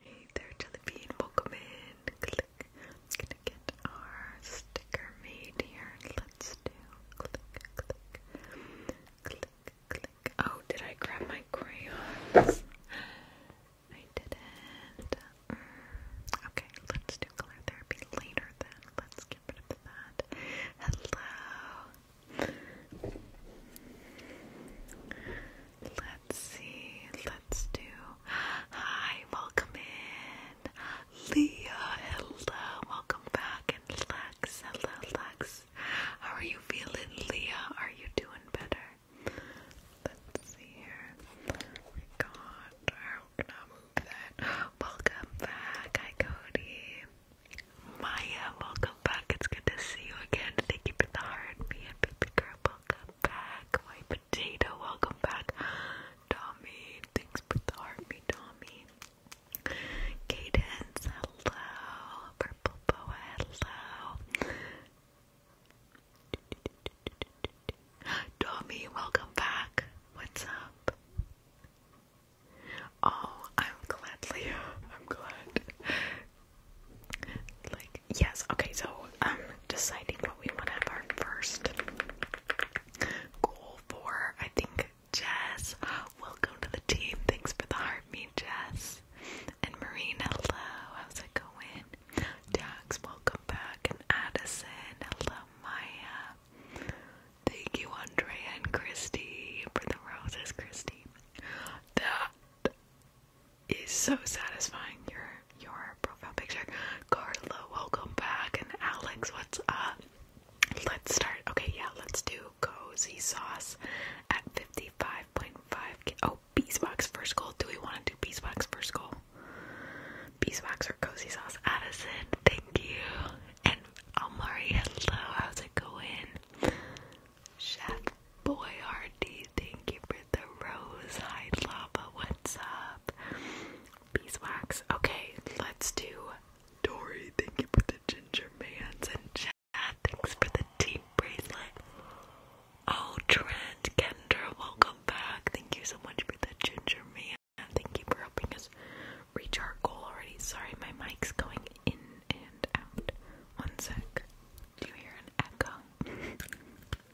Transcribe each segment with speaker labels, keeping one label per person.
Speaker 1: Hey there, Jellybean, welcome in. Click. I'm get our sticker made here. click, click, click, Oh, did I grab my crayons? I didn't. Mm. Okay, let's do color therapy later then. Let's get rid of that. Hello. Let's see. Let's do. Hi, welcome in. Leah, hello. Welcome back. And Lex, hello, Lex. How are you feeling, Leah? Are you doing better? Let's see here. Oh my god, how can Welcome back. Hi, Cody. Maya, welcome back. It's good to see you again. Thank you for the heart, me and baby girl welcome back. My potato, welcome back. Tommy, thanks for the army, Tommy. Cadence, hello. Purple Boa, hello. Tommy, welcome back. What's up? Oh, I'm glad, Leo. I'm glad. Like, yes, okay, so I'm um, deciding what we want to have our first goal for. I think Jess, welcome to the team. Thanks for the heart meet, Jess. And Marine, hello, how's it going? Dax, welcome back. And Addison, hello, Maya. Thank you, Andrea and Christy, for the roses, Christy is so satisfying. Your your profile picture, Carla. Welcome back, and Alex. What's up? Let's start. Okay, yeah, let's do cozy sauce at fifty-five point five. Oh, beeswax first goal. Do we want to do beeswax first goal? Beeswax or cozy sauce? Addison, thank you. And Amari, hello. How's it going? Chef Boy RD, thank you for the rose. Hi Lava, what's up? Beeswax. Okay, let's do Dory. Thank you for the ginger man. and Chad. Thanks for the deep bracelet. Oh, Trent, Kendra, welcome back. Thank you so much for the ginger man. Thank you for helping us reach our goal already. Sorry, my mic's going in and out. One sec. Do you hear an echo?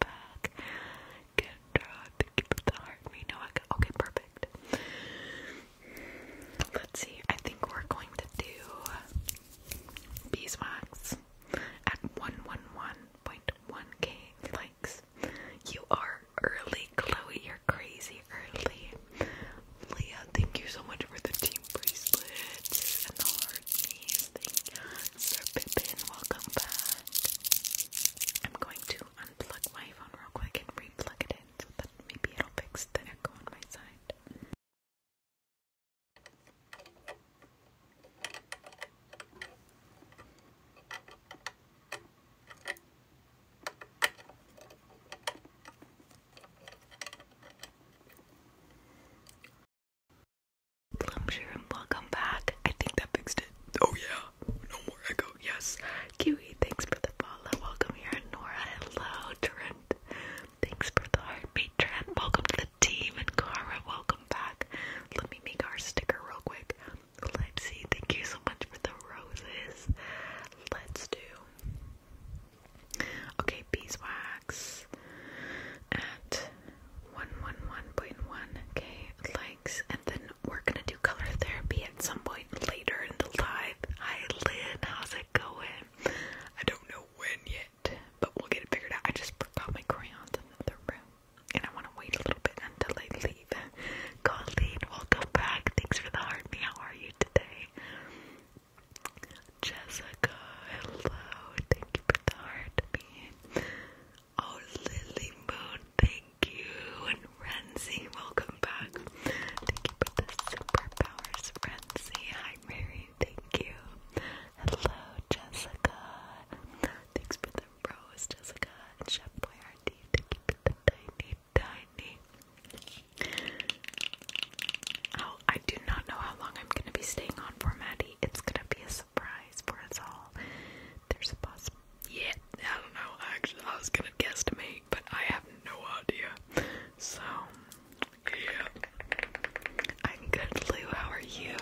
Speaker 1: back. Good job. Thank you the heart. We know I got. Okay, perfect. Let's see. I think we're going to do beeswax at 111.1k likes. You are early, Chloe. You're crazy early. Leah, thank you so much for the team bracelets and the heart thing. Sir Pippin, welcome back. I'm going to unplug my phone real quick and re-plug it in maybe it'll fix the echo on my side.
Speaker 2: Plumshire
Speaker 1: welcome back. I think that fixed it. Oh yeah, no more echo. Yes. Kiwi, thanks for the follow. Welcome here, Nora. Hello, Trent. Thanks for the heart, heartbeat, Trent. Welcome to the team, and Cara, welcome back. Let me make our sticker real quick. Let's see. Thank you so much for the roses. Let's do. Okay, beeswax at 111.1k likes, and then we're gonna do color therapy at some point later in the live. Hi Lynn, how's it going? I don't know when yet, but we'll get it figured out. I just forgot my crayons in the room, and I want to wait a little bit until I leave. Colleen, welcome back. Thanks for the heart. Me, how are you today? Jessica, hello. Thank you for the heart. Me. Oh, Lily Moon, thank you. And Renzi, welcome back. Thank you for the superpowers, Renzi. Hi, Mary, thank you. Hello, Jessica. Thanks for the rose, Jessica. And Chef Boyardee, Oh, I do not know how long I'm gonna be staying on for Maddie. It's gonna be a surprise for us all. There's a possible. Yeah, I don't know. Actually, I was gonna guess to guesstimate, but I have no idea. So, yeah. I'm good, Lou. How are you?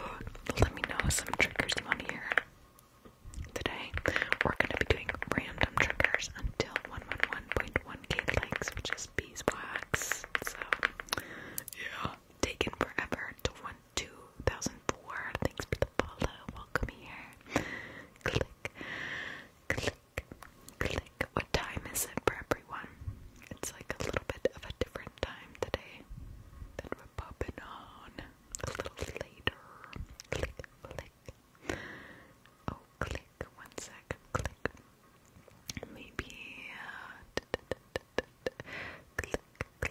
Speaker 1: Let me know some triggers you want to hear. Today, we're gonna be doing random triggers until 111.1k likes, which is beeswax. So, yeah. Taken forever to one. 2004. Thanks for the Welcome here. Click, click, click. What time is it for everyone? It's like a little bit of a different time today that we're popping on a little later. Click, click. Oh, click. One Click. Maybe. Uh, click, we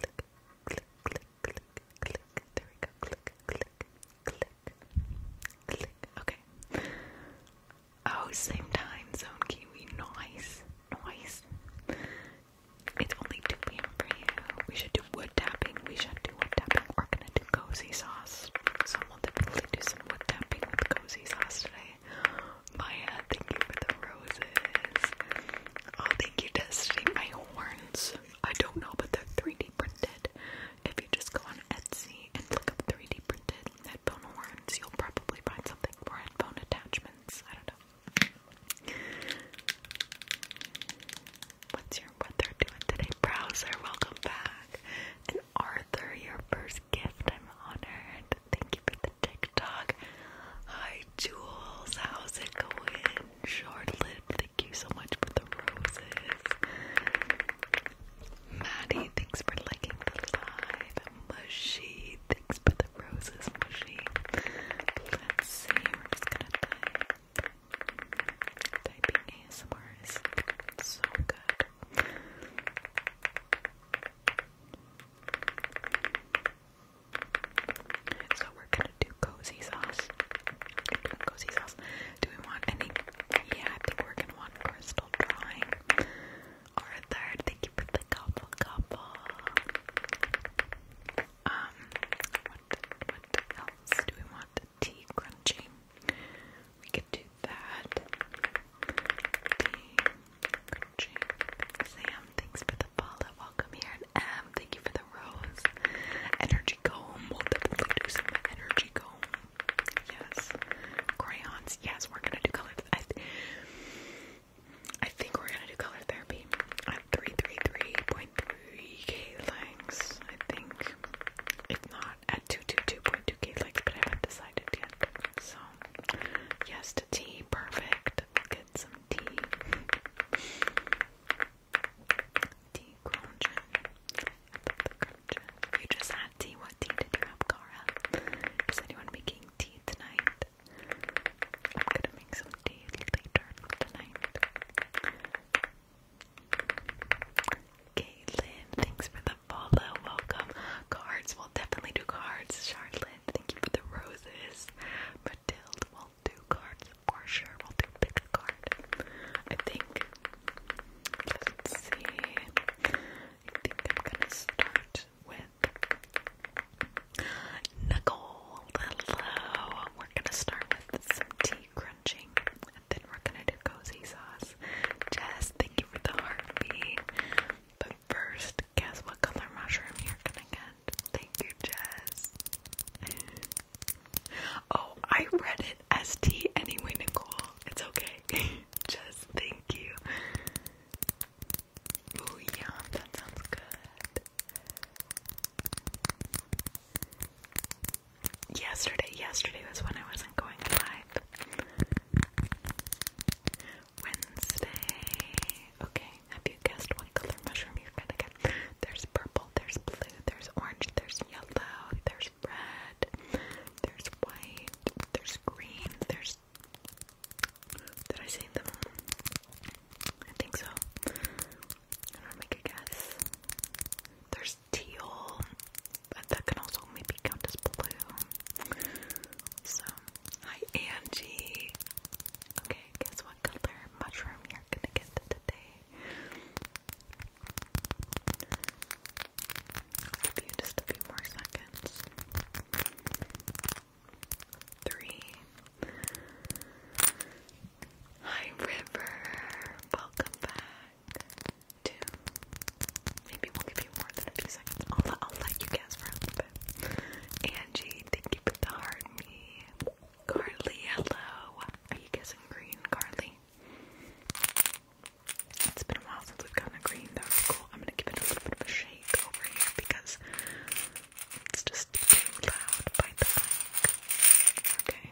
Speaker 1: Okay. Oh, same time zone, Kiwi. Nice, nice. It's only 2 p.m. for you. We should do wood tapping. We should do wood tapping. We're gonna do cozy sauce. So I want to really do some wood tapping with cozy sauce today. Maya, thank you for the roses. Oh, thank you, Destiny. My horns. I don't know, but they're 3D printed. If you just go on Etsy and look up 3D printed headphone horns, you'll probably find something for headphone attachments. I don't know. What's your weather doing today? Browser, welcome back. And Arthur, your first gift. I'm honored. Thank you for the TikTok. Hi, Jules. How's it going? Charlotte, thank you so much for the roses. Maddie, thanks for liking the live. Mushy, thanks for the roses, Mushy. Let's see, we're just gonna type. Typing ASMR is so good. So we're gonna do cozy sauce. Doing cozy sauce. Do we want any? Yeah, I think we're gonna want crystal drawing. Or Thank you for the couple, couple. Um, what else do we want? Tea crunching. We could do that. Tea Sam, thanks for the follow. Welcome here. And M, thank you for the rose. Energy comb. We'll definitely do some energy comb. Yes. Crayons. Yes, we're gonna do color. I, think we're gonna do color therapy. At 333.3k likes, I think. If not, at 222.2k likes, but I haven't decided yet. So, yes to T. Perfect. get some tea. Tea cauldron. You just had tea. What tea did you have, Cara? Is anyone making tea tonight? I'm gonna make some tea later tonight. Caitlin, thanks for the follow. Welcome. Cards, we'll definitely do cards. Charlotte, thank you for the roses. Matilde, do cards for sure. We'll do pick a card. I think. Let's see. I think I'm gonna start with Nicole. Hello. We're gonna start with some tea crunching, and then we're gonna do cozy sauce. Jess, thank you for the heartbeat. But first, guess what color mushroom you're gonna get? Thank you, Jess. oh, I read it as T anyway, Nicole. It's okay. Jess, thank you. Ooh, yum, that sounds good. Yesterday, yesterday was when I wasn't going live. Wednesday. Okay. Have you guessed what color mushroom you're gonna get? There's purple, there's blue, there's orange, there's yellow, there's red, there's white, there's green, there's. Did I say them? I think so. I'm gonna make a guess. There's teal, but that can also maybe count as blue. So, hi Angie. Okay, guess what color mushroom you're gonna get today? just a few more seconds. Three. Hi, River. Welcome back. Two. Maybe we'll give you more than a few seconds. I'll let you guess for a little bit. Angie, thank you for the heart me. Carly, hello. Are you guessing green, Carly? It's been a while since we've gotten a green, though. Cool. I'm gonna give it a little bit of a shake over here because it's just too loud by the mic. Okay.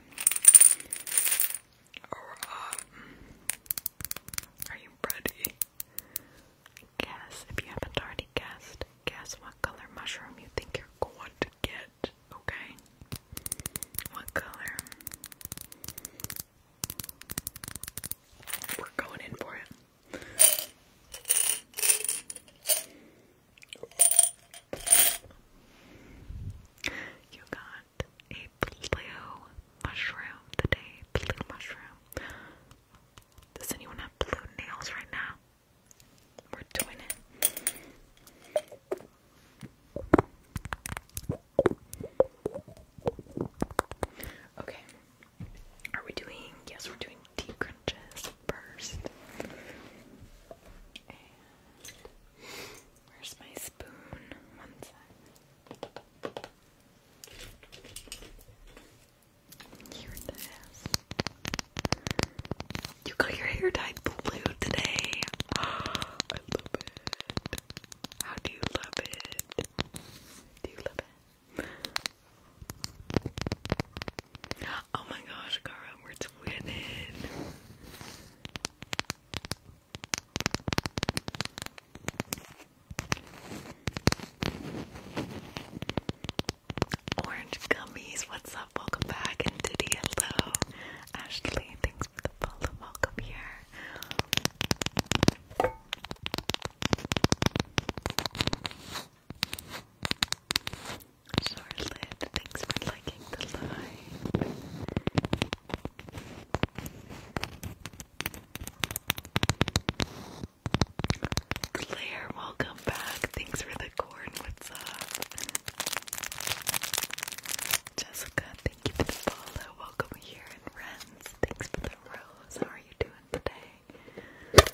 Speaker 1: are you ready? Guess if you haven't already guessed guess what color mushroom you think you're going to get, okay? What color? We're going in for it. You got a blue mushroom today. Blue mushroom. Does anyone have blue nails right now? We're doing it. Okay. Are we doing? Yes, we're doing deep crunches first. where's my spoon? One sec. You got your hair dyed blue today. I love it. How do you love it? Do you love it? Oh my gosh, Cara, we're twinning. Orange gummies, what's up? Welcome back. And Diddy, hello. Ashley, thanks for the follow. Welcome here. Charlotte, thanks for liking the live. Claire, welcome back. Thanks for the corn. What's up? Jessica, thank you for the follow. Welcome here and Renz. Thanks for the rose. How are you doing today?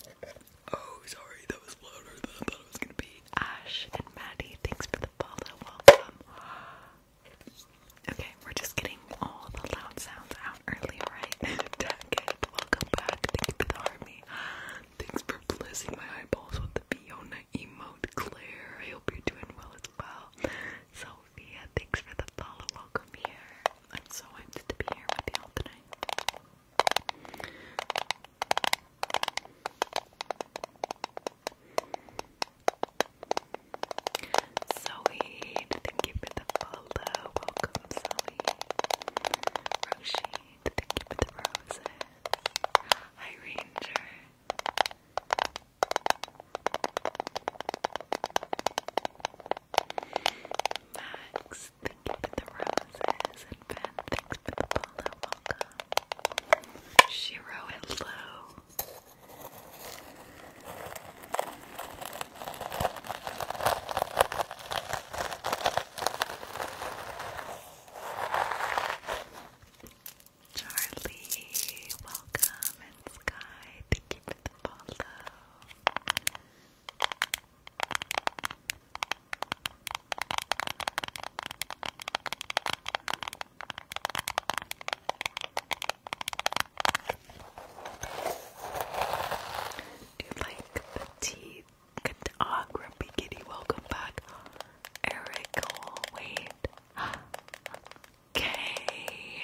Speaker 1: Oh, sorry, that was louder than was gonna be. Ash and Maddie, thanks for the follow. Welcome. Okay, we're just getting all the loud sounds out early, right? Jacket, welcome back. Thank you for the army. Thanks for blessing my eyeballs with the Fiona emote, I hope you're doing well as well. Sophia, thanks for the follow. Welcome here. I'm so hyped to be here with y'all tonight. Zoe, thank you for the follow. Welcome, Zoe. Roshi, thank you for the roses. Hi, Ranger. Max, thank you the roses. And Ben, thanks for the follow. Welcome. Shiro, hello. Charlie, welcome, and Sky, thank you for the follow. Do you like the teeth Ah, oh, Grumpy Kitty, welcome back. Eric, wait. Kay,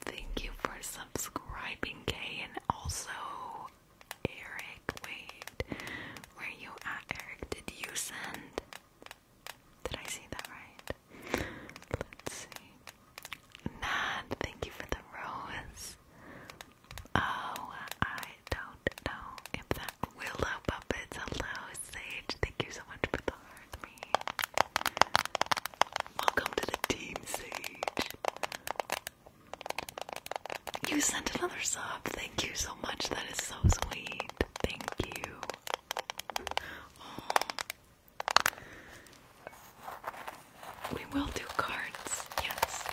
Speaker 1: thank you for subscribing, Kay, and also Eric. Wait, where you at, Eric? Did you send? Did I see that right? Let's see. Matt, thank you for the rose. Oh, I don't know if that Willow Puppets. Hello, Sage. Thank you so much for the heart, Welcome to the team, Sage. You sent another sub. Thank you so much. That is so sweet. Thank you. We will do cards. Yes.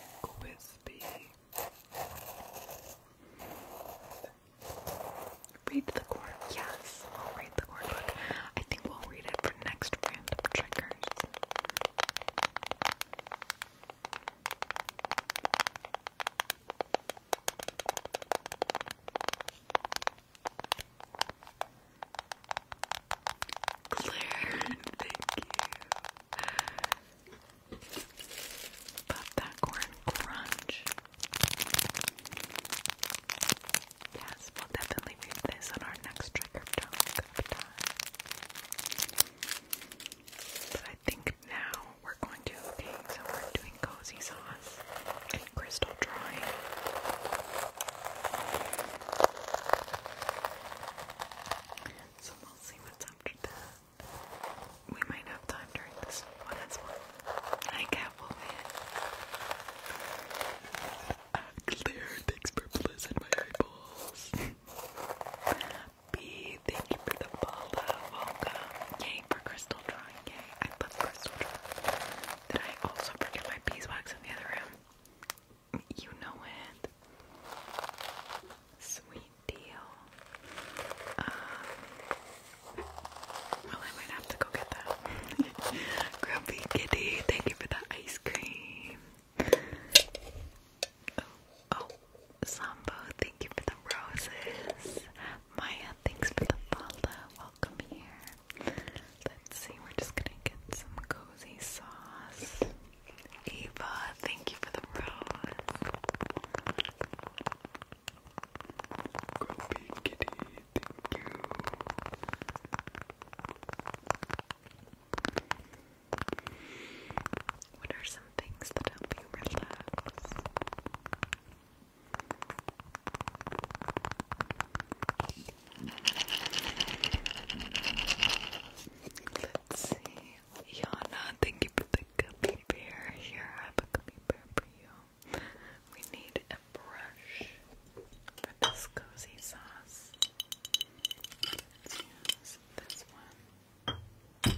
Speaker 1: Quispy. Read the court. Yes, I'll read the court book. I think we'll read it for next random triggers. Claire, thank you. that corn crunch. Yes, we'll definitely read this on our next trigger talk of But I think now we're going to, okay, doing cozy sauce and crystal drawing. So we'll see what's after that. We might have time during this one as well. I can't believe it. Claire, thanks for blizzing
Speaker 2: my eyeballs. B, thank you for the follow.
Speaker 1: Welcome. Yay for crystal drawing. Yay, I love crystal drawing. Did I also forget my beeswax in the other room? You know it. Sweet deal. Um, well, I might have to go get that. Grumpy Kitty, thank you for the ice cream. Oh, oh, thank you for the roses. Maya, thanks for the follow. Welcome here. Let's see, we're just gonna get some cozy sauce. Eva, thank you for the rose. What are some things that help you relax? Let's see. Yana, thank you for the gummy bear. Here, I have a gummy bear for you. We need a brush for this cozy sauce. Let's use this one. Here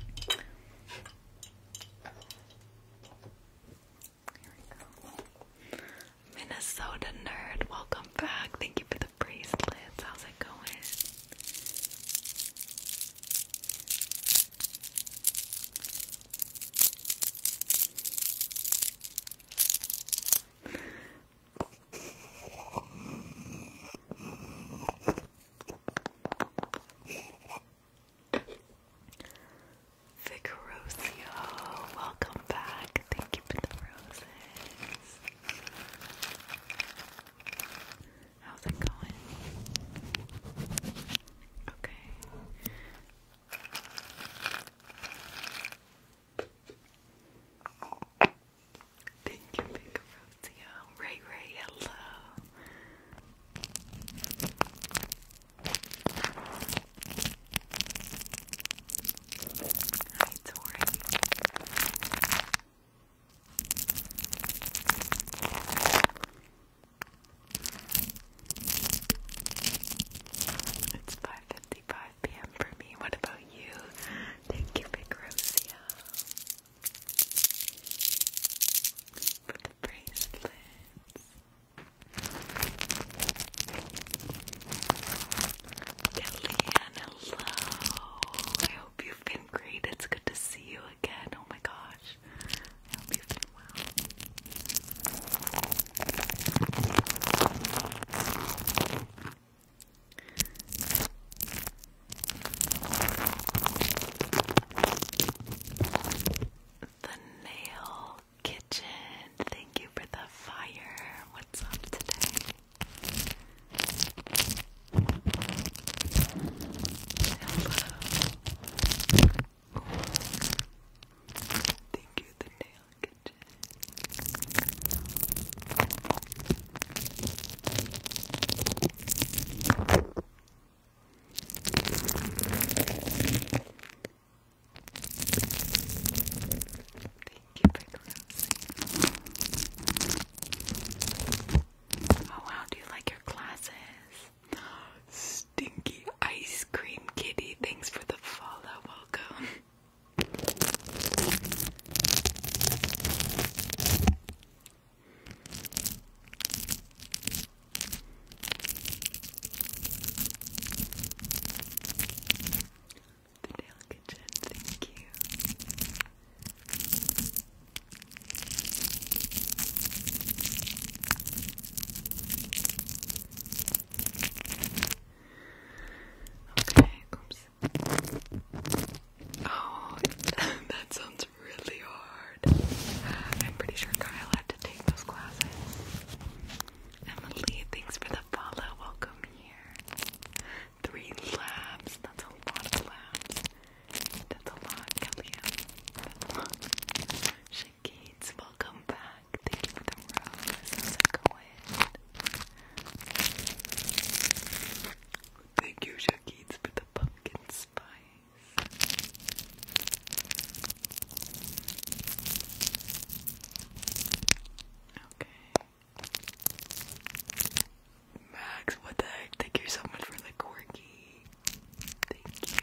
Speaker 1: we go. Minnesota nerd, welcome back. Thank you for bracelets. How's it going? Vigorocio, welcome back. Thank you for the roses. How's it going? Okay. Thank you, Big Rosia. Ray Ray, hello. Hi, Tori. It's 5.55 p.m. for me. What about you? Thank you, Big For the bracelets. Kellyanne, Hello. I hope you've been great. It's good to see you again. Oh my gosh. I hope you've been well. The Nail Kitchen, thank you for the fire. What's up today? Thank you, the nail kitchen. Oh wow, do you like your glasses? Stinky ice cream kitty, thanks for the follow, welcome the Dale Kitchen. Thank you. Okay, oops. Oh, that sounds really hard. I'm pretty sure Kyle had to take those classes. Emily, thanks for the follow. Welcome here. Three labs. That's a lot of labs. That's a lot, Kellyanne. That's a lot. Shakeeds, welcome back. Thank you for the rose. How's it Thank you, Shakeeds, for the pumpkin spice. Okay. Max, what the heck? Thank you so much for the quirky. Thank you.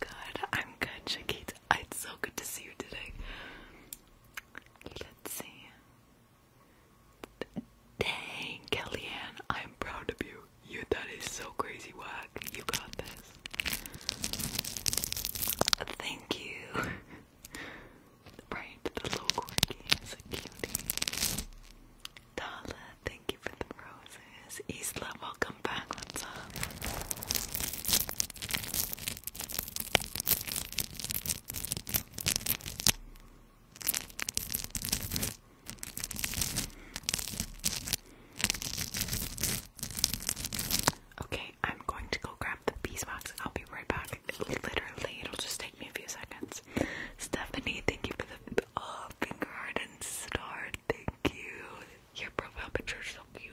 Speaker 1: Good, I'm good, Shakita. It's so good to see you today. Let's see. Dang, Kellyanne, I'm proud of you. You that is so crazy whack. You got this. Thank you right, the little quirky is a cutie. Tala, thank you for the roses. Isla, welcome back. What's up? Okay, I'm going to go grab the beeswax and I'll be right back. Literally, it'll just take me a few seconds. Stephanie, thank you for the oh, finger heart and star. Thank you. Your profile picture is so cute.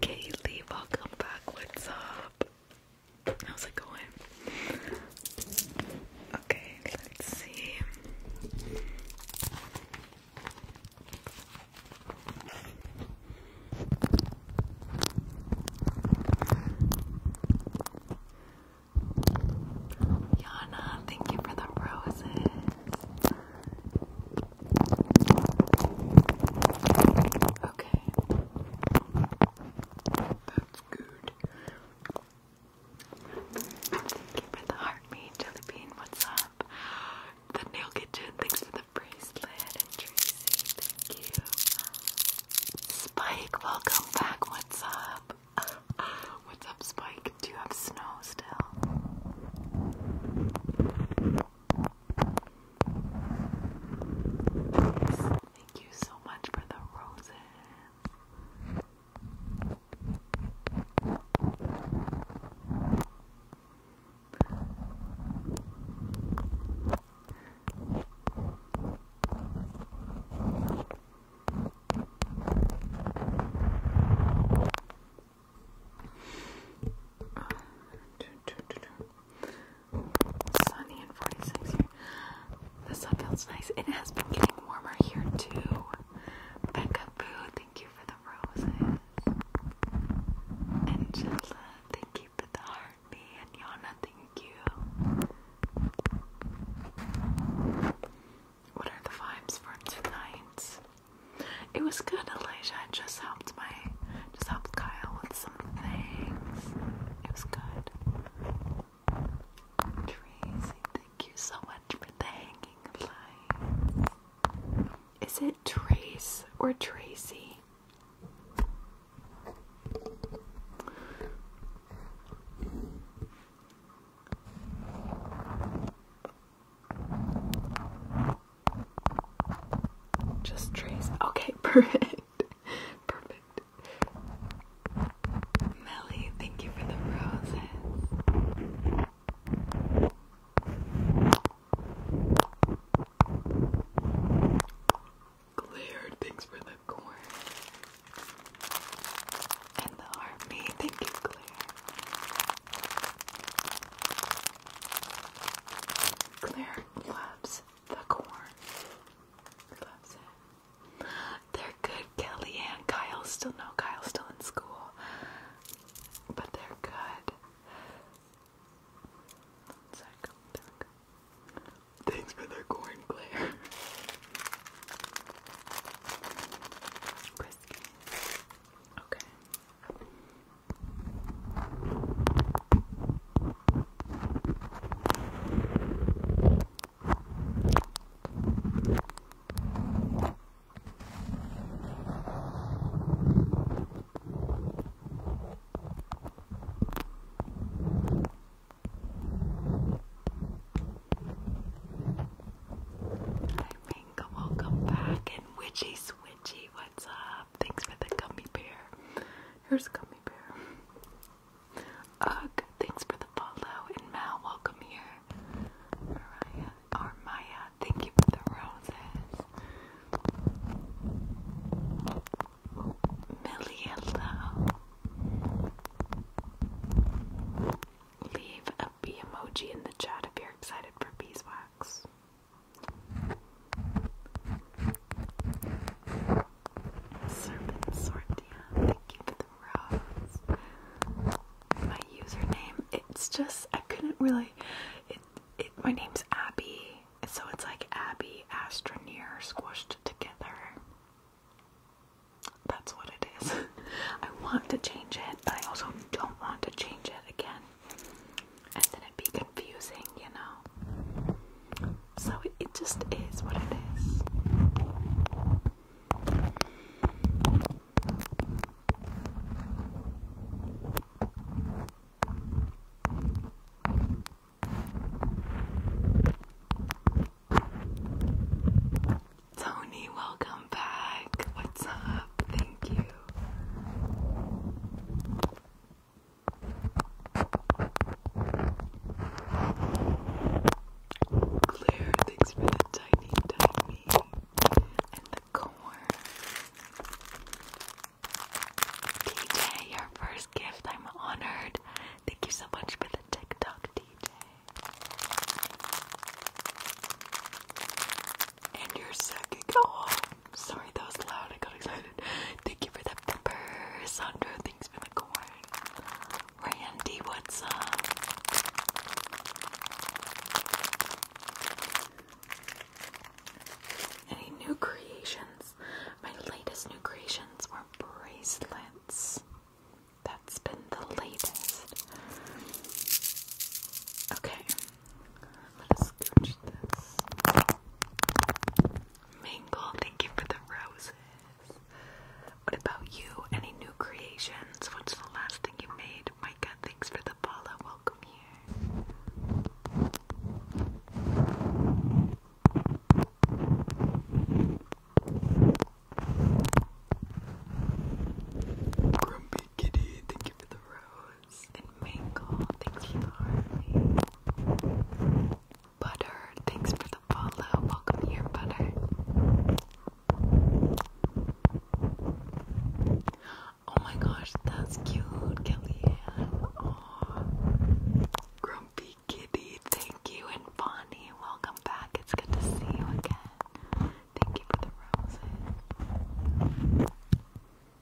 Speaker 1: Kaylee, welcome back. What's up? How's it going? Okay, let's see. Yana, thank you for the roses. Okay. That's good. For the heartmeat, Jellybean, what's up? The nail kitchen, thanks for the bracelet. And Tracy, thank you. Spike, welcome back. What's up? What's up, Spike? Do you have snow still? Thank you so much for the roses sunny and 46 The sun feels nice. It has been getting warmer here too. Becca Boo, thank you for the roses. Angela, thank you for the heartbeat. And Yana, thank you. What are the vibes for tonight? It was good, Elijah. I just helped my just helped Kyle with some things. It was good. Tracy, thank you so much for the hanging light. Is it Trace or Tracy? Just trace. Okay, perfect. perfect. Melly, thank you for the roses. Claire, thanks for the corn. And the army, thank you, Claire. Claire loves the corn. They're good, Kelly and Kyle. Still no Kyle's still in school. But they're good. Thanks for the corn, Claire. Okay. I think welcome back and witchy switchy, what's up? Thanks for the gummy bear. Here's a gummy bear. Ugh, thanks for the follow. And Mal, welcome here. Mariah or thank you for the roses. Millie, hello. Leave a bee emoji in the chat if you're excited for beeswax. Serpent Sortia, thank you for the rose. My username, it's just I couldn't really it it my name's Abby, so it's like Abby Astroneer squished together. That's what it is. I want to change it, but I also don't want to change it again and then it'd be confusing, you know. So it, just is what it is. Tony, welcome back. What's up? Thank you. Claire, thanks for the tiny, tiny and the corn. DJ, your first gift. I'm honored. Thank you so much for the TikTok, DJ. And your second. Oh, Sorry, that was loud. I got excited. Thank you for that pepper. Sandra, thanks for the corn. Randy, what's up? Any new creations? My latest new creations were bracelets. That's been the latest. Okay, let us scooch this. Mingle, thank you for the roses. What about you? Any new creations? What's the last thing you made? Micah, thanks for the follow. Welcome here. Grumpy Kitty, thank you for the rose. And mango, thanks for the heart. Butter, thanks for the follow. Welcome here, butter. Oh my gosh, that's cute, Kellyanne. Grumpy Kitty, thank you, and Bonnie, welcome back. It's good to see you again. Thank you for the roses.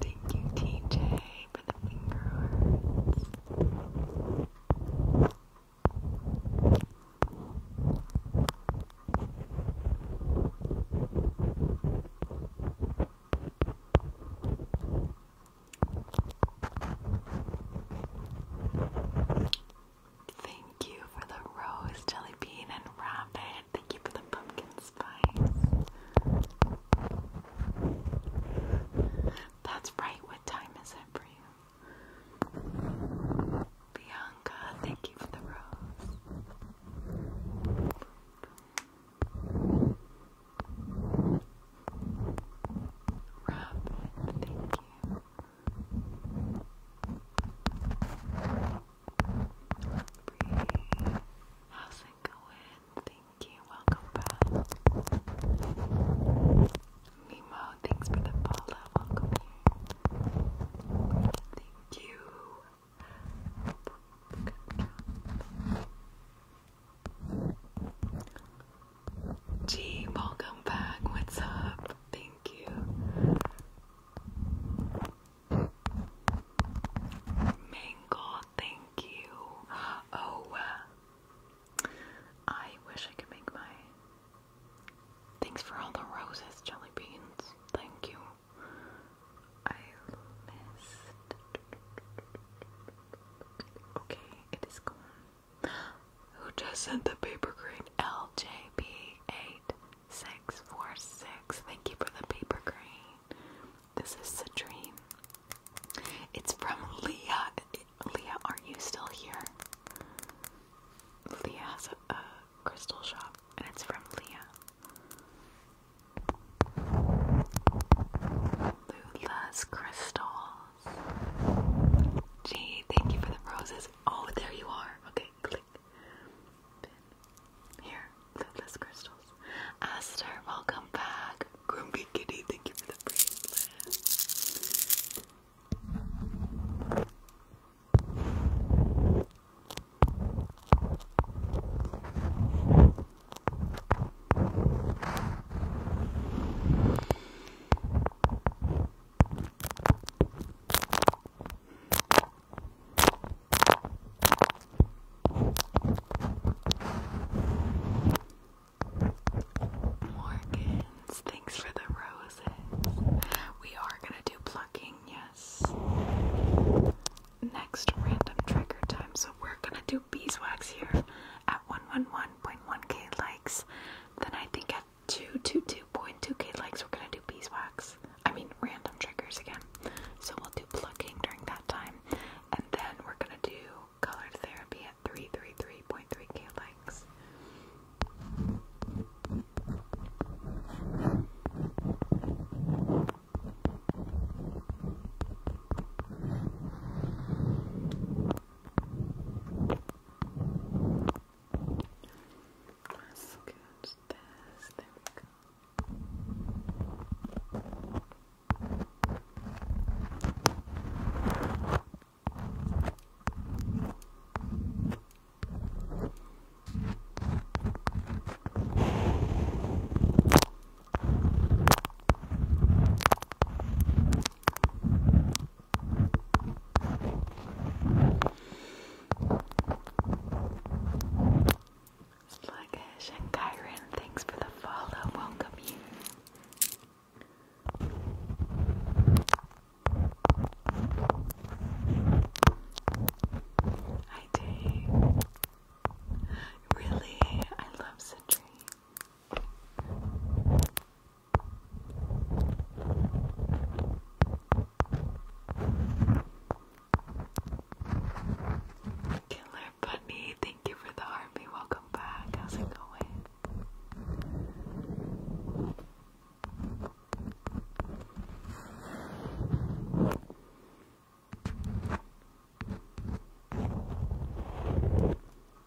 Speaker 1: Thank you, TJ, for the finger hearts. Thank you for the rose jelly bean and rabbit. Thank you for the pumpkin spice. That's right. What time is it for you? Bianca, thank you for the rose. Robin, thank you. Bree, how's it going? Thank you. Welcome back. Mimo, thanks for the follow. Welcome here. Thank you. Good job. G, welcome back. What's up? Thank you. Mangle, thank you. Oh, uh, I wish I could make my. Thanks for all the roses, jelly beans. Thank you. I missed. Okay, it is gone who just sent the paper green LJB8646. Thank you for the paper green. This is a dream. It's from Leah. Leah, are you still here? Leah has a, a crystal shop, and it's from Leah. Lula's crystal rose. thank you for the roses. Oh, there you are. Okay, click. Here, limitless crystals. Aster, welcome back. Grumpy Kitty, thank you for the bracelet. Morgans, thanks for the roses. We are gonna do plucking, yes. Next random trigger time, so we're gonna do beeswax here at 111.1k likes, then I think at 222.2k likes we're gonna do beeswax. I mean random triggers again. So we'll do plucking during that time, and then we're gonna do colored therapy at 333.3k likes. Let's get this. There we go. Sluggish and Kyron, thanks for the follow. Welcome you. I do. Really, I love citrine. Killer Bunny, thank you for the army. Welcome back. How's it going?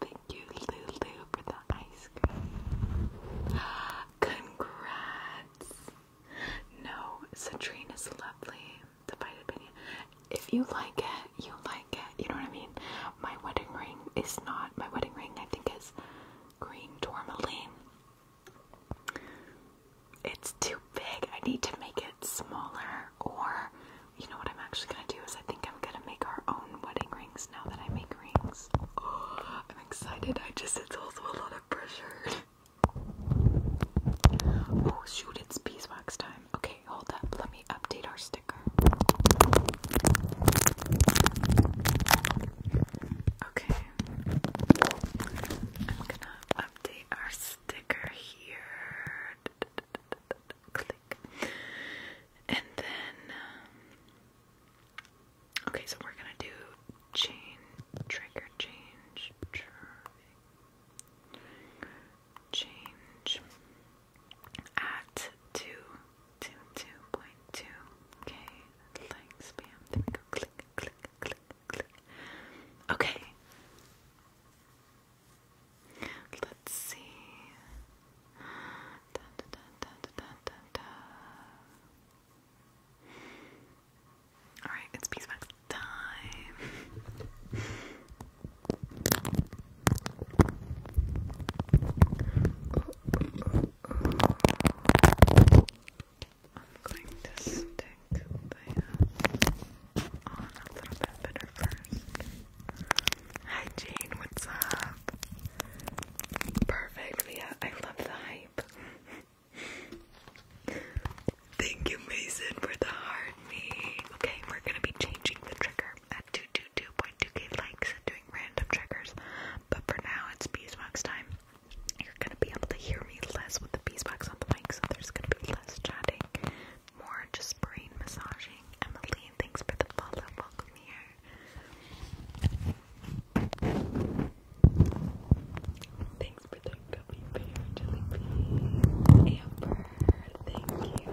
Speaker 1: Thank you, Lulu, for the ice cream. Congrats! No, Citrina's lovely. Divided opinion. If you like it, you like it. You know what I mean? My wedding ring is not. My wedding ring, I think, is green tourmaline. It's too big. I need to make it smaller, or you know what I'm actually gonna do is I think I'm gonna make our own wedding rings now that I make rings. Oh, I'm excited. I just it's also a lot of pressure. Oh shoot! It's beeswax time. Okay, hold up. Let me update our sticker. Okay, I'm gonna update our sticker here click. And then, um, okay, so we're gonna do chain trigger change, change at two, two, two point two. Okay, like spam. Click, click, click, click. Okay. Let's see. All right, it's piece box time. I'm going to stick uh, Hi Jane, what's up? Perfect, yeah, I love the hype. Thank you, Mason, for the hard me. Okay, we're gonna be changing the trigger at 222.2k likes doing random triggers, but for now it's beeswax time. You're gonna be able to hear me less with the beeswax on the mic, so there's gonna be less chatting more just brain massaging. Emily, thanks for the follow. Welcome here. Thanks for the gummy bear, jelly bean. Amber, thank you.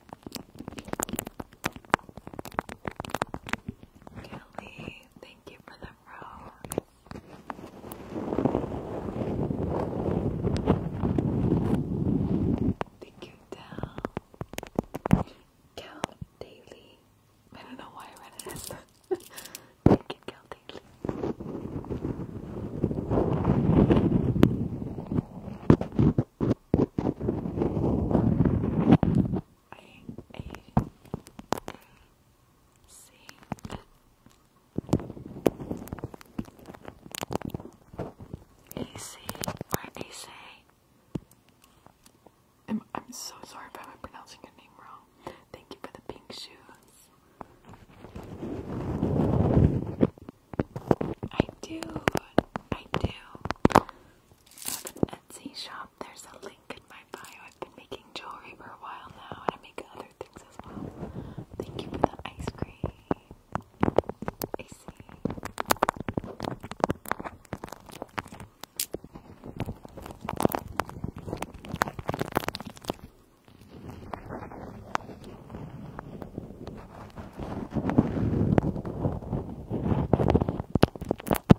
Speaker 2: Kelly, thank you for the road. Thank you, Dal. Cal Daily. I don't know why I read it thank you, Cal Daily. A A A C N. or AC. I'm, I'm so sorry if I'm pronouncing your name wrong. Thank you for the pink shoes. I do. I do. I have an Etsy shop. There's a link in my bio. I've been making jewelry for a while now, and I make other things as well. Thank you for the ice cream. AC.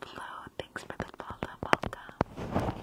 Speaker 2: Flow, thanks for the follow, welcome.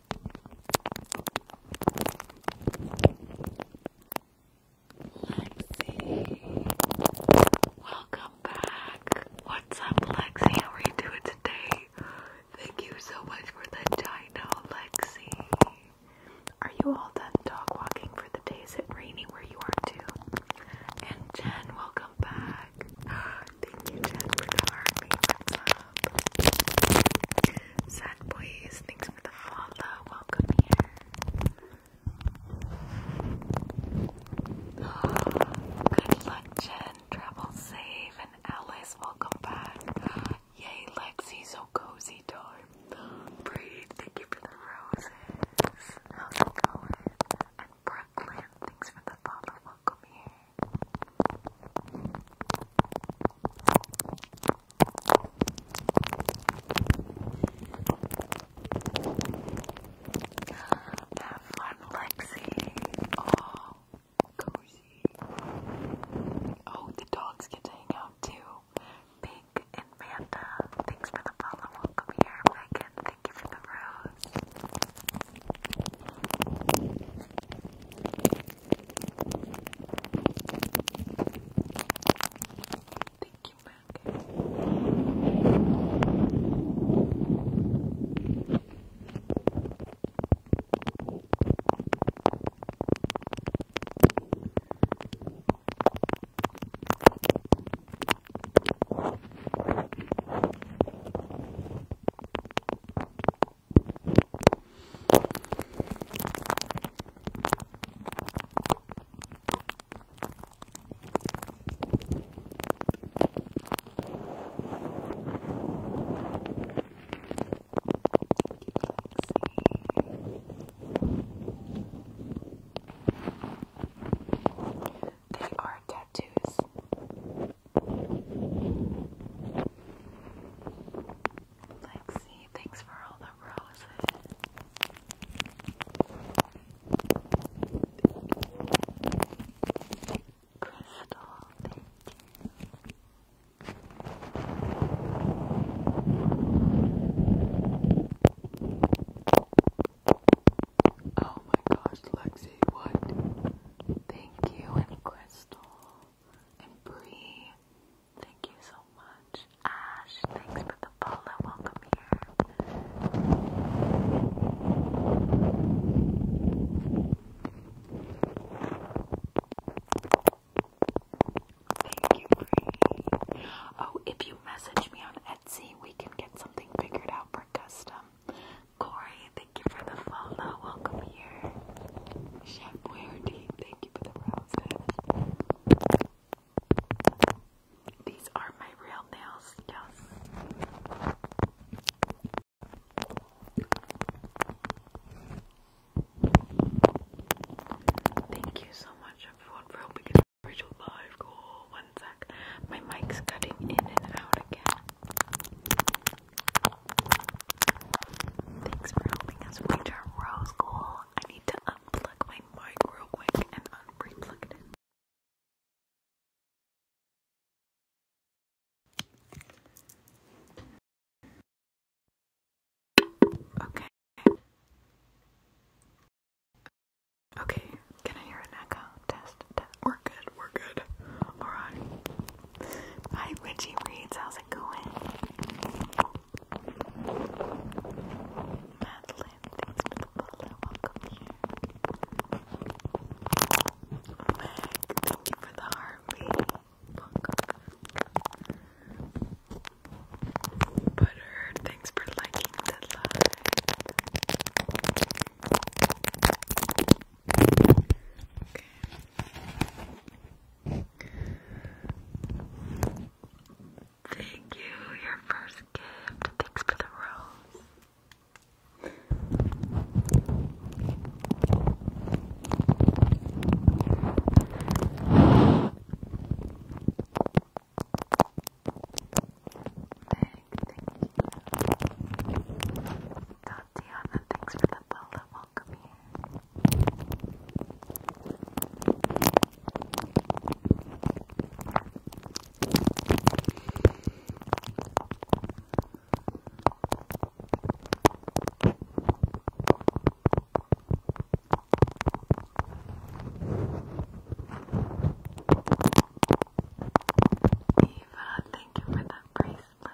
Speaker 2: Lexi, welcome back. What's up, Lexi? How are you doing today? Thank you so much for the dino, Lexi. Are you all done
Speaker 1: dog walking for the day? Is it raining where you are too? And Jen, welcome back. Thank you, Jen, for the heart makeup. Sad boys, thanks for the follow. Welcome here. good luck, Jen. Travel safe, and Alice, welcome back. Yay, Lexi, so cozy time. Breathe, thank you for the roses. And Brooklyn, thanks for the follow. Come here. Have fun, Lexi. Oh, cozy. Oh, the dogs get to hang out too. Pink and Manda, thanks for the follow. Welcome here, Megan. Thank you for the rose. Thank you, Mac. Thank they are tattoos. Lexi, thanks for all the roses. Crystal, thank you. Oh my gosh, Lexi, what? Thank you, and Crystal, and Bree. Thank you so much. Ash, thanks for the follow. Welcome here. Thank you, Bree. Oh, if you message me on Etsy, we can get something figured out for custom. Corey, thank you for the follow. Welcome here. Chef Boyardee, thank you for the roses. These are my real nails, yes. Thank you so much everyone for helping us reach live One sec. My mic's cutting in and out again. Thanks for helping us reach our goal. I need to unplug my mic real quick and unplug it. Okay. Okay, can I hear an echo? Test, test. We're good, we're good. Alright. Hi, Richie Reads. How's it going? Madeline, thanks for the follow. Welcome here. Meg, thank you for the heartbeat. Welcome. Butter, thanks for liking the live. Thank you, your first gift. Thanks for the rose. Thank, thank you. The Tiana. Thanks for the follow. Welcome here. Eva, thank you for that bracelet.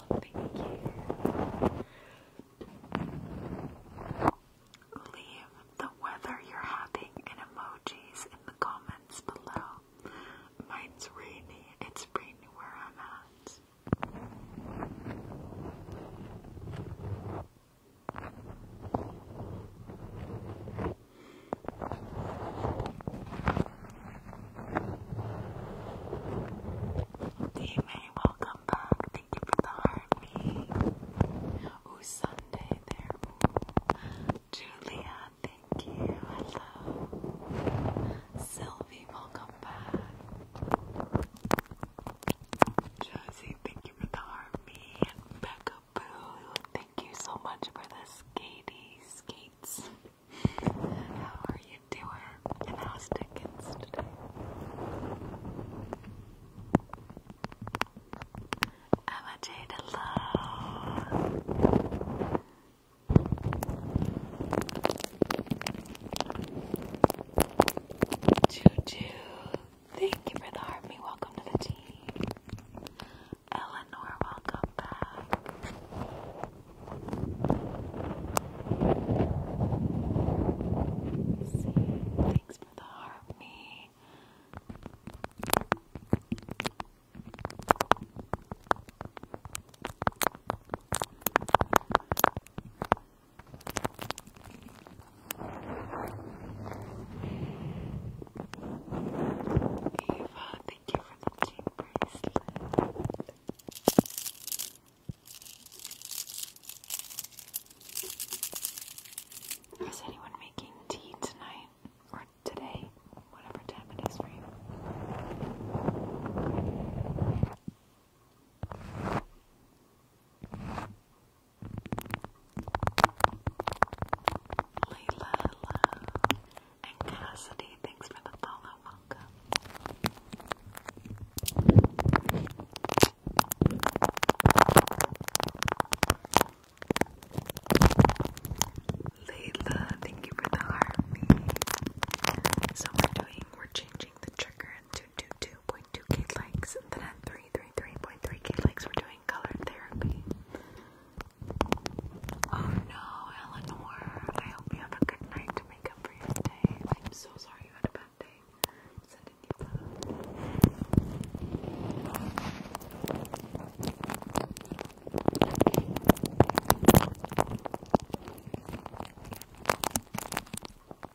Speaker 1: thank you. Leave the weather you're having in emojis in the comments below. Mine's rainy, it's rainy where I'm at. Hey welcome back. Thank you for the heartbeat. Ooh, Sunday there. Julia, thank you. Hello. Sylvie, welcome back. Josie, thank you for the heartbeat. Becca Boo, thank you so much for the skatey skates. How are you doing? how's Dickens today? Emma Jade, hello! Juju, thank you for the army. welcome to the team. Eleanor, welcome back thanks for the harmony. Eva, thank you for the cheap bracelet. Is anyone making tea tonight or today? Whatever time it is for and Cassidy, thanks for the follow. Layla, thank you for the heart. So we're doing, we're changing the trigger to 2.2k likes, and then 333.3k likes, we're doing color therapy. Oh no, Eleanor, I hope you have a good night I'm so sorry you had a bad day. Sending you love.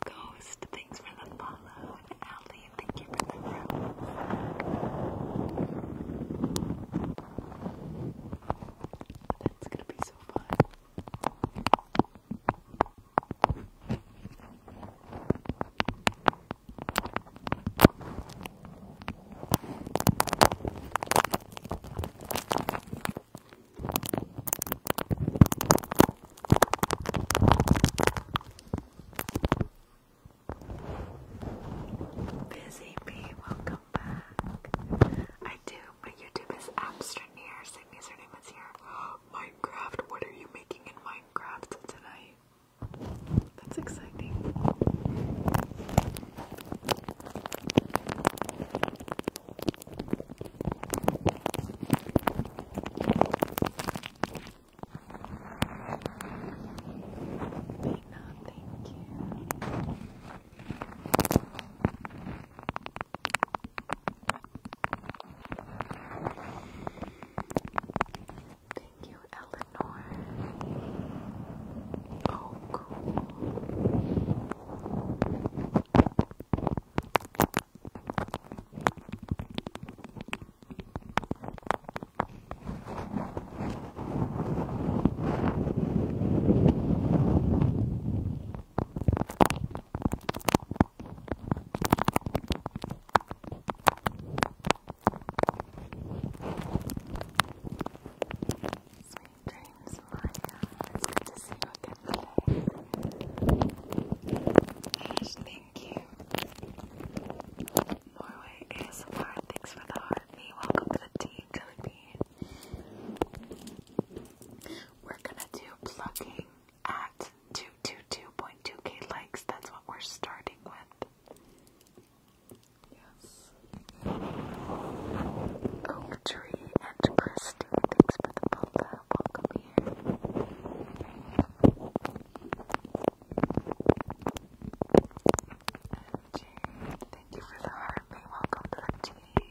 Speaker 1: Ghost, thanks for the follow. And thank you for the rose. That's gonna be so fun. Busy bee, welcome back. I do, but YouTube is Abstraneer. Same username is here. Minecraft, what are you making in Minecraft tonight? That's exciting. thank you. Thank you, Eleanor. Oh, cool. Sweet dreams, Maya. It's good to see you again today. thank you. Norway ASMR, thanks for the heart. Me, welcome to the tea, Jelly we're gonna do plugging at 222.2k likes. That's what we're starting with. Yes. Oak tree and Christy, thanks for the photo. Welcome here. MJ, thank you for the heart. Welcome to the team.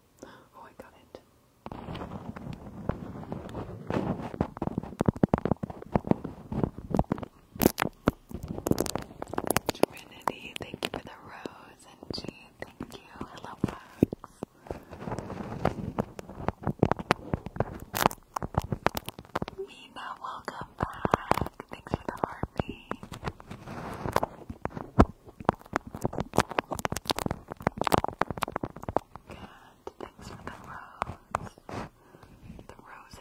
Speaker 2: Oh, I got Trinity, thank you for the rose. And G, thank you. I love Mina, welcome back. Thanks for the heartbeat. Good. Thanks for the rose.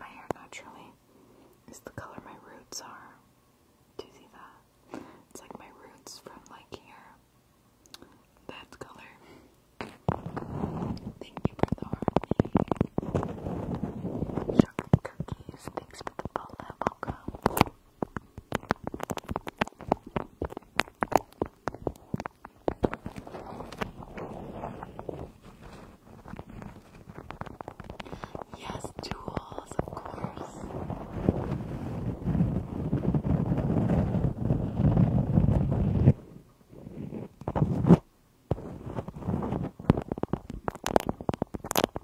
Speaker 2: My hair naturally is the color my roots are. Do you see that? It's like my roots from like here. That color. Thank you for the harmony. Chocolate cookies. Thanks for the bullet. Welcome. Yes, jewels, of course.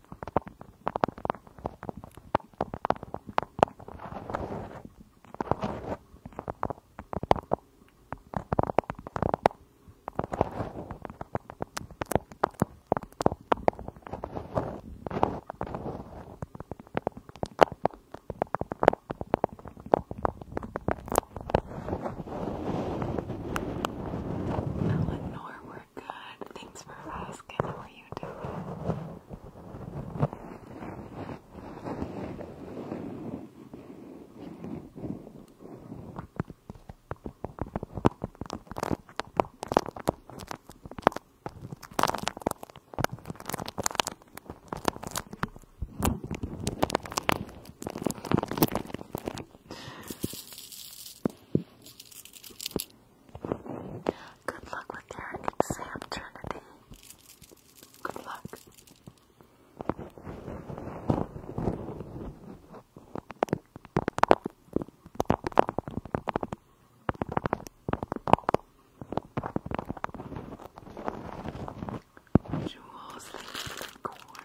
Speaker 2: Eleanor, where good. Thanks for asking. How are you doing? Good luck with your exam, Trinity. Good luck.
Speaker 1: Jewels, unicorn.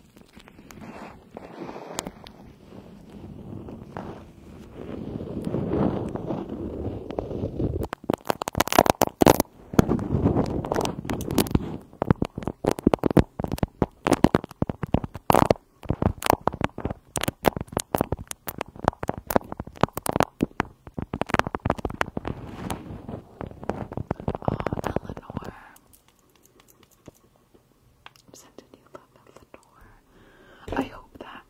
Speaker 1: Oh, Eleanor, I hope that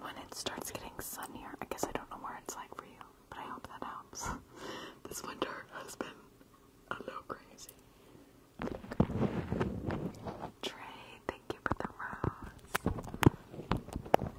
Speaker 1: when it starts getting sunnier, I guess I don't know where it's like for you, but I hope that helps. this winter has been a little crazy. Trey, thank you for the rose.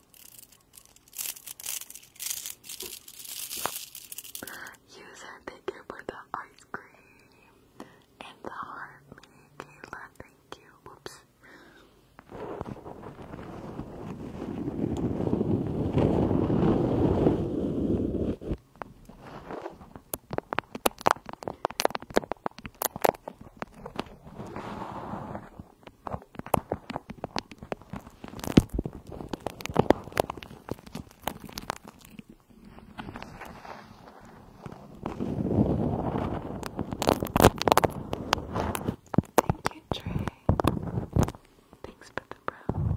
Speaker 1: Use her ticket for the ice cream and the heart Kayla. Thank you. Whoops. Thank you, Trey. Thanks for the brows.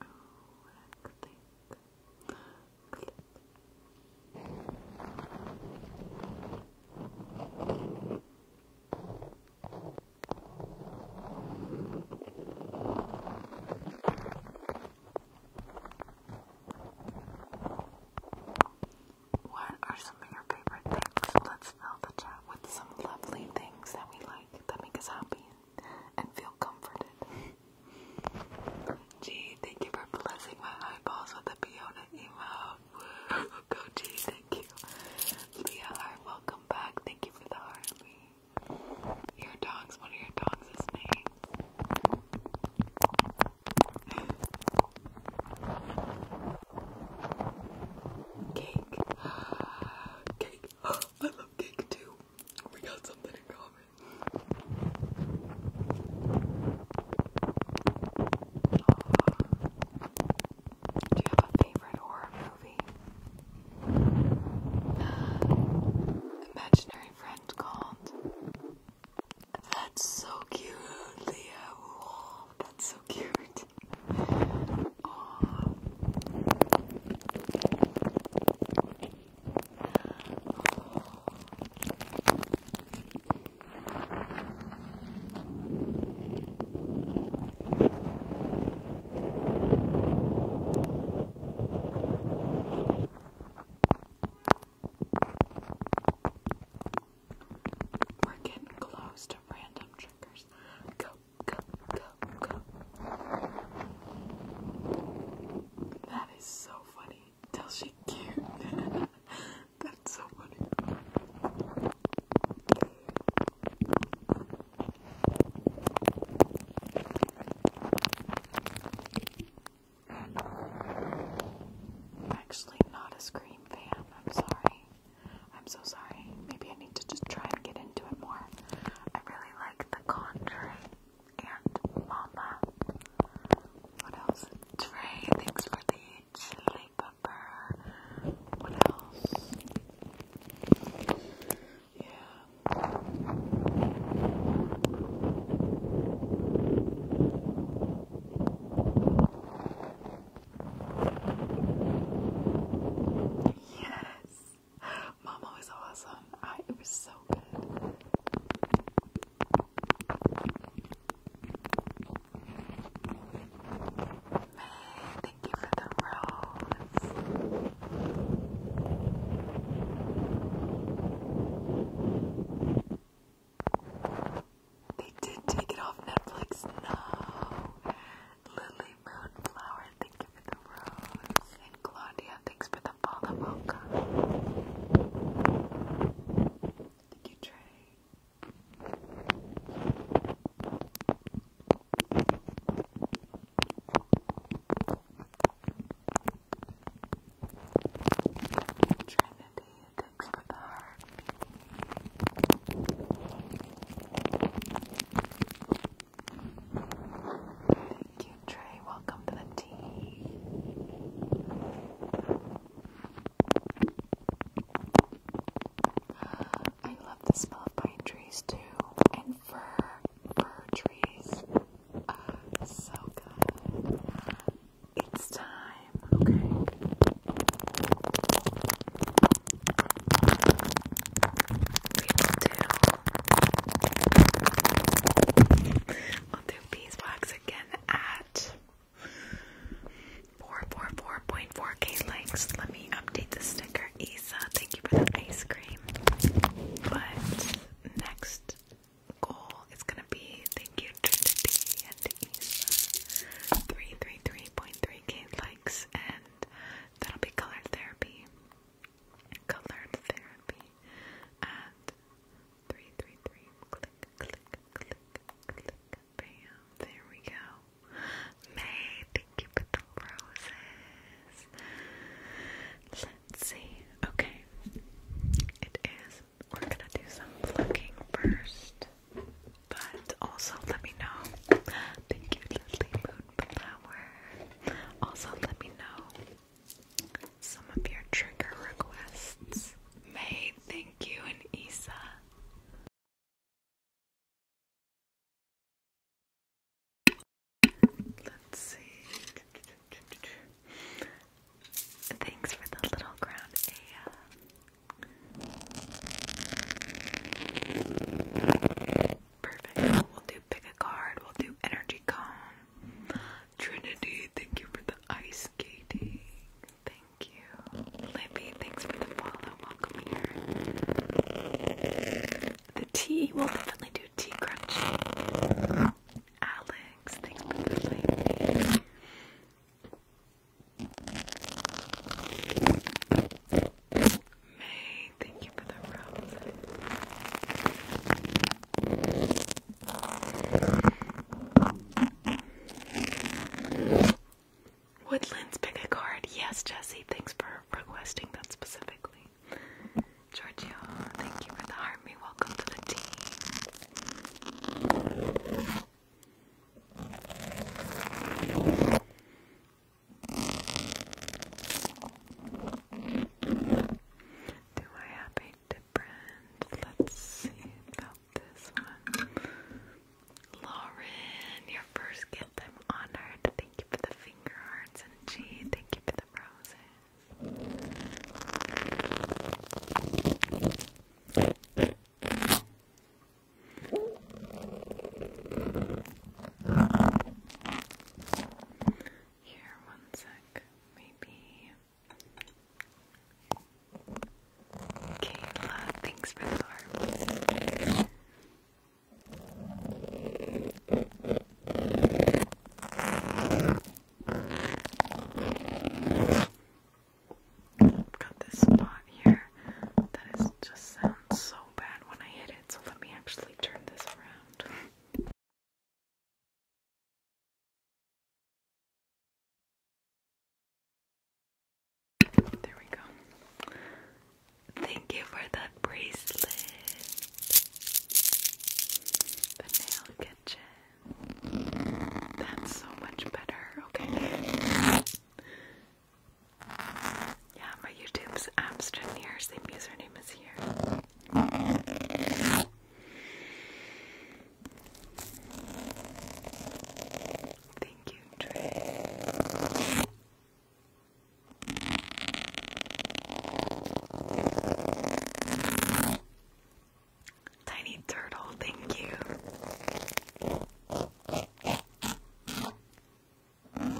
Speaker 1: Oh, click. What are some of your favorite things? Let's know the chat with some lovely things that we like that make us happy and feel comforted. Gee, thank you for blessing my eyeballs with the Fiona emote. Go Gee, thank you. Leah welcome back. Thank you for the heart, Lee. Your dogs, one of your dogs is Cake cake. I love cake too. We got something in common. Do you have a favorite horror movie? Imaginary friend called. That's so cute, Leah. That's so cute. We're getting close to random triggers. Go that is so funny. Does she cute. That's so funny. I'm actually not a Scream fan, I'm sorry. I'm so sorry. Maybe I need to just try and get into it more. I really like The Conjuring and Mama. What else? Trey, thanks for the chili pepper. What else? Yeah. Yes, Mama was awesome. it was so good. May, thank you for the rose. They did take it off Netflix. No, Lily Moonflower, thank you for the rose. And Claudia, thanks for the follow mocha. Thank you, Trey. Trinity, thanks for the heart. Thank you, Trey. Welcome to the tea. I love the smell of pine trees too, and fir, fir trees. Uh, so good. It's time, okay? We will do. We'll again at 444.4k likes. Let me update the sticker. Isa, thank you for the ice cream. But next goal is gonna be thank you Trinity and Isa. 333.3k likes and That'll be color therapy. Colored therapy at three three three. Click click click click. Bam. There we go. May, thank you for the roses. let Okay. It is we're gonna do some plucking first. But also let me know. Thank you, Lily Moon also, let me know some of your trigger requests. May, thank you, and Isa. Let's see. Thanks for the little ground, Aya. Perfect. We'll do pick a card. We'll do energy calm. Trinity, thank you for the ice skating. Thank you. Libby, thanks for the follow. Welcome here. The tea, we'll definitely do tea crunchy. Alex, thanks for the May, thank you for the rose. Woodlands, pick a card. Yes, Jesse, thanks for requesting that specifically. Giorgio, thank you for the army. Welcome to the team. Do I have a different? Let's see about this one. Lauren, your first gift. I'm honored. Thank you for the finger hearts and G. Thank you for the roses. Here, one sec. Maybe. Kayla, thanks for the heart. Got this spot here that is just sounds so bad when I hit it, so let me actually turn this around. There we go. Thank you for that bracelet. The nail kitchen. That's so much better. Okay. Yeah, my YouTube's Amsterdam here, same username is here. Thank you, Trey. Tiny turtle, thank you. Lauren,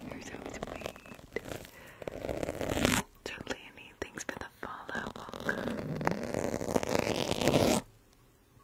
Speaker 1: you're so sweet. Totally, thanks for the follow.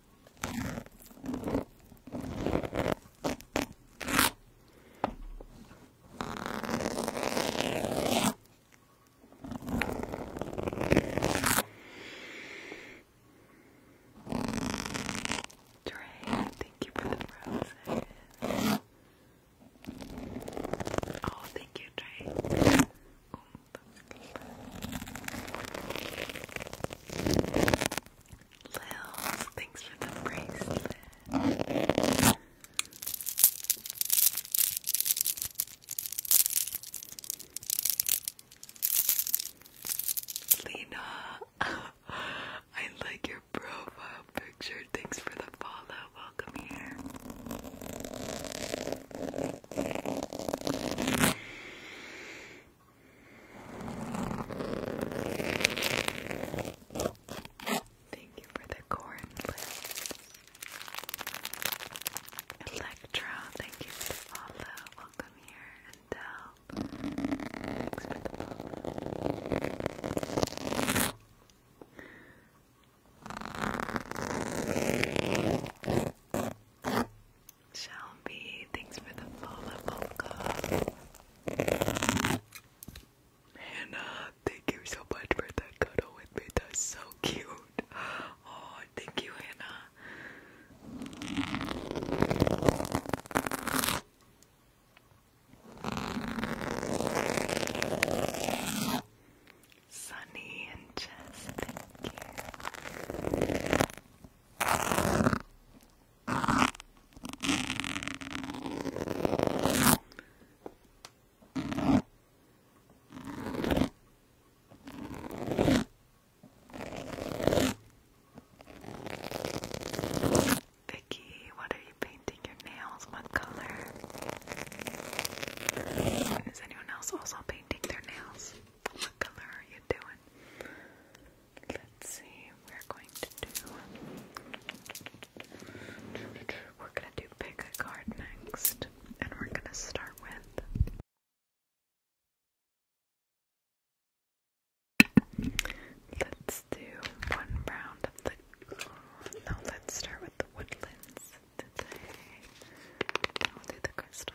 Speaker 1: Dre, thank you for the roses. Oh, thank you, Dre. Oh, Lils, thanks for the bracelet. Lena, I like your profile picture. Thanks for the follow. Welcome here. Thank you for the corn Electra, thank you for Welcome here and Thanks for the follow. Shelby, thanks for the follow, Polka. Hannah, uh, thank you so much for that cuddle with me. That's so cute. Oh, thank you, Hannah. Sunny and Jess, thank you. Vicky, what are you painting your nails? What color? Is anyone else also painting their nails? What color are you doing? Let's see, we're going to do. We're gonna do pick a card next, and we're gonna start with. Let's do one round of the. No, let's start with the woodlands today. Then will do the crystal.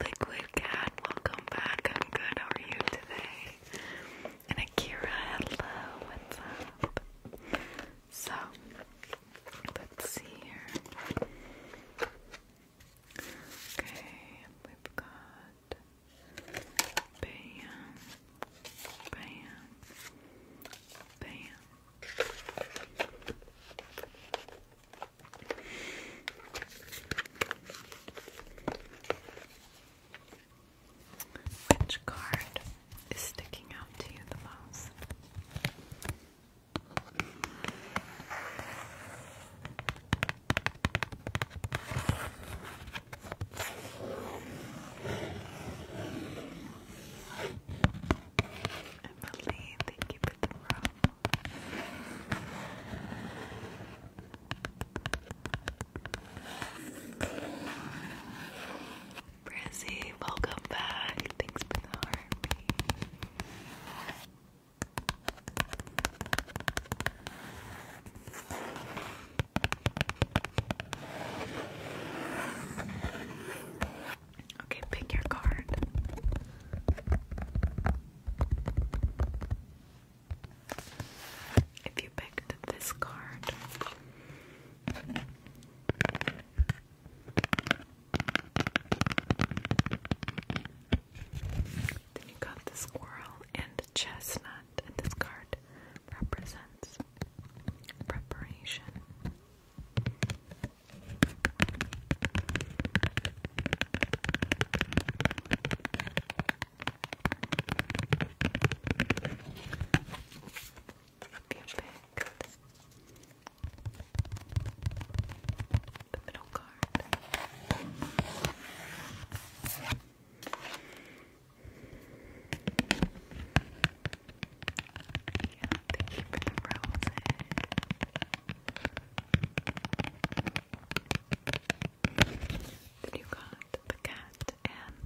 Speaker 1: Liquid Cat, welcome back. I'm good. How are you today? And Akira, hello. What's up? So, let's see here. Okay, we've got bam, bam, bam. Which card is sticking out to you the most? Emily, thank you for from. Brizzy, welcome back. Thanks for the heartbeat. Okay, pick your card. If you picked this card, then you got the squirrel and chestnut, and this card represents preparation. Perfect. The middle card. Yeah, thank you then you got the cat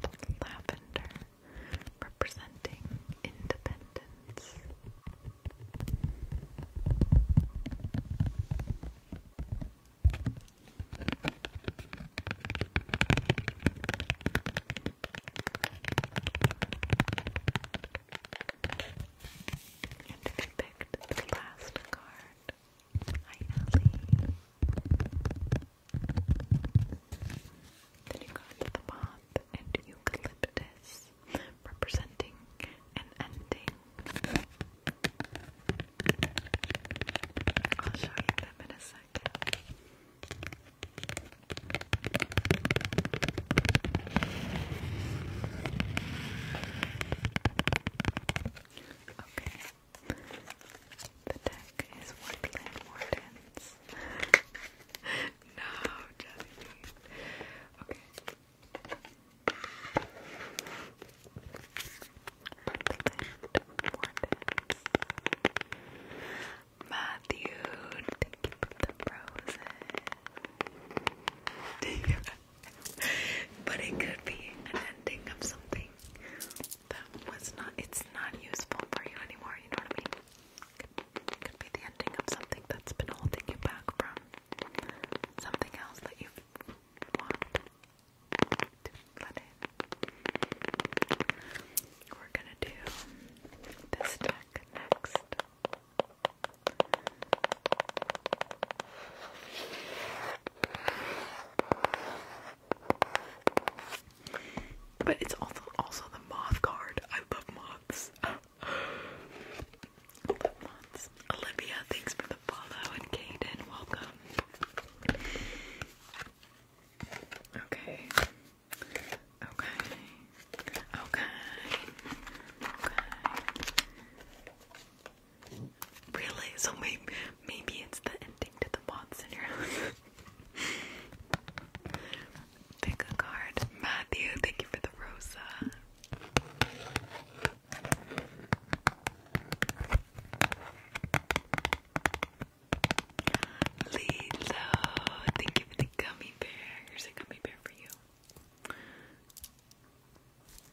Speaker 1: and lavender representing independence. And if you picked the last card, Hi, Then you got the pop and eucalyptus, representing an ending. I'll show you them in a second. Okay. The deck is Woodland Wardens. no, Jesse. Okay. Woodland Wardens. Matthew, thank you for the but it could be an ending of something that was not, it's not useful for you anymore, you know what I mean? could be the ending of something that's been holding you back from something else that you want to let We're gonna do this deck next. But it's also also the moth card. I love moths. Olivia, thanks for the follow, and Kaden, welcome. Okay. Okay. Okay. Okay. Really? So maybe maybe it's the ending to the bots in your house. Pick a card. Matthew, thank you for the rosa. Lilo, thank you for the gummy bear. Here's a gummy bear for you.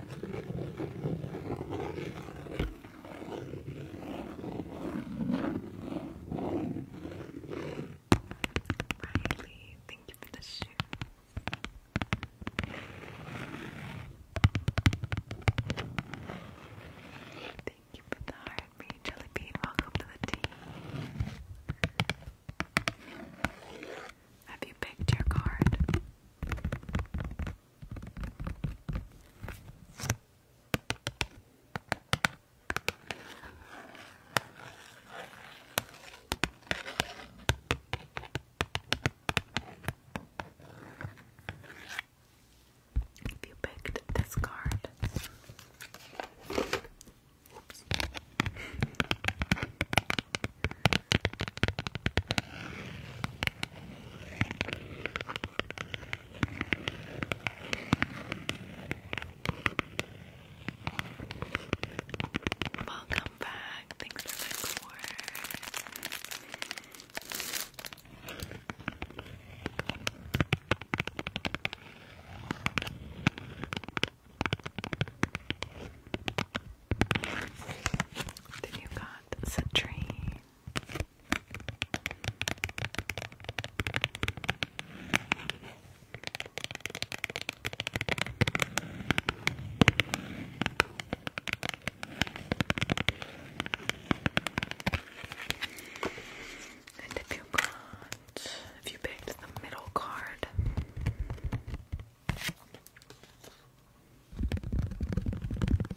Speaker 1: Riley, thank you for the shoe. Thank you for the heartbeat, Jelly Bean. Welcome to the team. Have you picked your card? If you picked this card, Welcome back. Thanks for the core. Did you guys century. And if you got, if you picked the middle card,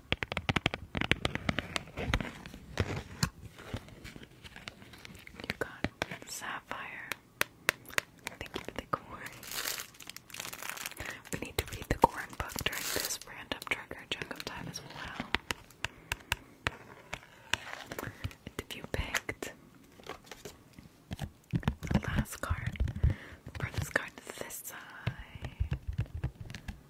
Speaker 1: You got sapphire. Thank you for the corn. We need to read the corn book during this random trigger chunk of time as well. If you picked the last card, the furthest card to this side.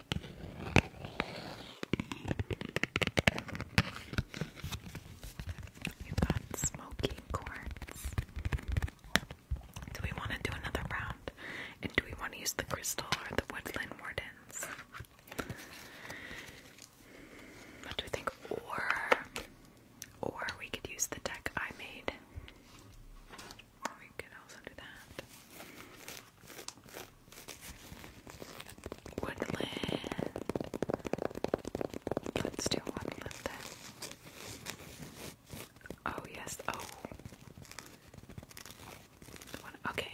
Speaker 1: you got smoky quartz. Do we want to do another round? And do we want to use the crystal or the woodland wardens? What do we think? Or, or we could use the deck I made. we could also do that. Woodland. Let's do woodland then. Oh yes. Oh. okay.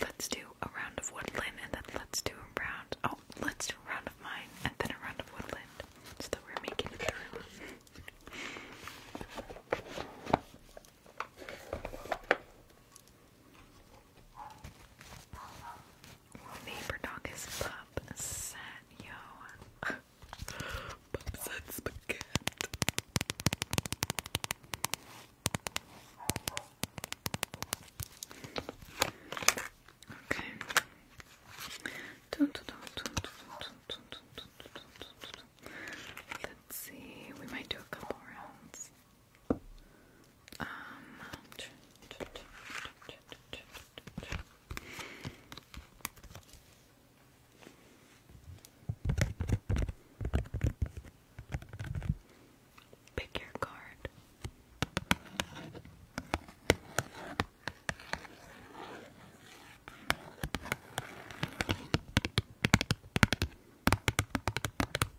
Speaker 1: Let's do a round of woodland and then let's do a round. Oh, let's do a round of mine and then a round of woodland. So that we're making it through. Neighbor dog is pup set, yo. pup set spaghetti. Okay. Let's see, we might do a couple rounds. Um, pick your card.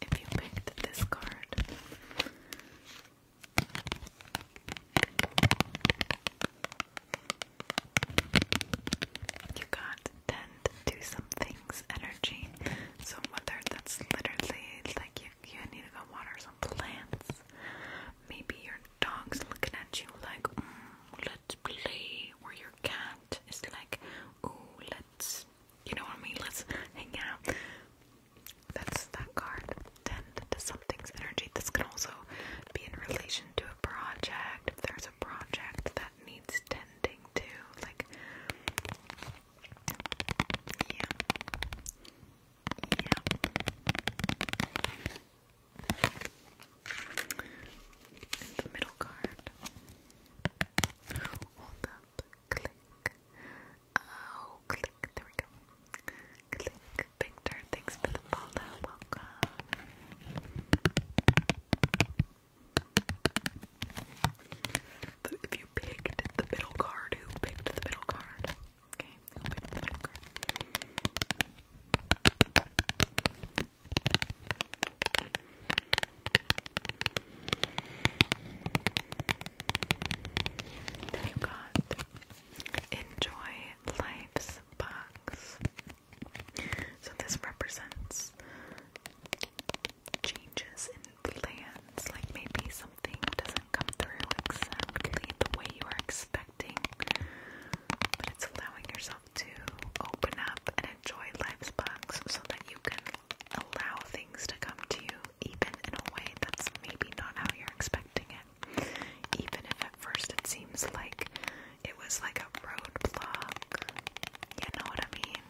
Speaker 1: If you picked this card, you got tend to do some things energy. So, whether that's literally like you you need to go water some plants. Maybe your dog's looking at you like, mm, let's play, or your cat is like, ooh, let's, you know what I mean? Let's hang out. That's that card. Tend to something's energy. This can also be in relation to a project. If there's a project that needs tending to, like, yeah. Yeah. the middle card. Hold up. Click. Oh, click. There we go. Click. Victor, thanks for the follow. Welcome if you picked the middle card, who picked the middle card? Okay, the middle card? Then you got Enjoy Life's Box. So this represents changes plans, like maybe something doesn't come through exactly the way you are expecting, but it's allowing yourself to open up and enjoy life's bugs so that you can allow things to come to you even in a way that's maybe not how you're expecting it. Even if at first it seems like it was like a roadblock. You know what I mean?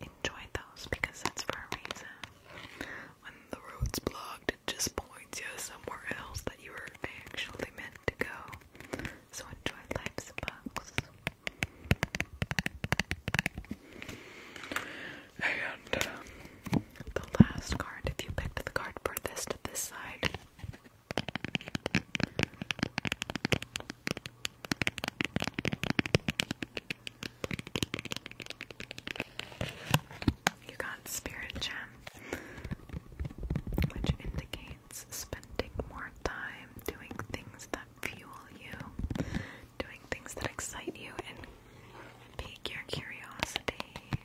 Speaker 1: enjoy those because that's for a reason. When the road's blocked, it just points you somewhere else that you were actually meant to go. So enjoy life's bugs. And uh, the last card, if you picked the card for this side. You got Spirit Gem, which indicates spending more time doing things that fuel you, doing things that excite you, and pique your curiosity.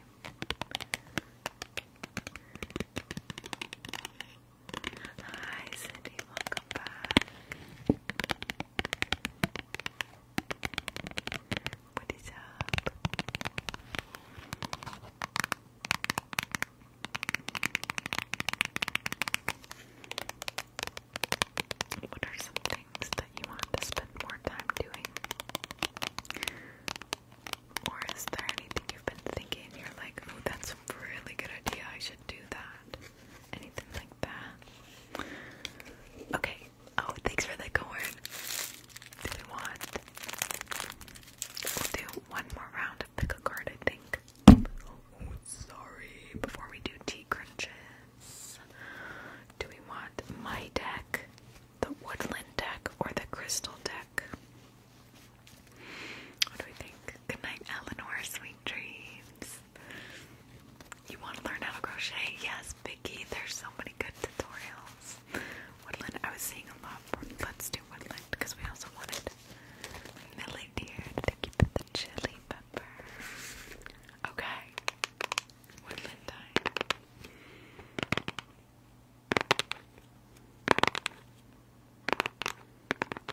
Speaker 1: Hi, Cindy, Welcome back. What is up? What are some things that you want to spend more time doing? Or is there anything you've been thinking? You're like, oh, that's a really good idea. I should do that anything like that. Okay. Oh, thanks for the corn. Do we want? do one more round of pick a card, I think. Oh, sorry. Before we do tea crunches, do we want my deck, the woodland deck, or the crystal deck? What do we think? Good night, Eleanor, sweetie dreams. You want to learn how to crochet? Yes, Vicky. There's so many good tutorials. Woodland. I was seeing a lot for Let's Do Woodland because we also wanted Millie Deer to keep it the chili pepper. Okay. Woodland time.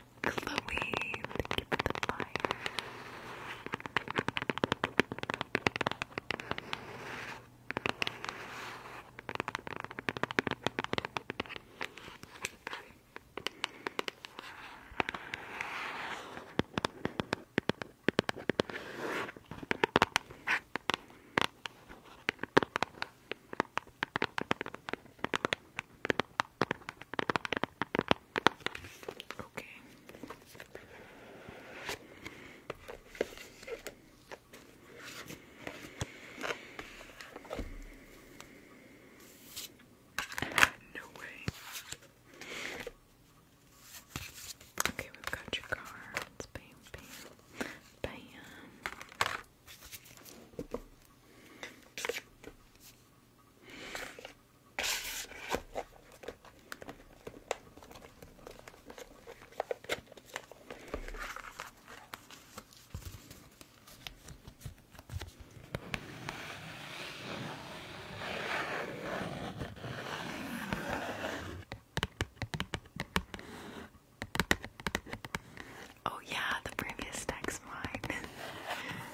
Speaker 1: Chloe, thank the fire. Okay. No way. Okay, we've got your cards. Bam, bam, bam. Oh yeah, the previous stack's mine.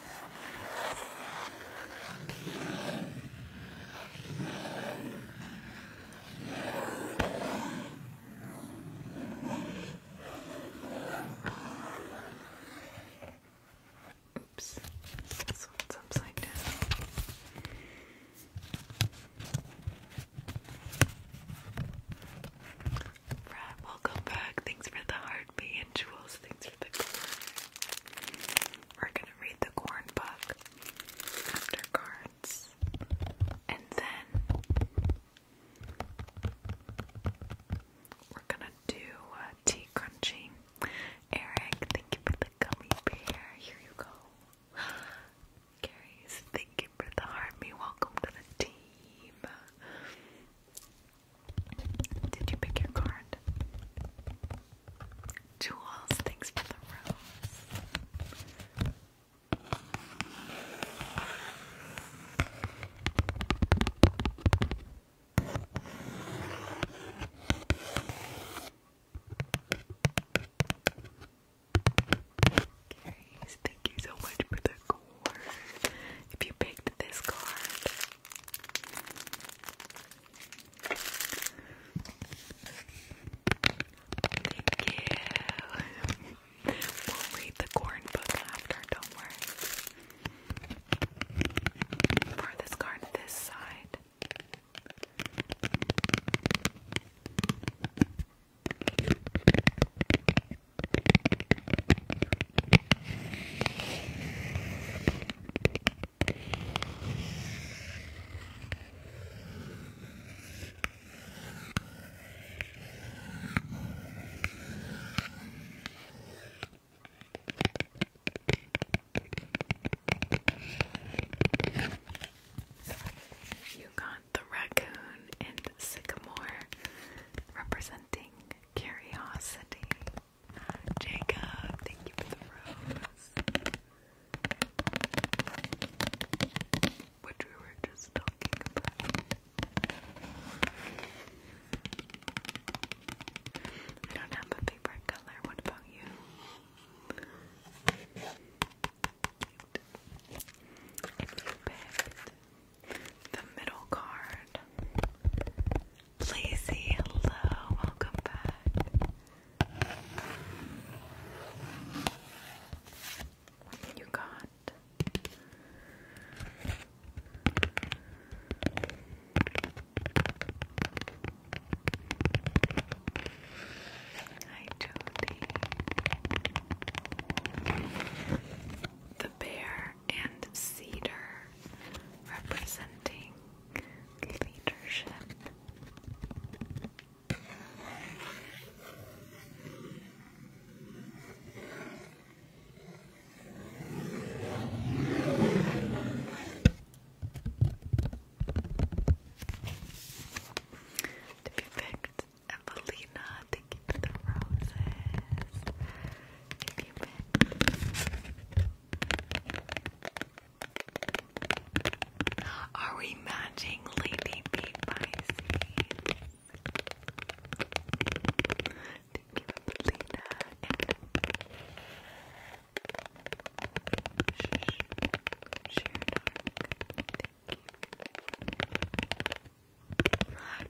Speaker 1: Oops, this one's upside down. Brad, welcome back. Thanks for the heart we're gonna read the corn book after cards. And then we're gonna do uh, tea crunching. Eric, thank you for the gummy bear. Here you go. Carrie's, thank you for the heart. welcome to the team. Did you pick your card? Jewels, thanks for the rose. Carries, thank you so much for the card. If you picked this card, Thank we'll read the corn book after, don't worry. Farthest card this side. You got the raccoon and sycamore representing curiosity. Jacob, thank you for the rose. Which we were just talking about. don't have a favorite color. What about you? If you picked the middle card, Lazy, hello, welcome back. You got Hi Jody. The bear and cedar representing to be picked, Evelina, thank you for roses. Are we matching Lady B Pisces? Thank you, Lena. And Sh uh, Sh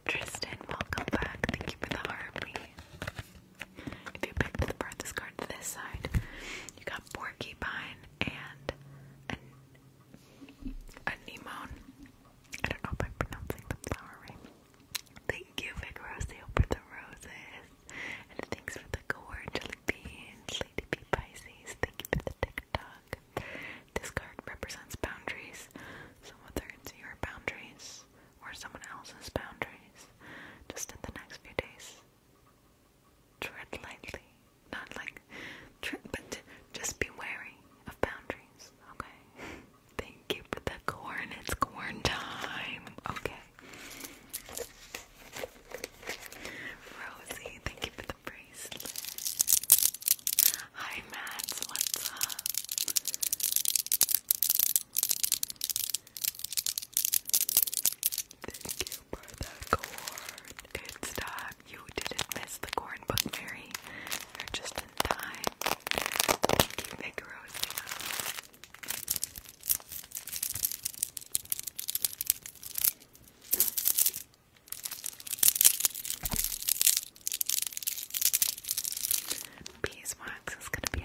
Speaker 1: Tristan, welcome back. Thank you for the heartbeat. If you picked the farthest card to this side, you got Porcupine and an, Anemone. I don't know if I'm pronouncing the flower Thank you, Vigorosio, for the roses. And thanks for the gourd, jelly Lady Bee Pisces. Thank you for the TikTok. This card represents boundaries. So, what are your boundaries? or someone else's boundaries. Just in the next few days, tread lightly. Not like trip, but just be wary of boundaries. Okay. Thank you the corn. It's corn time. Okay. Rosie, thank you the bracelet. Hi, Mads. What's up? Thank you for the corn. It's time. You didn't miss the corn book, Mary. You're just in time. Thank you, Nick Beeswax is gonna be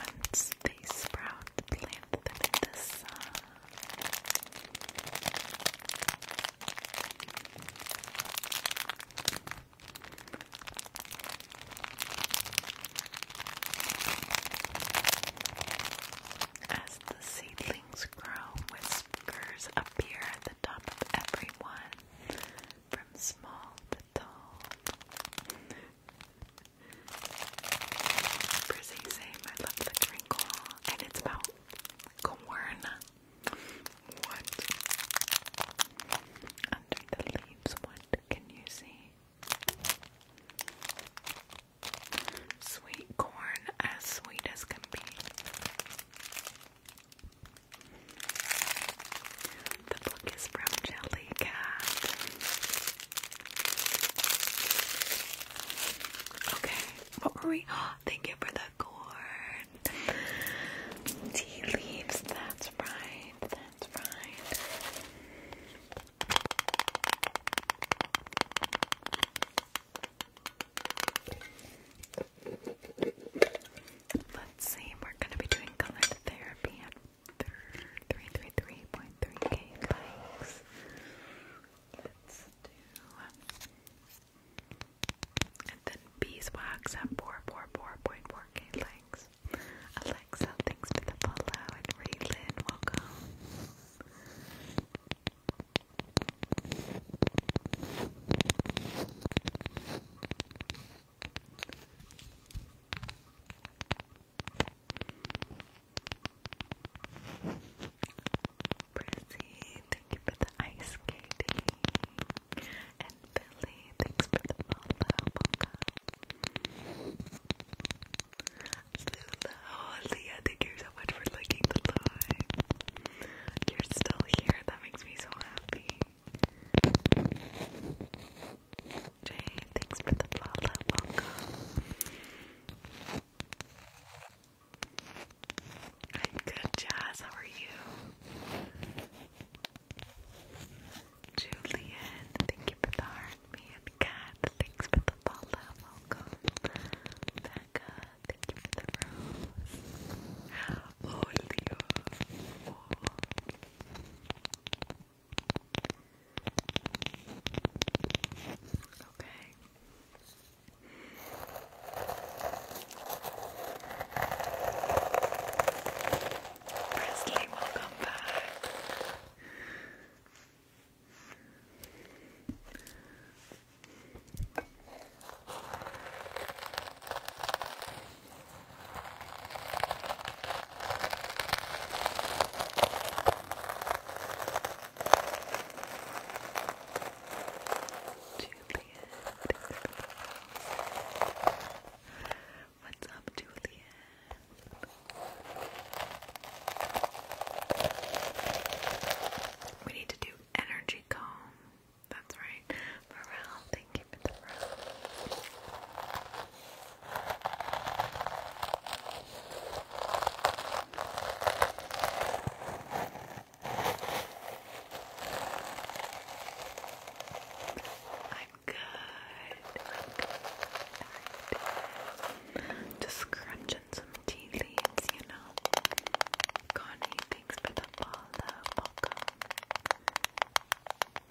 Speaker 1: Once they sprout, plant them in the sun. As the seedlings grow, whiskers appear at the top of everyone, from small the same, I love the crinkle. And it's about corn. What? Under the leaves, what can you see? Sweet corn, as sweet as can be. The book is from Jelly Okay, what were we? thank you for the corn. Tea leaves, that's right, that's right. Let's see, we're going to be doing color therapy 333.3k likes. Let's do. And then beeswax at 444.4k likes. Alexa, thanks for the follow. And Raylan, welcome. Prissy, thank you for the ice skating. And Billy, thanks for the follow. Lulu, Leah, thank you so much for liking the live. You're still here, that makes me so happy. Jay, thanks for the follow. Welcome. i good, Jazz. How are you? Julian, thank you for the heart. Me and Kat, thanks for the follow. Welcome. thank you for the rose. Oh, Oh. Okay. Presley, welcome back. What's up, Julian? We need to do energy comb. That's right. Morale, thank and I'm good. just scrunching some tea you know. Connie, thanks for the follow. Welcome.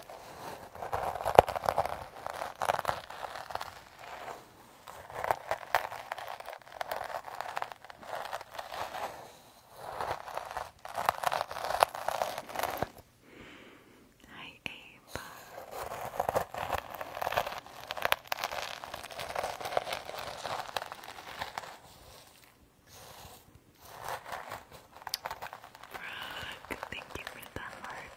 Speaker 1: Hi, Abe. Frog, thank you for the heart.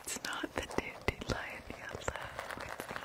Speaker 1: It's not the dandy lion yellow, it's not.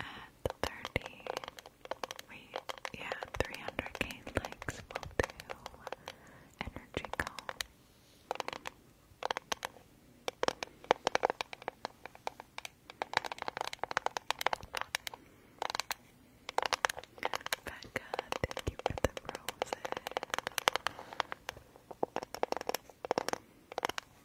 Speaker 1: at 30, wait, yeah, 300 likes will do energy call. Becca, thank you for the roses.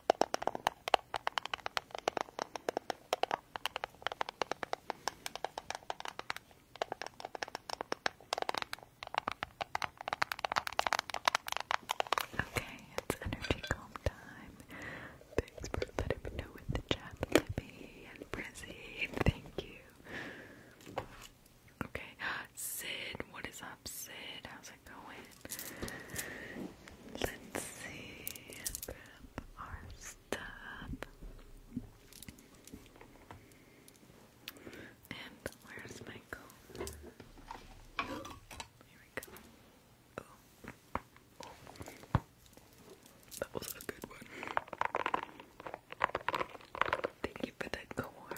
Speaker 1: Okay, it's energy calm time. Thanks for letting me know in the chat, Libby and Brizzy. Thank you. Okay, Sid, what is up, Sid? How's it going? Let's see. our stuff. And where's my Here we go. That was a good one. Thank you for the core.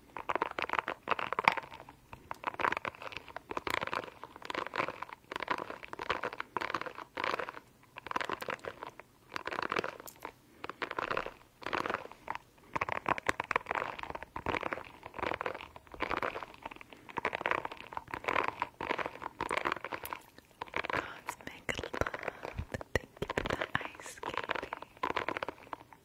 Speaker 2: Cosmic love, thank you for the ice candy.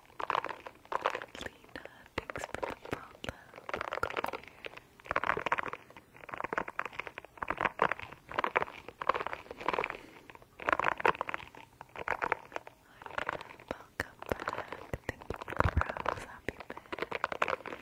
Speaker 2: Lena, thanks for the follow. Welcome back. Thank you for Rose. Happy bed.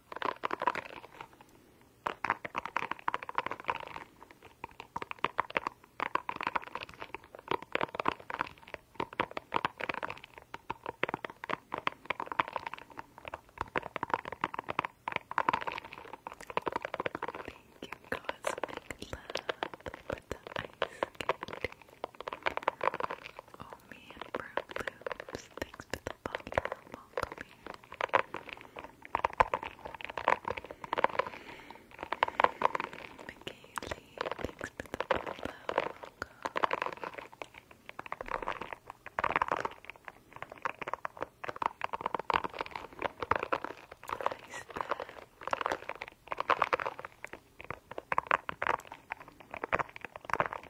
Speaker 1: you, Cosmic Love, for the ice candy. Oh, me and Brown Loops. Thanks for the follow. Welcome here. thanks for the follow. Welcome.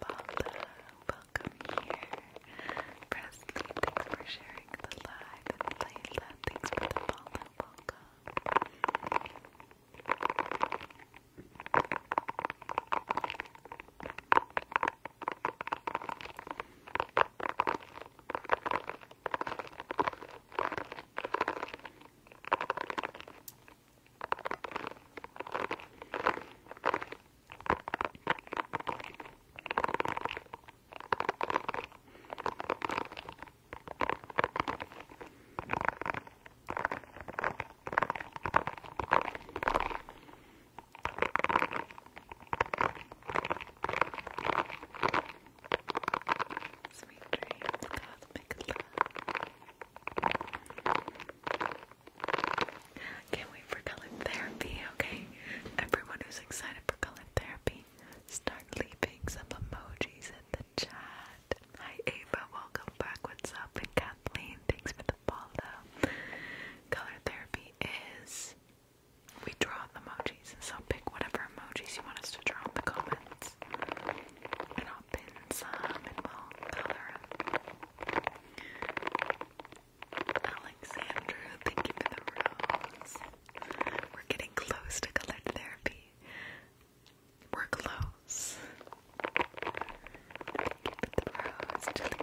Speaker 1: Paula, welcome here. Presley, thanks for sharing the live. And thanks for the follow. Welcome. Sweet dreams, cosmic love. Can't wait for color therapy, okay? Everyone who's excited for color therapy, start leaving some emojis in the chat. Hi Ava, welcome back. What's up? And Kathleen, thanks for the follow. Color therapy is we draw the emojis, so pick whatever emojis you want us to draw in the comments. And I'll pin some in the will color them. Alexandra, thank you for the rose. We're getting close to color therapy. We're close. Thank you the rose, Jellybean.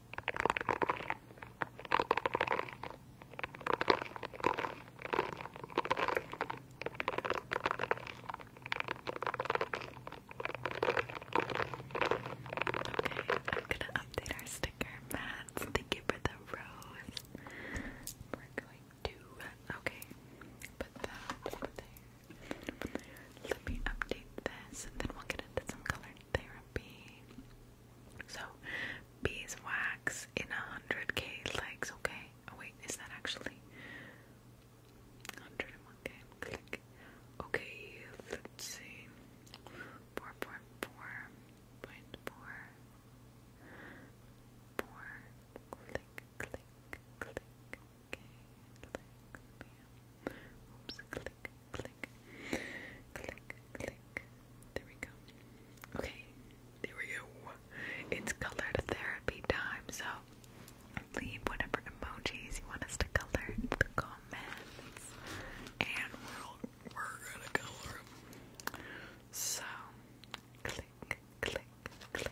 Speaker 1: I'm gonna update our sticker mats. Thank you for the rose. We're going to okay. Put that Let me update this and then we'll get into some color therapy. So, beeswax in a hundred K legs, okay? Oh, wait, is that actually 101k? Click. Okay, let's see. 4.4.4. 4. Click, click, click. Okay, click. click click, click, click, There we go. Okay, there we go. It's colored therapy time, so leave whatever emojis you want us to color in the comments, and we'll, we're gonna color them. So, click, click, click.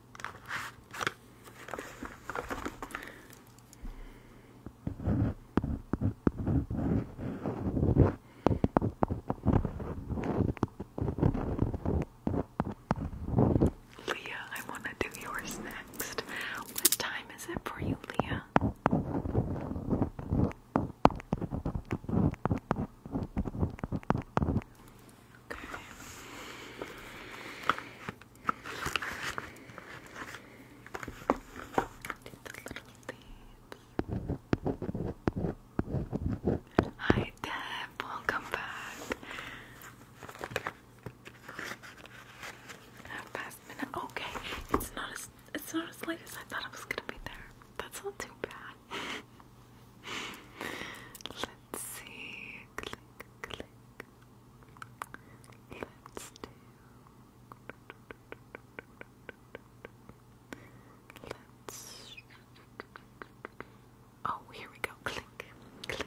Speaker 1: Leah, I want to do yours next. What time is it for you, Leah? Okay. Hi Deb, welcome back. Half minute. Okay, it's not as it's not as late as I thought it was gonna be there. That's not too bad. Let's see. Click, click, Let's do. Let's. Oh, here we go. Click, click.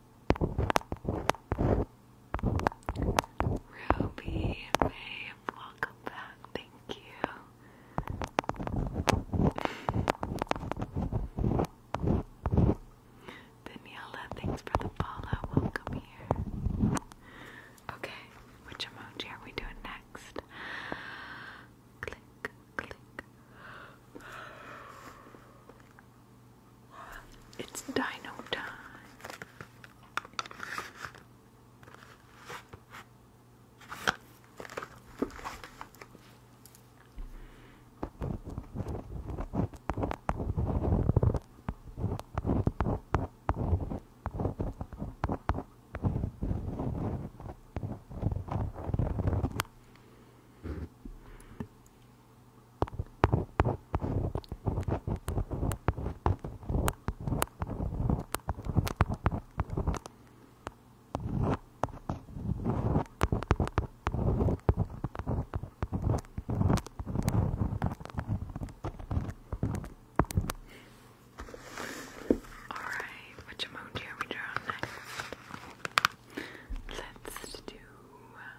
Speaker 1: Ruby, babe, welcome back. Thank you. Daniela, thanks for the follow. Welcome here. Okay, which emoji are we doing next? It's dino time. Alright, which emoji are we drawing next? Let's do. Uh,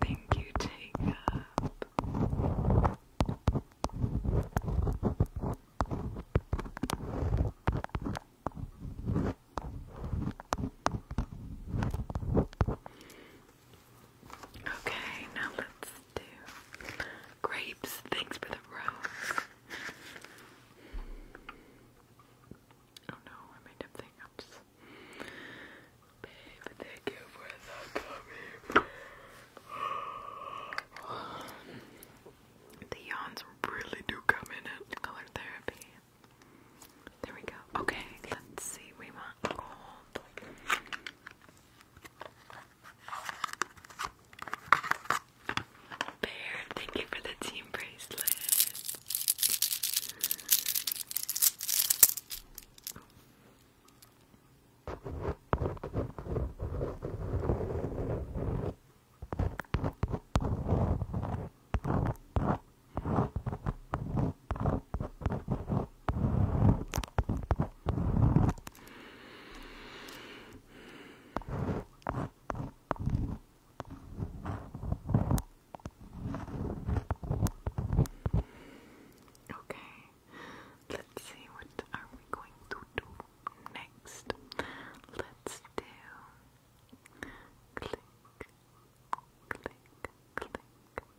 Speaker 1: Thank you, take Okay, now let's do grapes. Thanks for the rose. Oh no, I made up Babe, thank you for the gummy. the yawns really do come in at color therapy. There we go. Okay, let's see. We want gold. Bear, thank you for the team bracelet. Okay, let's see what are we going to do next. Let's do click, click, click,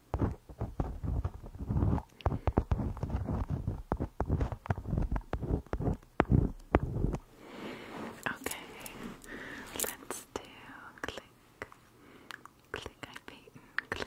Speaker 1: Okay, let's do click, click, I've click.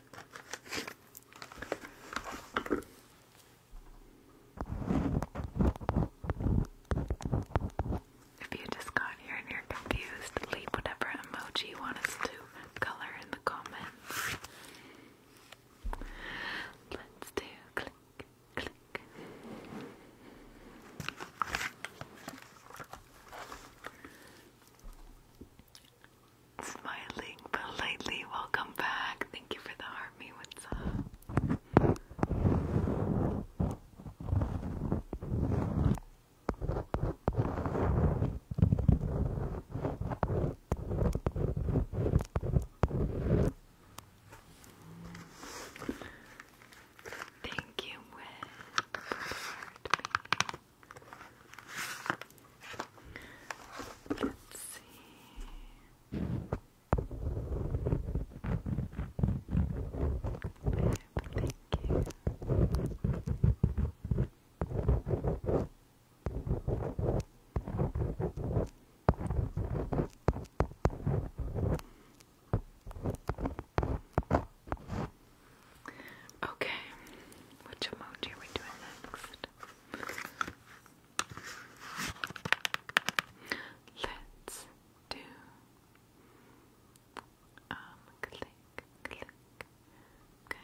Speaker 1: If you just got here and you're confused, leave whatever emoji you want us to color in the comments. Let's do click, click. Smiling politely, welcome back. Thank you for the heart, me. What's up? Thank you, Wes. Let's see. Thank you. Thank Okay, which emoji are we doing next? Let's do um click click. Okay.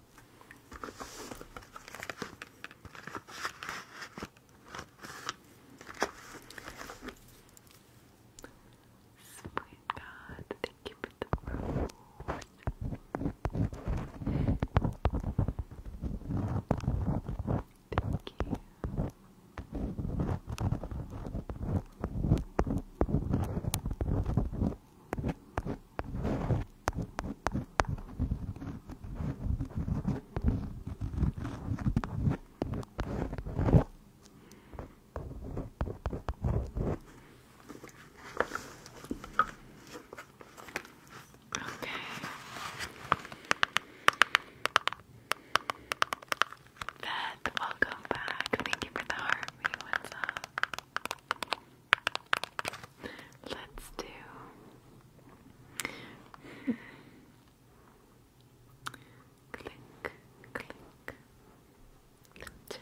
Speaker 1: Sweet God, thank you for the rose. Thank you. Thank you. Okay. Beth, welcome back. Thank you for the heart. What's up? Let's do click, click, check.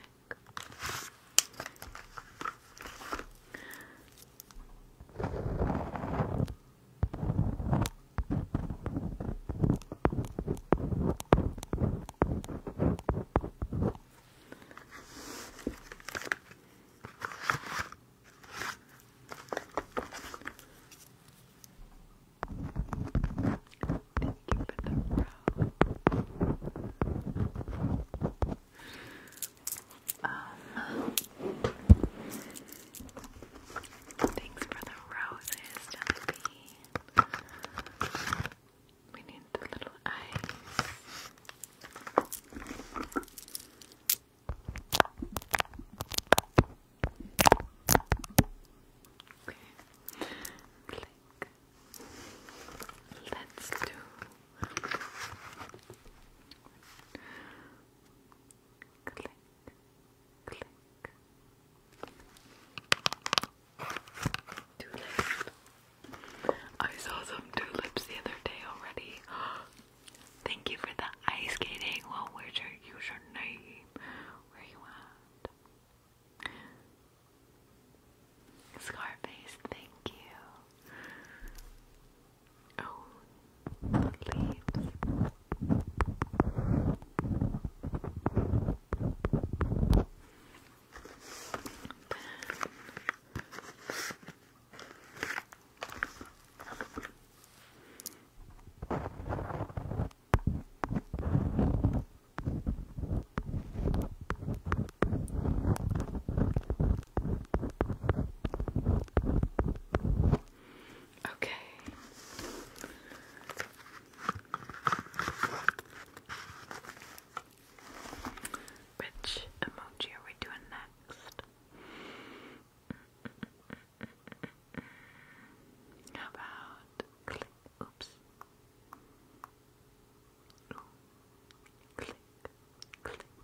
Speaker 1: Thank you for the row. thanks for the roses, Jellybean. We need the little eyes. Okay. Click. Let's do click, click. Too late. I saw some tulips the other day already. Thank you for the ice skating. Well, where's your username? Where you at? Scarface, thank you. Oh, leaves. Okay. Which emoji are we doing next? How about click? Oops. Ooh. Click, click. Okay.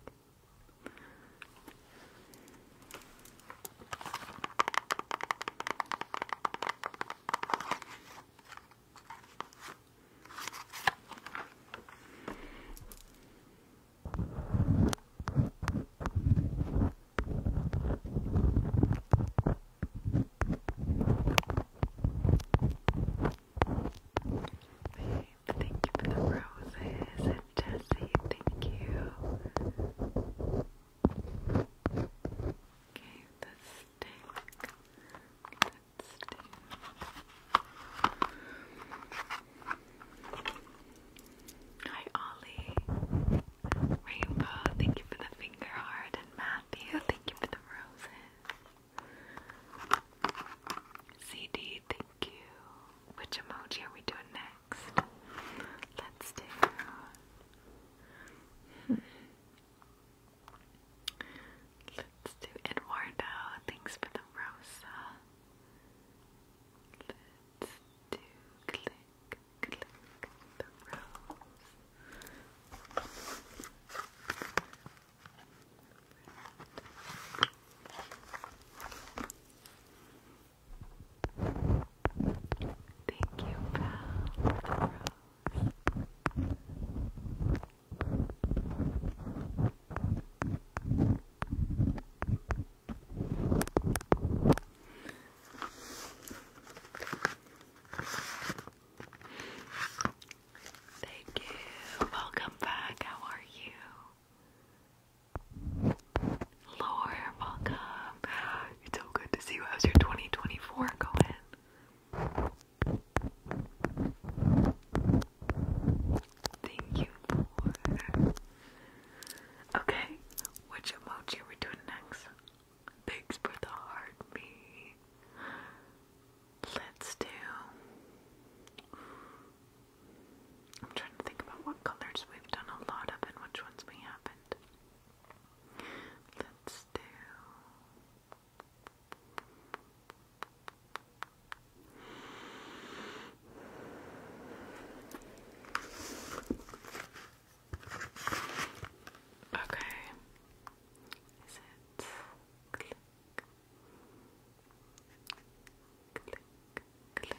Speaker 1: Thank you for the roses and Jesse, thank you. Okay, the stick. That stick. Hi Ollie. Rainbow, thank you for the finger heart. And Matthew, thank you for the roses. CD, thank you. Which emoji are we doing next? Let's do. Hmm. Let's do Eduardo. Thanks for the rosa. Let's do click, click the rose. Thank you, pal, the rose. Thank you. Welcome back. How are you? Lore, welcome. It's so good to see you. How's your 2024 going? Thank you for. Okay, which emoji we doing next? Thanks for the heart, me. Let's do. I'm trying to think about what colors we've done a lot of and which ones we haven't. Let's do. Okay. Is it click? Click, click.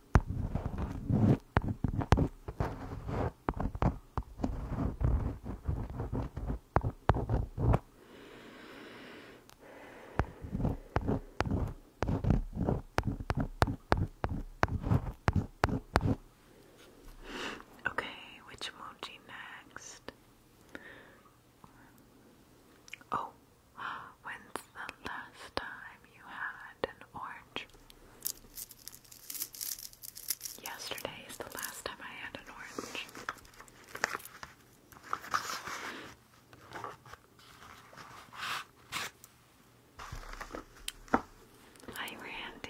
Speaker 1: Okay, which emoji next? Oh, When's the last time you had an orange? Yesterday is the last time I had an orange. Hi, Randy.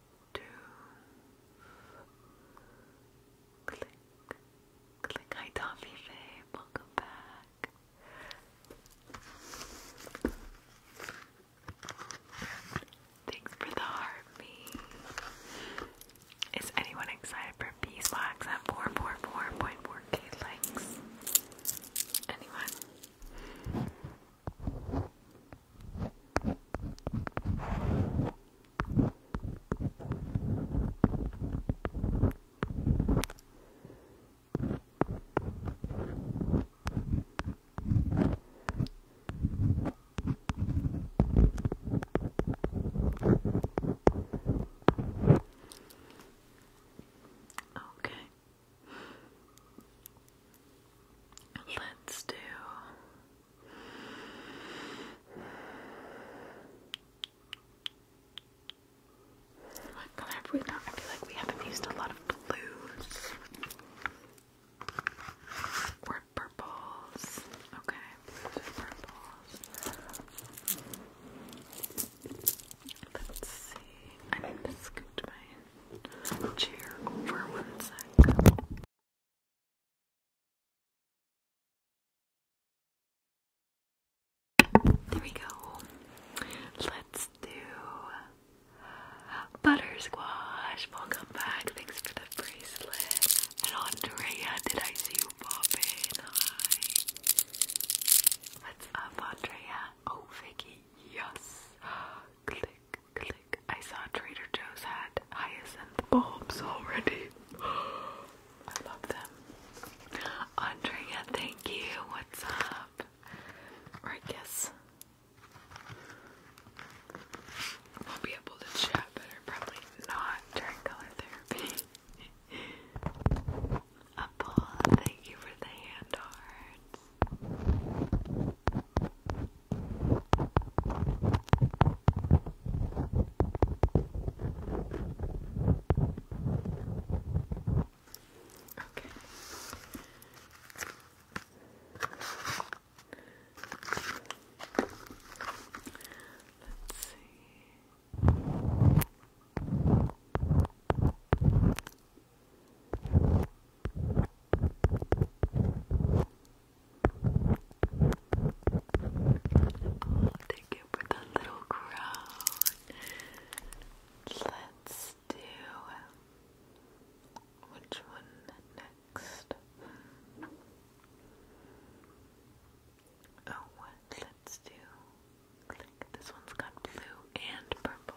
Speaker 1: Click, click. Hi, Tommy Faye. Welcome back. Thanks for the heartbeat. Is anyone excited for beeswax at 444.4k likes? Anyone? Okay. Let's do I feel like we haven't used a lot of blues or purples. Okay, Let's see. I need to scoot my chair over one there we go. Let's do butter squash. Welcome back. Thanks for the bracelet. Andrea, did I see you popping? Hi. What's up, Andrea? Oh, Vicky, yes. Click, click. I saw Trader Joe's hat hyacinth bulbs already. I love them. Andrea, thank you. What's up? Or I guess we'll be able to chat better, probably not during color therapy. Apple, thank you for the hand hearts. Okay. Let's see. Okay. Oh, thank you for little crown. Let's do which one next? Oh, Let's do. Click. This one's got blue and purple.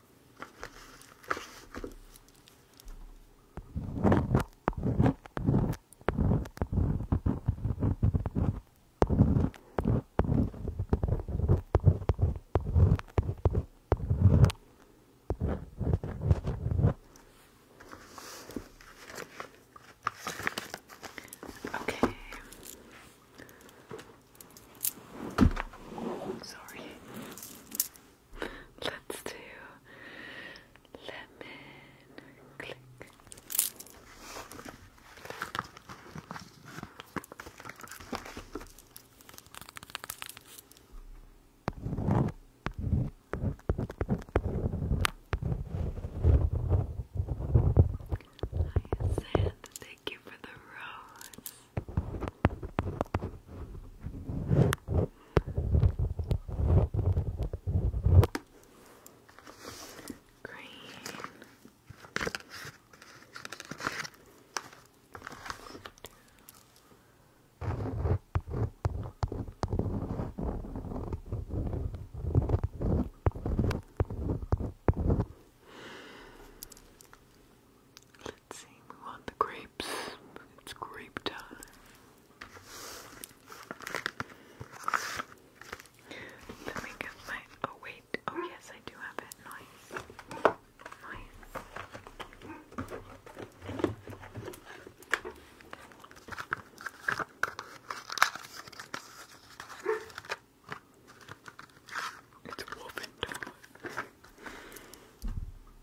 Speaker 1: Okay. Sorry. Let's do lemon click. Hi, Sand. Thank you for the rose. Green. Let's see, we want the grapes. It's grape time. Let me get my. Oh, wait. Oh, yes, I do have it. Nice. Nice. It's woven dog.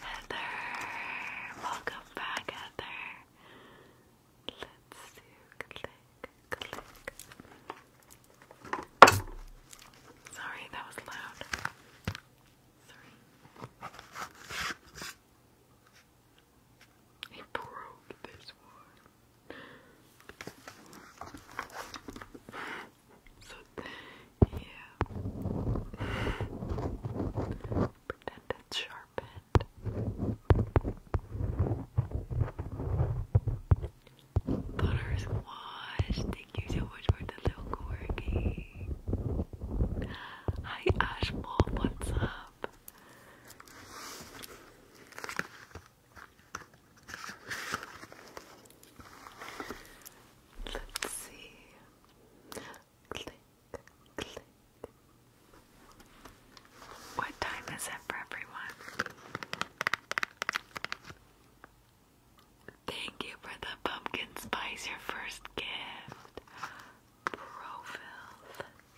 Speaker 1: Heather, welcome back, Heather. Let's do click, click. Sorry, that was loud. He broke this one. So, yeah. Pretend sharpened. Butters wash. Thank you so much for the little corgi. Hi Ashmore, what's up? Let's see. Click, click. What time is it for everyone? Thank you for the pumpkin spice, your first gift. Profil.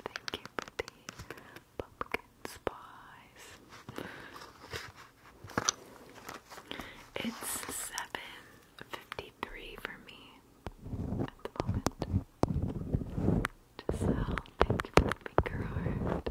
Speaker 1: Thank you for the pumpkin spice. It's seven fifty-three for me at the moment. Giselle, thank you for the finger heart.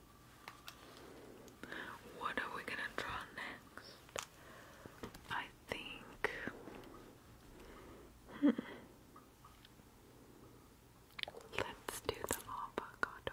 Speaker 1: What are we gonna draw next? I think. Hmm. Let's do the avocado.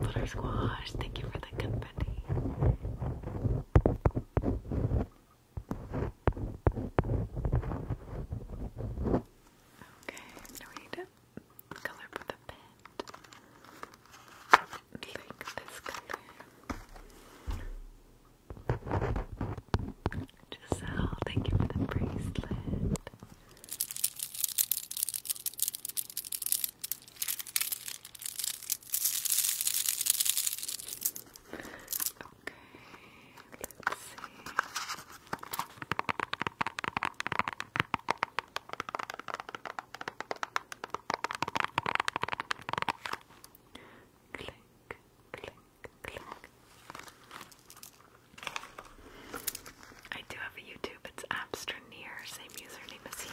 Speaker 1: Butter squash, thank you for the confetti. Okay, now need to color with a bit. Like this color. Giselle, thank you for the bracelet. Okay, let's see. Click, click, click. I do have a YouTube, it's Abstraneer, same username as here.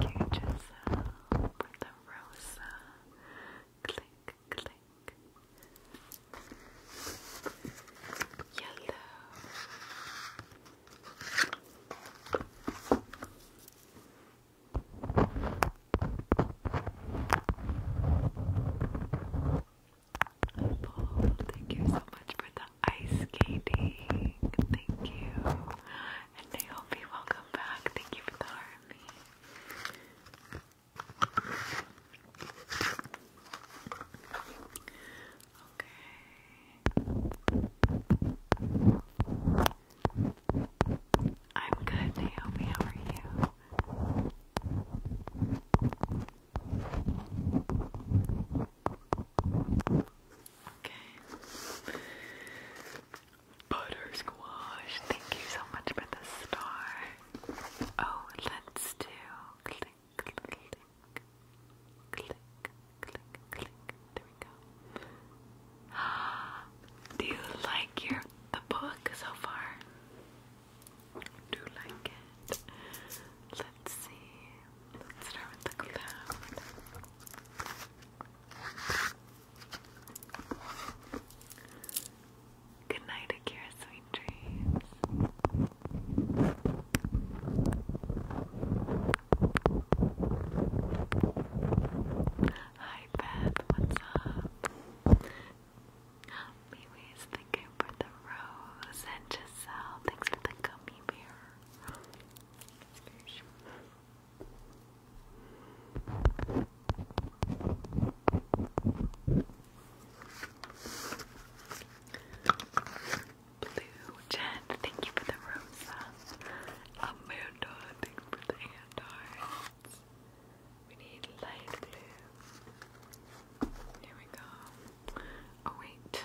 Speaker 1: Thank you, Giselle, for the rosa. Click, click. Yellow. Paul, thank you so much for the ice skating. Thank you. And Naomi, welcome back. Thank you for the army. Okay. I'm good, Naomi. How are you? Okay. Butter squash. Thank you so much for the star. Oh, let's do Do you like your the book so far? Do like it? Let's see. Let's start with the cloud. Good night, Akira. Sweet dreams. Hi, Beth. What's up? Anyways, thank you for the rose and Giselle. Thanks for the gummy bear. Blue Jen, thank you for the rosa. Amanda, thank you for the hand We need light blue. Here we go. Oh wait.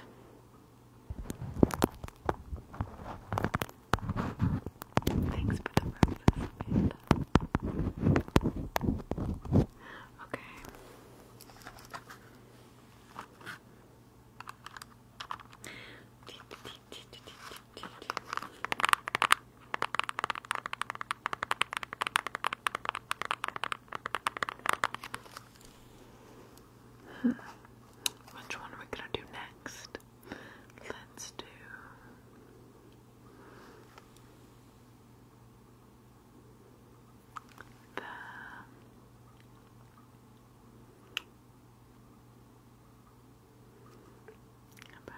Speaker 1: Thanks for the breakfast, Okay. Which one are we gonna do next? Let's do. The about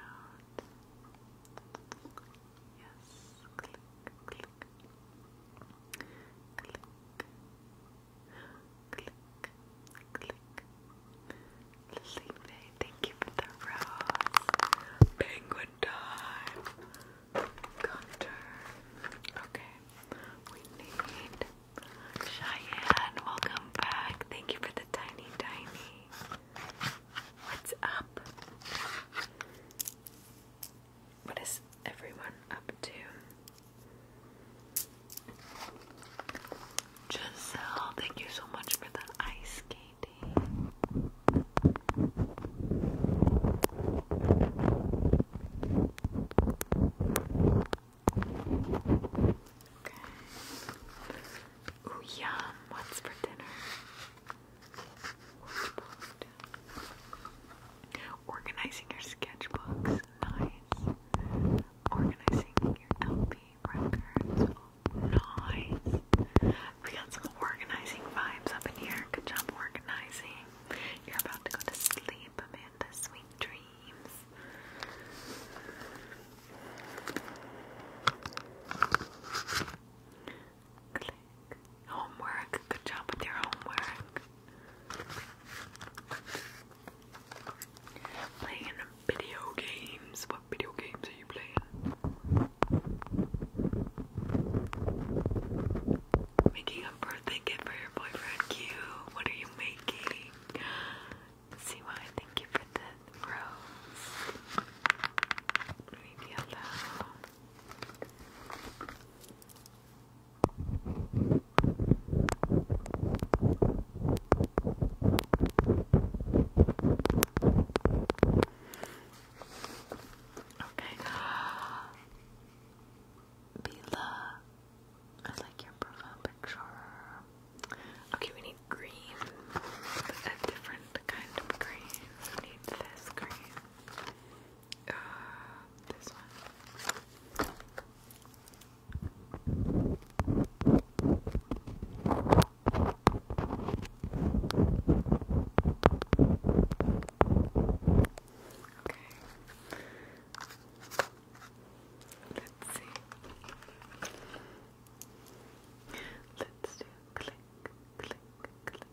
Speaker 1: yes, click, click, click, click, click, thank you for the rose. Penguin time. Gunter. Okay. We need Cheyenne. Welcome back. Thank you for the tiny, tiny. What's up? What is everyone up to? Giselle, thank you so much for the ice candy. Okay. yum. What's for dinner? Organizing your sketchbooks. Nice. Organizing your LP records nice. We got some organizing vibes up in here. Good job organizing. You're about to go to sleep, Amanda. Sweet dreams. Homework. Good job with your homework. Playing video games. What video games are you playing? Making a birthday gift for your boyfriend, Q. What are you making? See why I thank you for the rose. Leave me alone. Okay. Bila. I like your profile picture. Okay, we need green. A different kind of green. We need this green. Uh, this one. Let's see. Let's do click, click, click.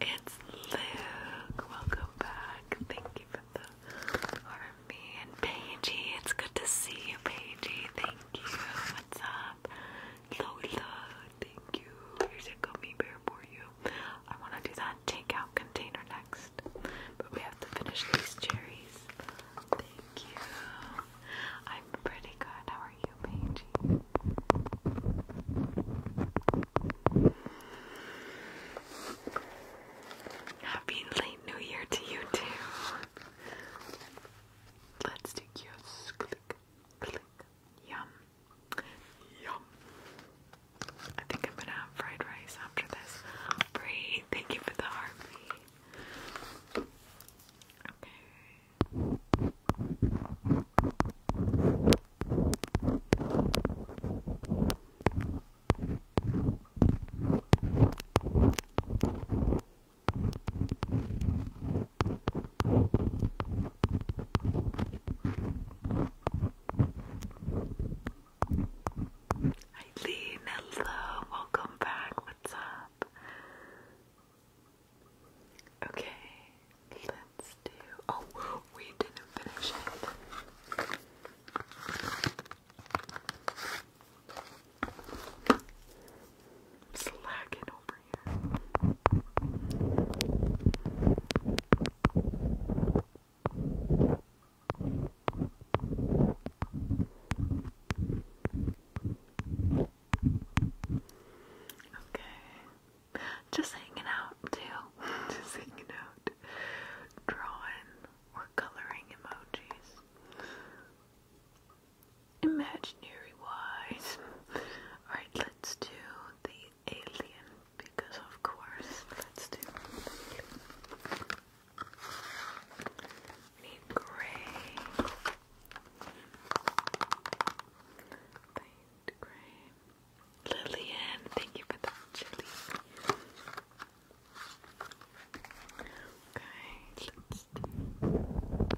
Speaker 1: It's Luke. Welcome back. Thank you for the army and Paigey. It's good to see you, Paigey. Thank you. What's up? Lola, thank you. Here's a gummy bear for you. I want to do that takeout container next, but we have to finish these cherries. Thank you. I'm pretty good. How are you, Paige? Happy late New Year to you too. Let's do kiosks. Click, click. Yum. Yum. I think I'm gonna have fried rice after this. Bree, thank you for the heartbeat. Okay. Eileen, hello, welcome back. What's up? Okay, let's do. Oh, we didn't finish it. I'm slacking over Okay. Just hanging out too. Just hanging out. Drawing or coloring emojis imaginary wise. Alright, let's do the alien because, of course, let's do need gray. Paint gray. Lillian, thank you for the chili. Okay, let's do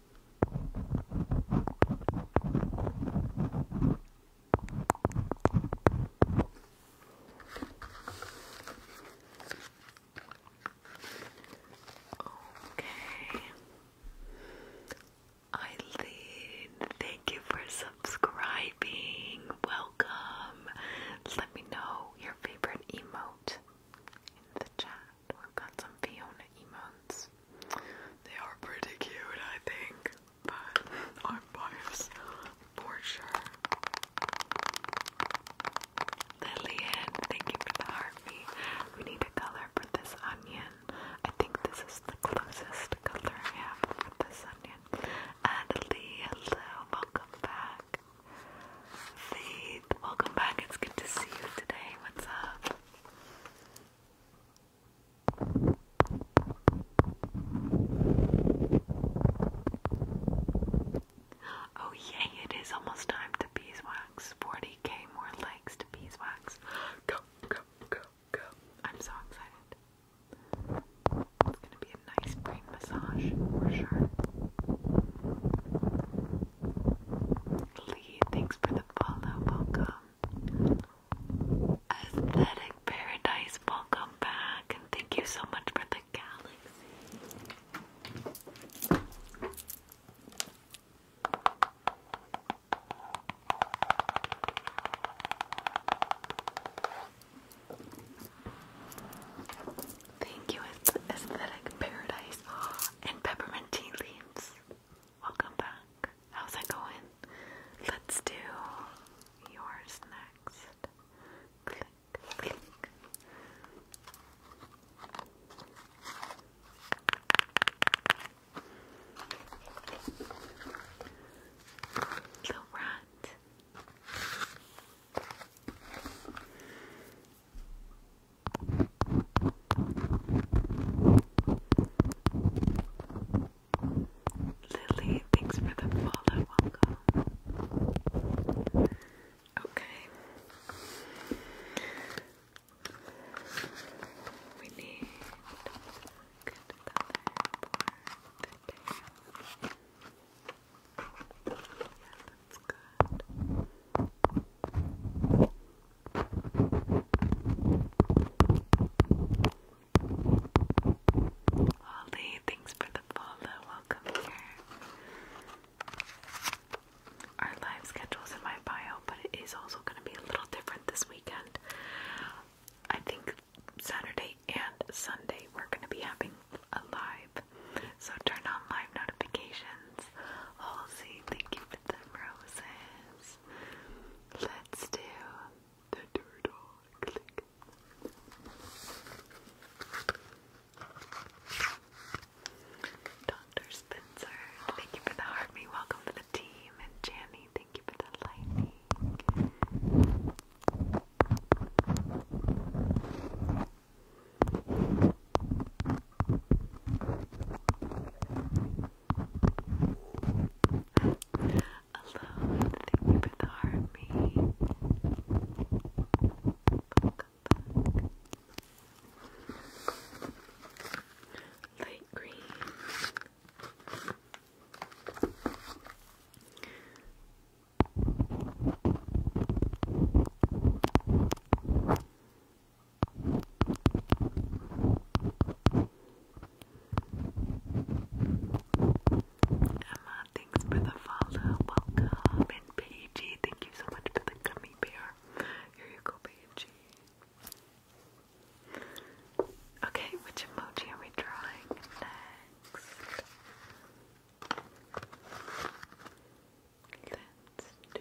Speaker 1: Okay. Eileen, thank you for subscribing. Welcome. Let me know your favorite emote in the chat. We've got some Fiona emotes. They are pretty cute, I think, but I'm biased for sure. Lillian, thank you for the heartbeat. We need a color for this onion. I think this is the closest color I have for this onion. Adelie, hello, welcome back. Faith, welcome back. It's good to see you today. What's up? Oh, yay, it is almost time to beeswax. 40k more likes to beeswax. Go, go, go, go. I'm so excited. It's gonna be a nice brain massage for sure. Lee, thanks for the follow. Welcome. Aesthetic Paradise, welcome back. And thank you so much for the galaxy. Thank you, Aesthetic Paradise ah, and Peppermint Tea Leaves. Welcome back. How's it going? Let's do yours next. The rat. Lily, thanks for the follow. Welcome. Okay. We need good that's good. Holly, thanks for the follow. Welcome here. Our live schedule's in my bio, but it is also going to be a little different this weekend. I think Saturday and Sunday we're going to be having a live. So turn on live notifications. Halsey, thank you for the roses. Let's do the turtle. Click. Dr. Spencer, thank you for the heart. Me, welcome to the team. And Janny, thank you for the lightning. Thank Alone, thank you for the army. Light green. Emma, thanks for the follow. Welcome. And Paige, thank you so much for the gummy bear. Here you go, Paige. Okay, which emoji are we drawing next? Let's do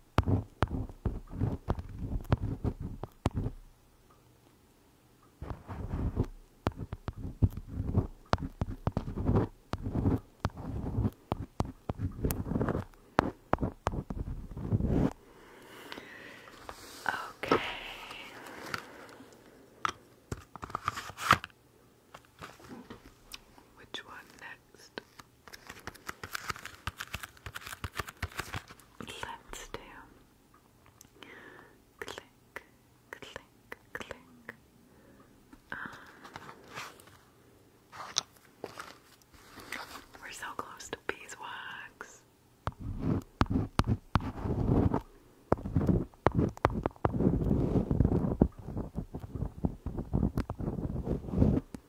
Speaker 2: Okay. Which one next? Let's do click, click, click. Um,
Speaker 1: we're so close to beeswax. Click,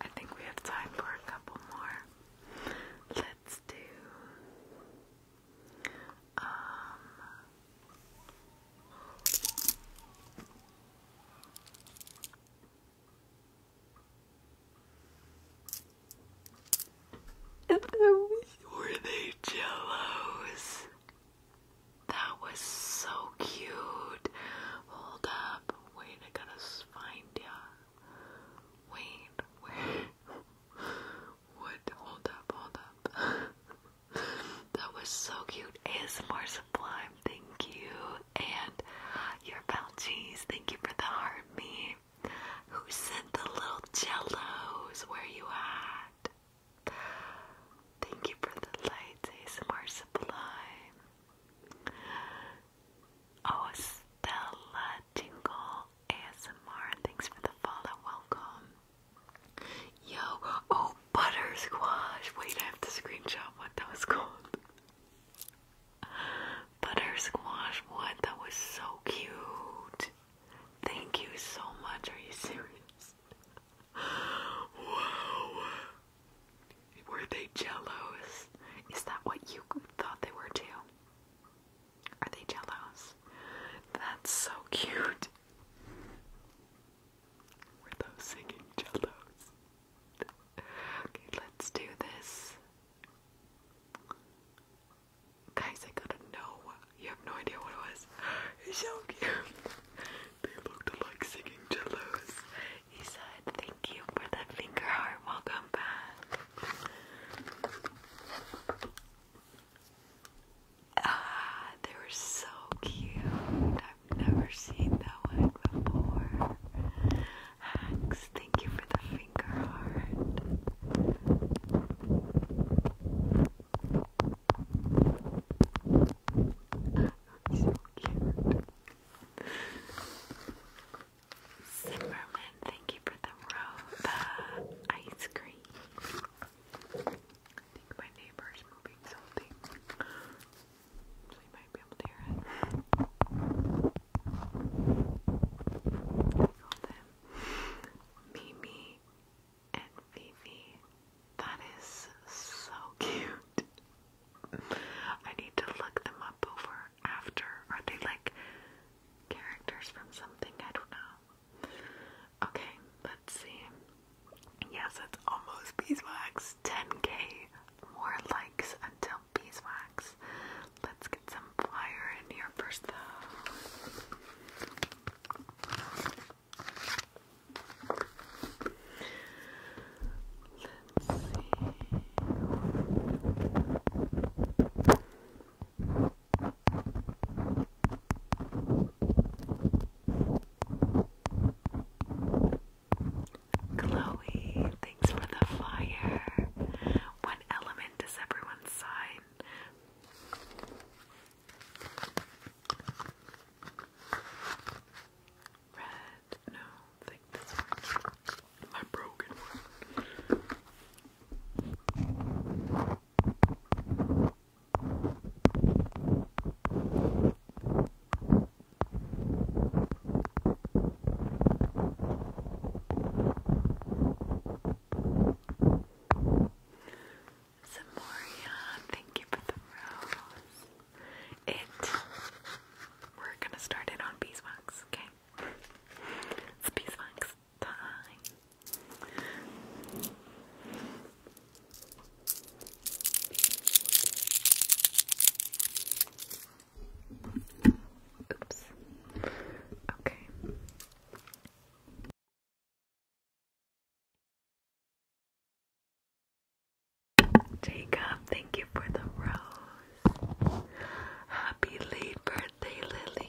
Speaker 1: I think we have time for a couple more. Let's do um, were they jellos? That was so cute. Hold up. Wait, I gotta find ya. Wait, where? would hold up, hold up. that was so cute. ASMR Sublime, thank you. And your bounties, thank you for the heart me. Who sent the little jellos? Where you at? Thank you for the lights, ASMR Sublime. Oh, Stella Tingle, ASMR, thanks for the follow, welcome. Yo, oh, butter squash. Wait, I have to screenshot what that was called. Butter squash, what? That was so cute. Thank you so much. Are you serious? Wow. Were they jealous? Is that what you thought they were too? Are they jellos? That's so cute. Were those singing jellos? okay, let's do this. Guys, I gotta know. You have no idea what it was. It's so cute. they looked like singing jellos. He said, Thank you for the finger heart. Welcome back. Ah, they were so cute. I've never seen that one before. Hacks, thank you for the finger heart. so cute. Zimmerman, thank you for the road, the ice cream night. I think my neighbor is moving something, so you might be able to hear it. I call them Mimi and Fifi. That is so cute. I need to look them up over after. Are they like characters from something? I don't know. Okay, let's see. Yes, it's almost beeswax. 10k more likes until beeswax. Let's get some fire in here first, though. Let's see. Chloe, thanks for the fire. What element is everyone's sign? Red, no, think this My broken one. Zamoria, thank you for the rose. It we're gonna start it on beeswax, okay? It's beeswax. Bye. Oops. Okay. Jacob, thank you for the rose. Happy late birthday birthday, Lillian.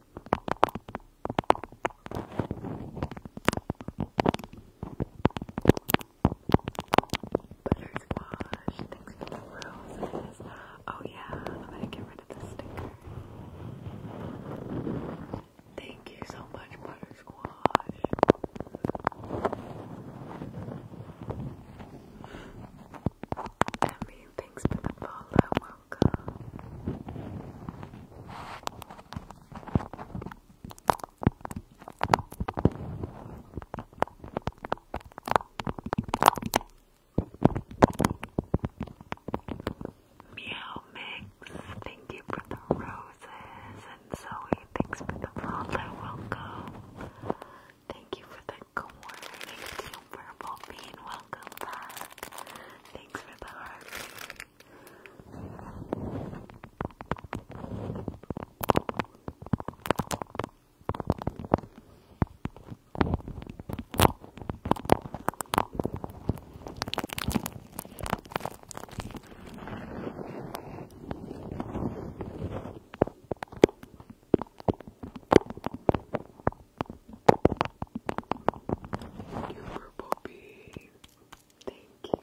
Speaker 2: Butter squash, thanks for the roses. Oh yeah, I'm gonna get rid of the sticker. Thank you so much, butter squash. Emmy, thanks for the follow welcome. thank you for the roses, and Zoe, thanks for the follow, welcome. Thank you for the good morning, thank you for being welcome back. Thanks for the heart. Thank you for Poppy. Thank you.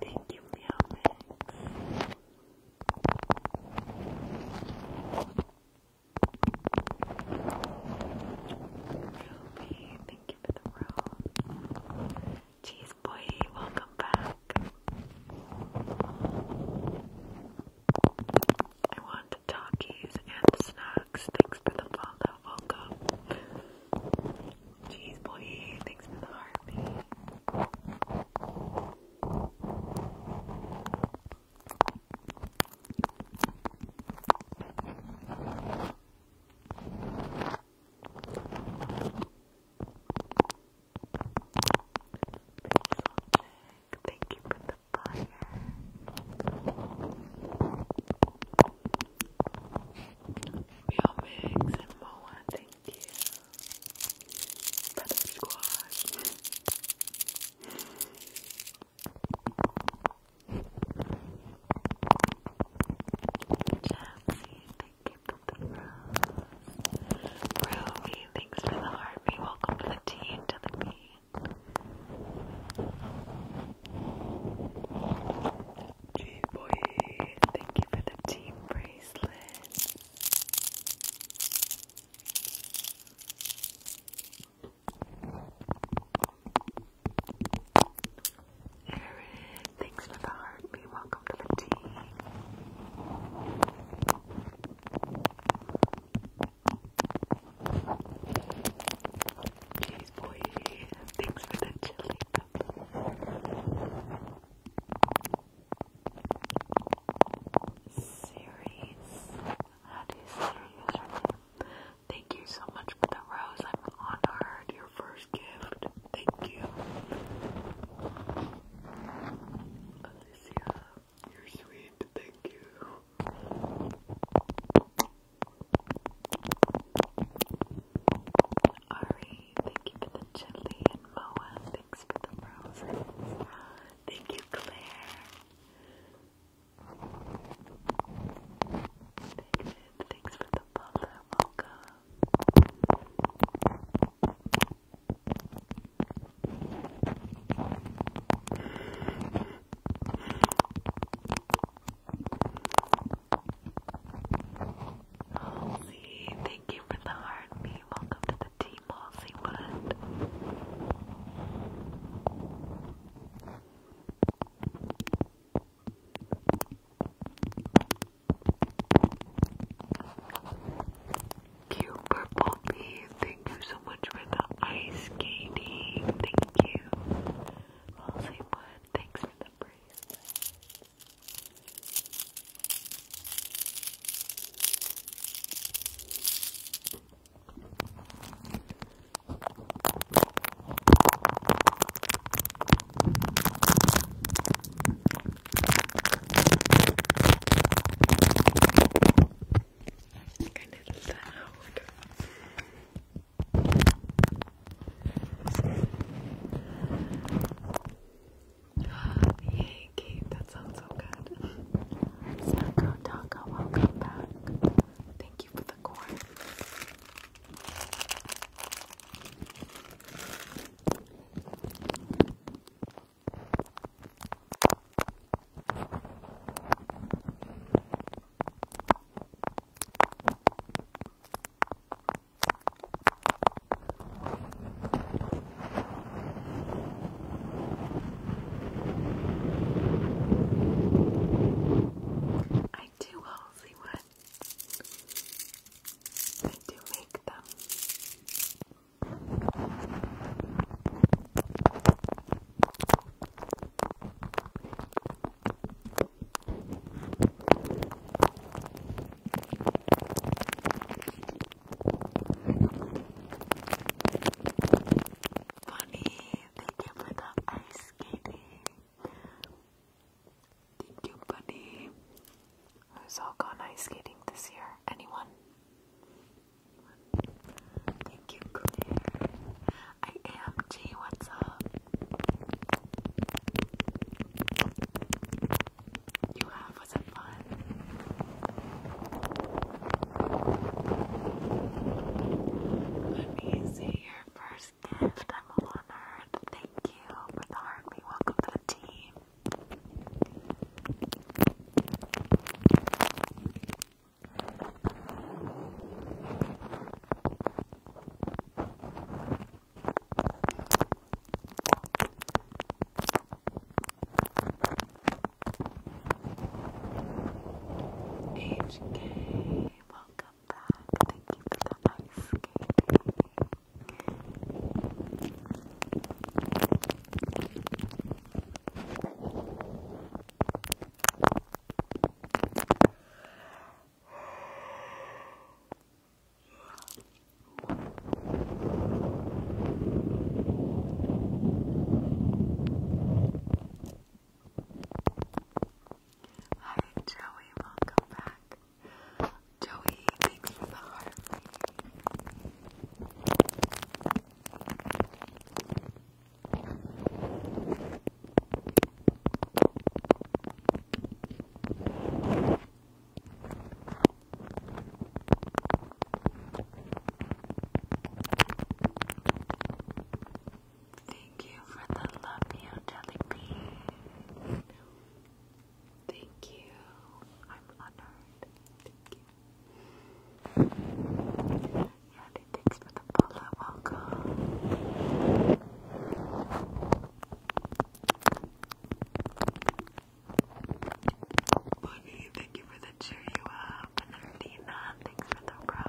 Speaker 2: Thank you, Meow Mix. Ruby, thank you for the roll. Cheese boy, welcome back. I want talkies and snacks. Thanks for the follow. Welcome. Cheese boy, thanks for the heartbeat.
Speaker 1: Thank you for the fire. Real and Moa, thank you. For the squad. Jesse, thank you for the rose. Ruby, thanks for the heartbeat. Welcome to the tea to the bean. G boy, thank you for the team bracelet. Eric, thanks for the heart. heartbeat. Welcome to the team. Jeez, boy. Thanks for the chili Series. How do you say your username? Thank you so much for the rose. I'm honored. Your first gift. Thank you. Alicia, you're sweet. Thank you. Ari, thank you for the chili and Moa. Thanks for the roses. Thank you, Claire thanks for the follow, Mocha. Halsey, thank you for the heartbeat. Welcome to the team, Halsey Wood. Cute thank you so much for the ice skating. Thank you. Rosie thanks for the bracelet. I think I did that that sounds so good. Sanko welcome back. Thank you for the corn. I do the one. I do make them. Funny thank you for the ice skating. Thank you, buddy. Who's all gone ice skating this year? Anyone? Thank you, Claire. I am G. What's up? You have? Was it fun? Let me see your first gift. I'm honored. Thank you for the army. Welcome the team. HK welcome back. Thank you for the ice Hi, Joey, welcome back. Joey, thanks for the heart. Thank you for the love you jellybean. Thank you. I'm honored. Thank you. Yandy, thanks for the polo. Welcome. Bonnie, thank you for the cheer you up. And thanks for the bro.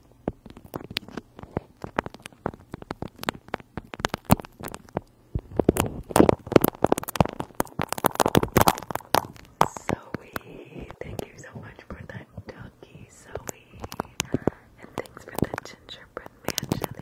Speaker 1: Zoe, thank you so much for that donkey, Zoe. And thanks for the gingerbread man, jelly.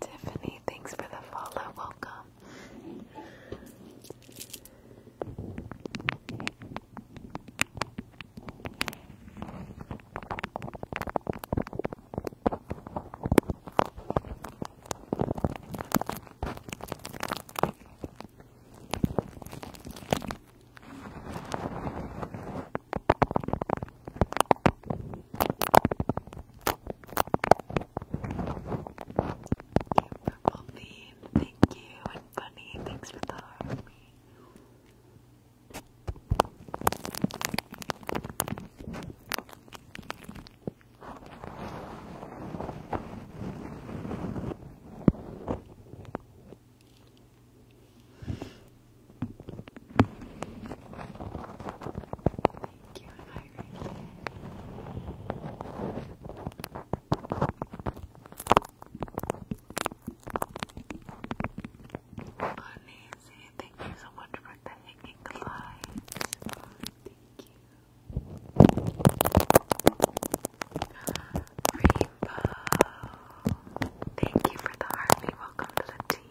Speaker 1: Tiffany, thanks for the follow. Welcome purple bean, thank you, and bunny, thanks for the heart. Thank you, Irene. Oh, thank you so much for the lights. Thank you. Rainbow, thank you for the heart. Welcome to the team.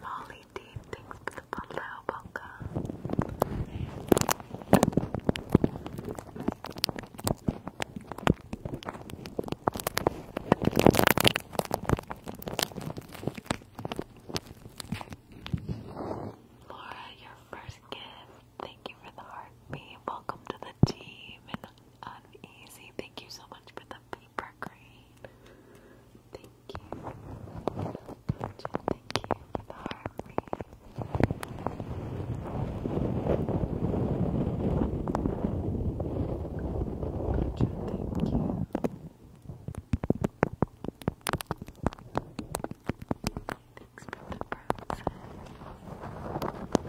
Speaker 1: Molly D, thanks for the follow, welcome. Laura, your first gift. Thank you for the heartbeat. Welcome to the team and uneasy. Um, thank you so much for the paper green. Thank you. Gotcha. Thank you for the heartbeat. Gotcha. Thank you thanks for the present. Thank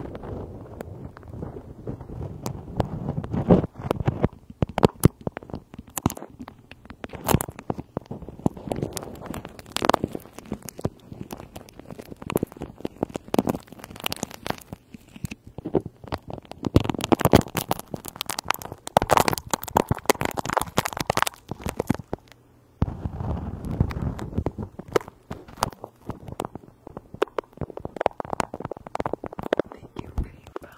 Speaker 1: Thank you, Rainbow.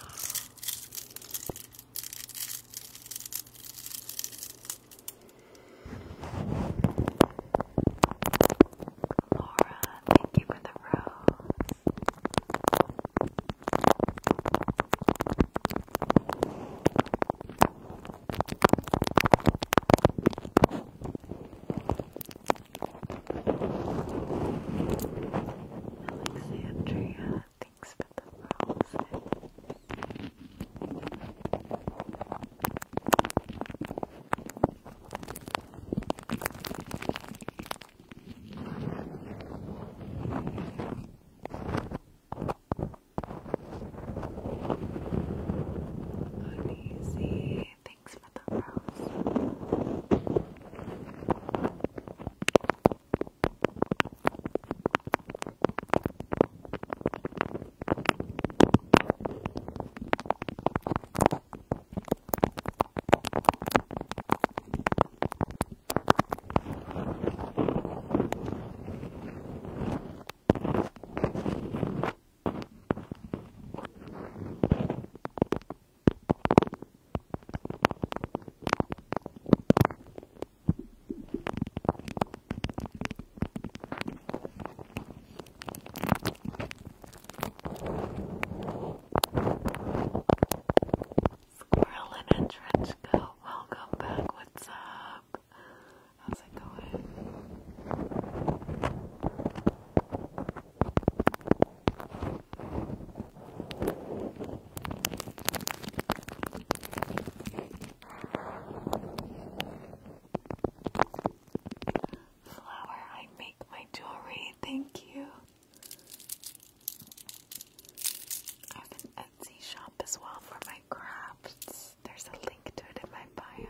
Speaker 1: Laura, thank you for the rose. Alexandria, thanks for the roses. Thank Uneasy. Thanks for the rose. Squirrel in trench coat, welcome back, what's up? How's it going? Flower, I make my jewelry. Thank you. I have an Etsy shop as well for my crafts. There's a link to it in my bio.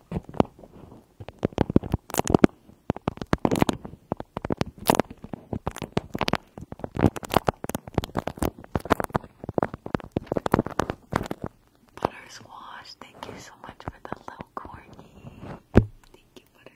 Speaker 1: Butter thank you so much for the little corny. Thank you, Butter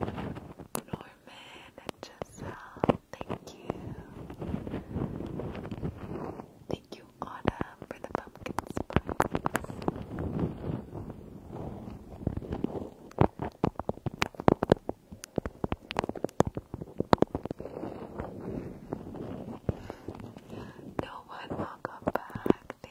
Speaker 1: Norman and Giselle, thank you. Thank you, Autumn, for the pumpkin spice. No one will back.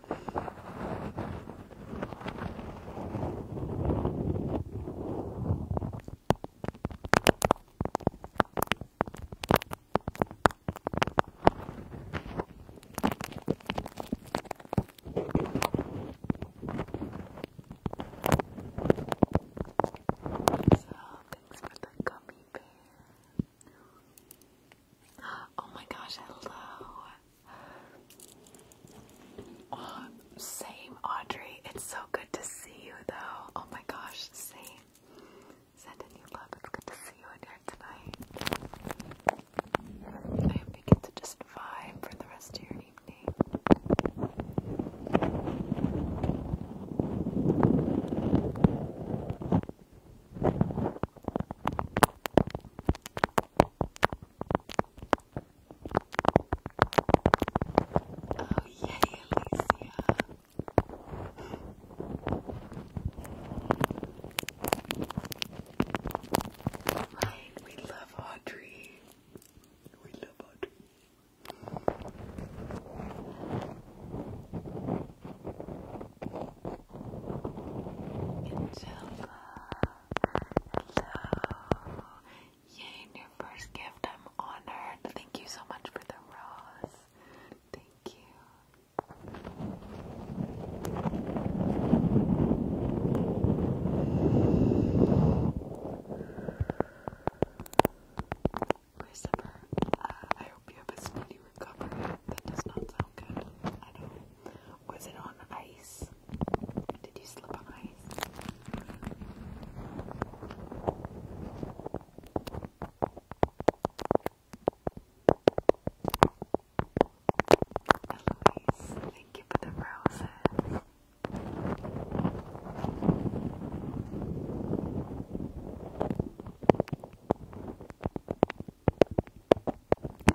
Speaker 1: thanks for the gummy bear. Oh my gosh, hello same, Audrey. It's so good to see you, though. Oh my gosh, same. Sending you love. It's good to see you in here tonight. I hope you to just vibe for the rest of your evening. Oh, yeah, Alicia. Right, we love Audrey. We love Audrey. Angelica. Hello. Yay, new first gift. I'm honored. Thank you so much for the rose. Thank you. Christopher, uh, I hope you have a speedy recovery. That does not sound good. Was it on ice? Did you slip on ice? Eloise, thank you for the roses.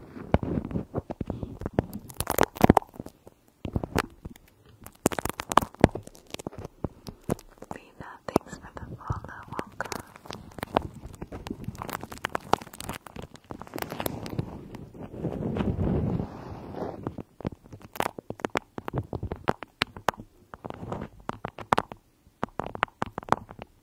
Speaker 1: Vina, thanks for the follow, welcome.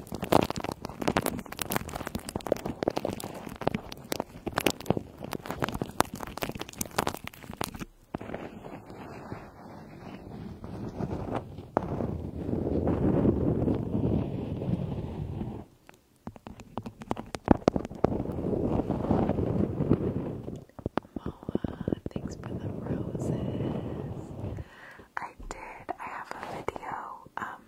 Speaker 1: Moa, thanks for the roses. I did. I have a video um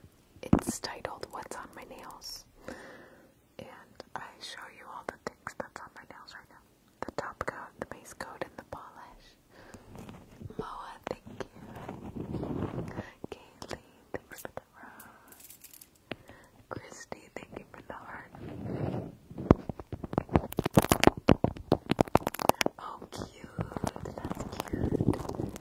Speaker 1: it's titled What's on My Nails. And I show you all the things that's on my nails right now. The top coat, the base coat, and the polish. Moa, thank you. Kaylee, thank for the rose. Christy, thank you for the heart. Oh, cute. That's cute.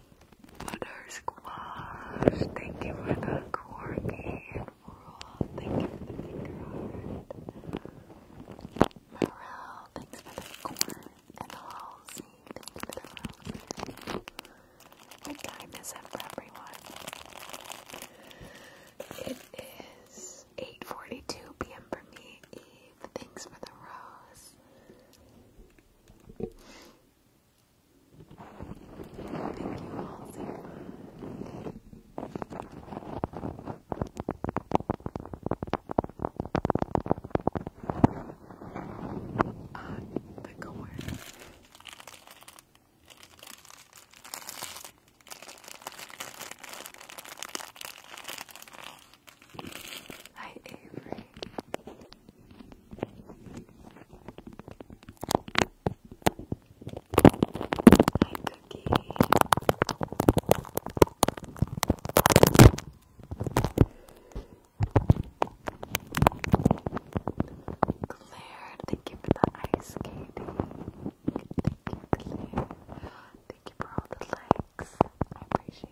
Speaker 1: Butter Squash, thank you for the corgi and Morel, thank you for the finger heart. Morel, thanks for the corn and Halsey, thank you for the roses. What time is it for everyone? It is 8.42 p.m. for me, Eve. Thanks for the rose. Thank you all so much. Ah, the gore. Hi, Avery. Hi, Cookie. Claire, thank you for the ice skating. Thank you, Thank you for all the likes. I appreciate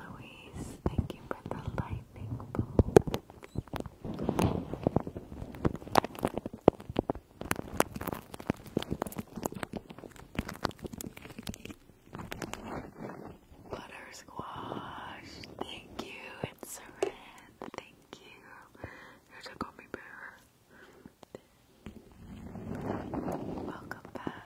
Speaker 1: Eloise. Thank you for the lightning bolt. Butter squash. Thank you. It's Seren. Thank you. You took on me Welcome back.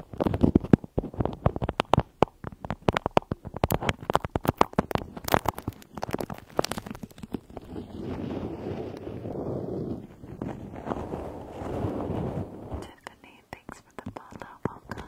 Speaker 1: Tiffany, thanks for the follow. Welcome.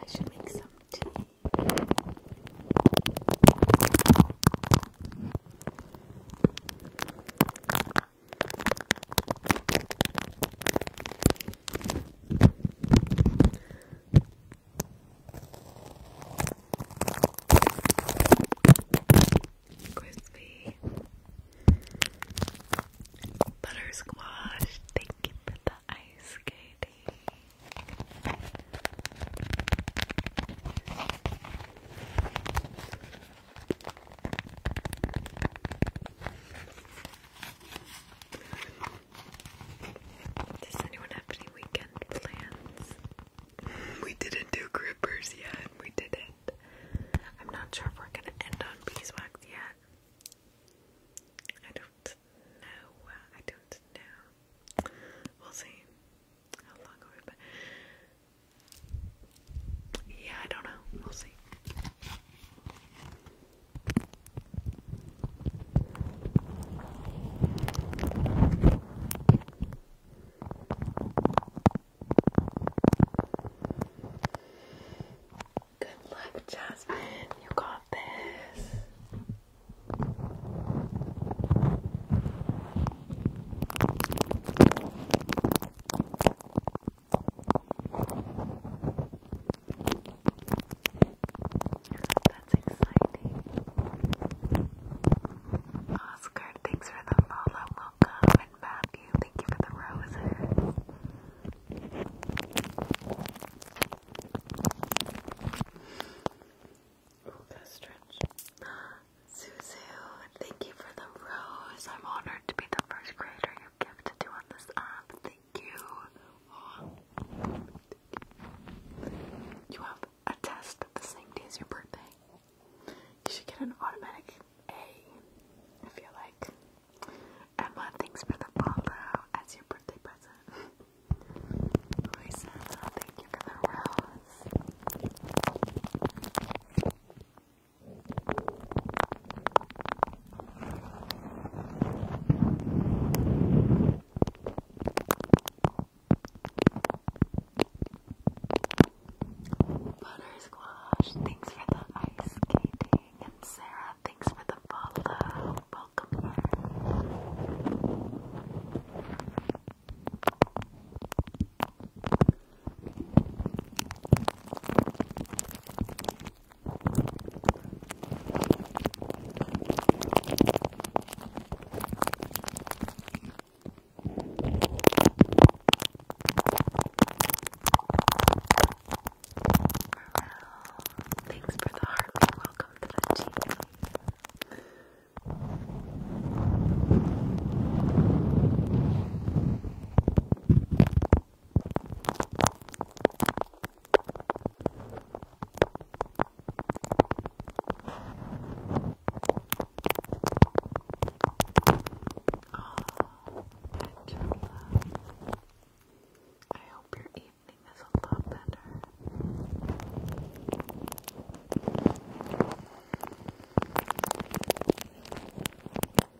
Speaker 1: I should make some tea. Crispy butter Thank you for the ice skating. Does anyone have any weekend plans? We didn't do grippers yet. We didn't. I'm not sure if we're gonna end on beeswax yet. I don't know. I don't know. We'll see. How long are Yeah, I don't know. We'll see. Good luck, Jasmine. You got this. That's exciting. Oscar, thanks for the follow. Welcome. And Matthew, thank you for the roses. Oh, that stretch. Suzu, thank you for the rose. I'm honored to be the first creator you your gift this Thank you. You have a test the same day as your birthday. You should get an automatic A. I feel like. Emma, thanks for the follow as your birthday present. Louisa, thank you for the rose. Butter squash, thanks for the ice skating, and Sarah, thanks for the follow. Welcome here. Thanks for the heart. Welcome to the channel. Oh, Angela. I hope your evening is a lot better.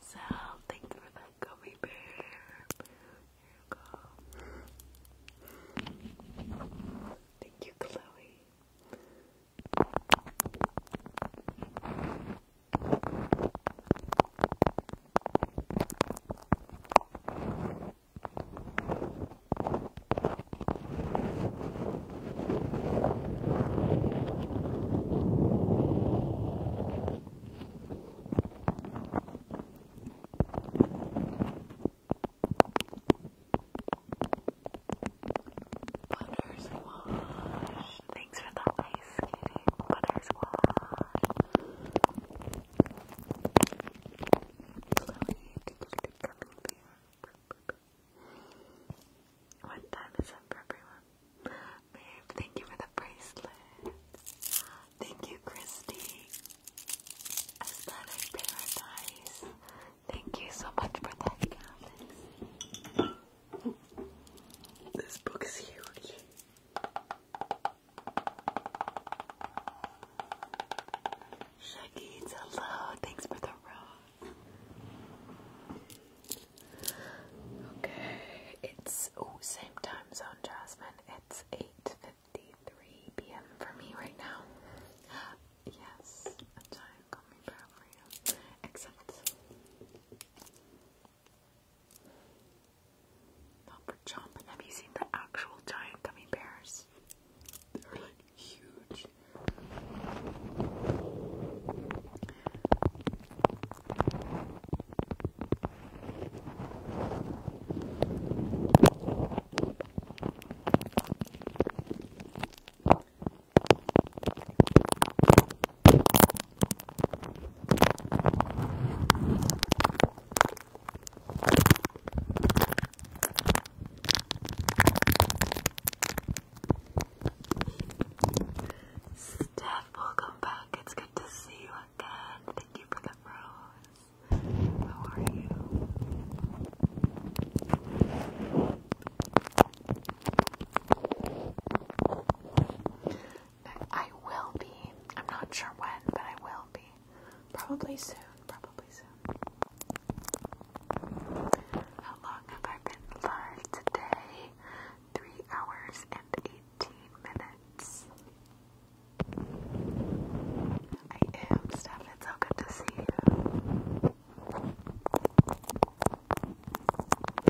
Speaker 2: So, thank for that gummy bear. Here you go. Thank you, Chloe. Buttersquash. Thanks for the ice skating. Buttersquash. What time is it for everyone? Babe, thank you for the bracelet. Thank you, Christy. Aesthetic Paradise. Thank you so much for that, This book is huge.
Speaker 1: Shuckies, hello. Thanks for the rose. Okay, it's oh same time zone, Jasmine. It's eight fifty-three p.m. for me right now. Yes, a giant gummy bear for you. Except not for Have you seen the actual giant gummy bears? huge. Steph, welcome back. It's good to see you again. Thank you for the rose. How are you? I will be. I'm not sure when, but I will be. Probably soon, probably soon. How long have I been live today? Three hours and eighteen minutes. I am, Steph. It's so good to see you.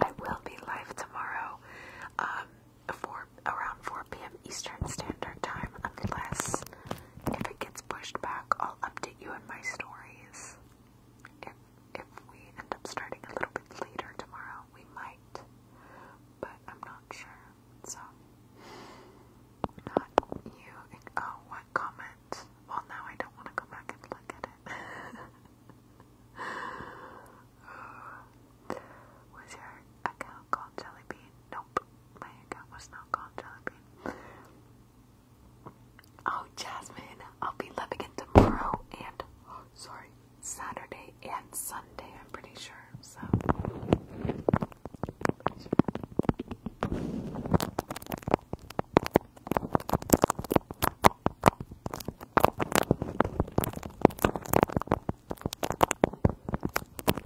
Speaker 1: I will be live tomorrow, um, for around 4 p.m. Eastern Standard Time, unless if it gets pushed back, I'll update you in my stories. If if we end up starting a little bit later tomorrow, we might. But I'm not sure. So not you oh what comment? Well now I don't want to go back and look at it. was your account called Jellybean? Nope. My account was not called Jellybean. Oh, Jasmine, I'll be living it tomorrow and, sorry, Saturday and Sunday, I'm pretty sure, so.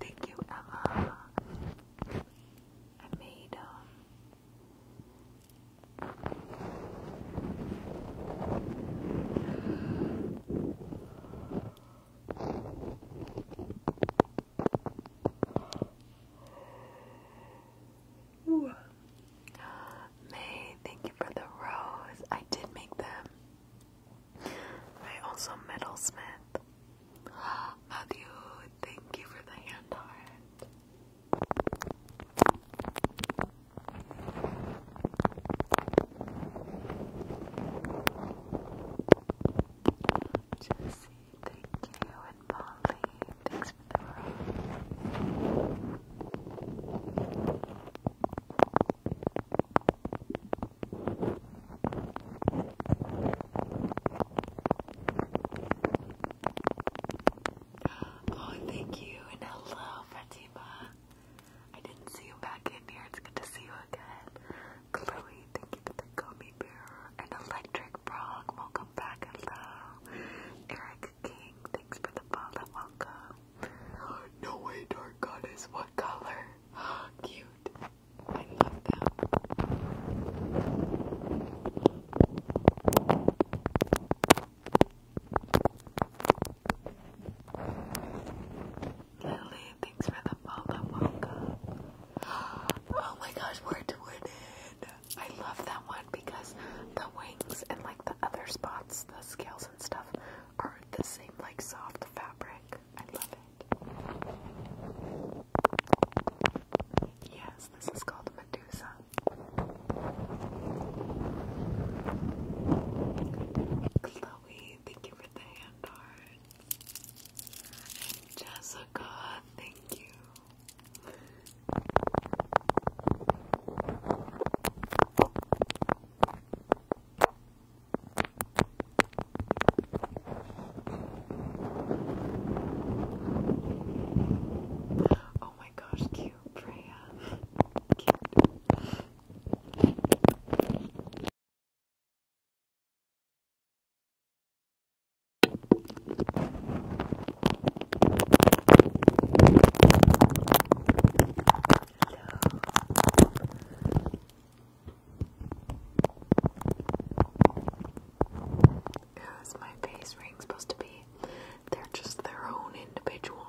Speaker 1: Thank you, Emma. I made um May, thank you for the rose. I did make them. I also metalsmith. Matthew, thank you for the hand art. Jesse, thank you, and Molly, thanks for the rain. Oh, thank you, and hello, Fatima. I didn't see you back in here. It's good to see you again. Chloe, thank you for the gummy bear. An electric frog, welcome back, hello. Eric King, thanks for the follow, welcome. No way, dark goddess, what color? Cute. I love them. Lily, thanks for the follow. Welcome. Oh my gosh, we're doing it. I love that one because the wings and like the other spots, the scales and stuff, are the same like soft fabric. I love it. Yes, this is called Medusa. Chloe, thank you for the hand art. Jessica, thank you. Oh my gosh, cute Freya.
Speaker 2: As my face ring supposed to be, they're just their own individual.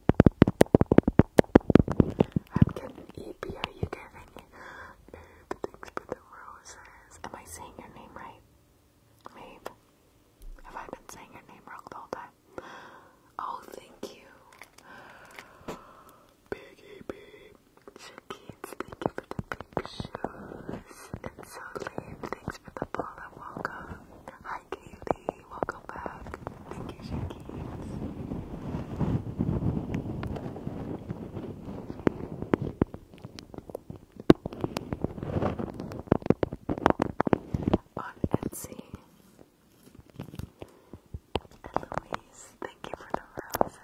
Speaker 2: I'm getting EP. Are you getting me Thanks for the roses. Am I saying your name right? Mabe. Have I been saying your name wrong the whole time? Oh, thank you. Big EP. thank you for the big And so, Liam, thanks for the ball welcome. Hi, Kaylee. Welcome. On Etsy. And Louise, thank you for the roses.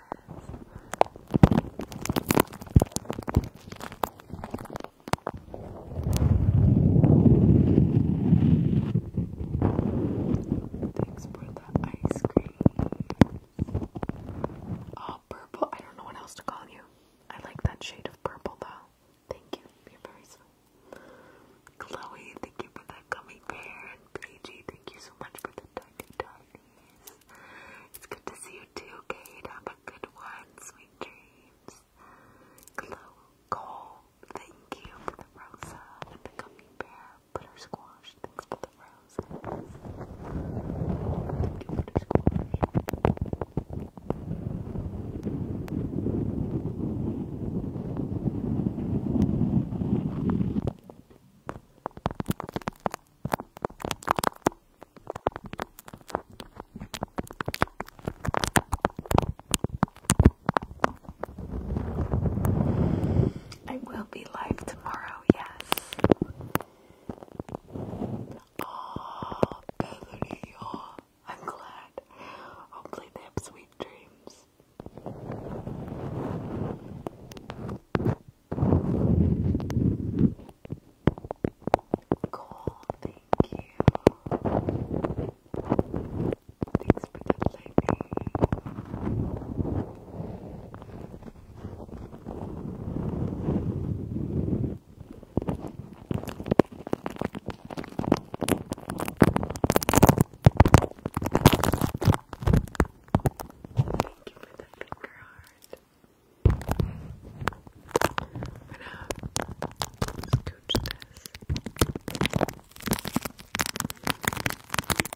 Speaker 1: Thanks for ice cream. Oh, purple. I don't know what else to call you. I like that shade of purple though. Thank you. You're very sweet. Chloe, thank you for that gummy bear. And thank you so much for the tiny tinies. It's good to see you too, Kate. Have a good one. Sweet dreams. Chloe, Cole, Thank you for the rosa uh, the gummy bear butter squash. Thanks for the roses. I will be live tomorrow, yes. Oh, Bethany, oh, I'm glad. Hopefully they have sweet dreams. Cool, thank you. Thanks for the lightning. Thank you for the finger heart. I'm uh, gonna this.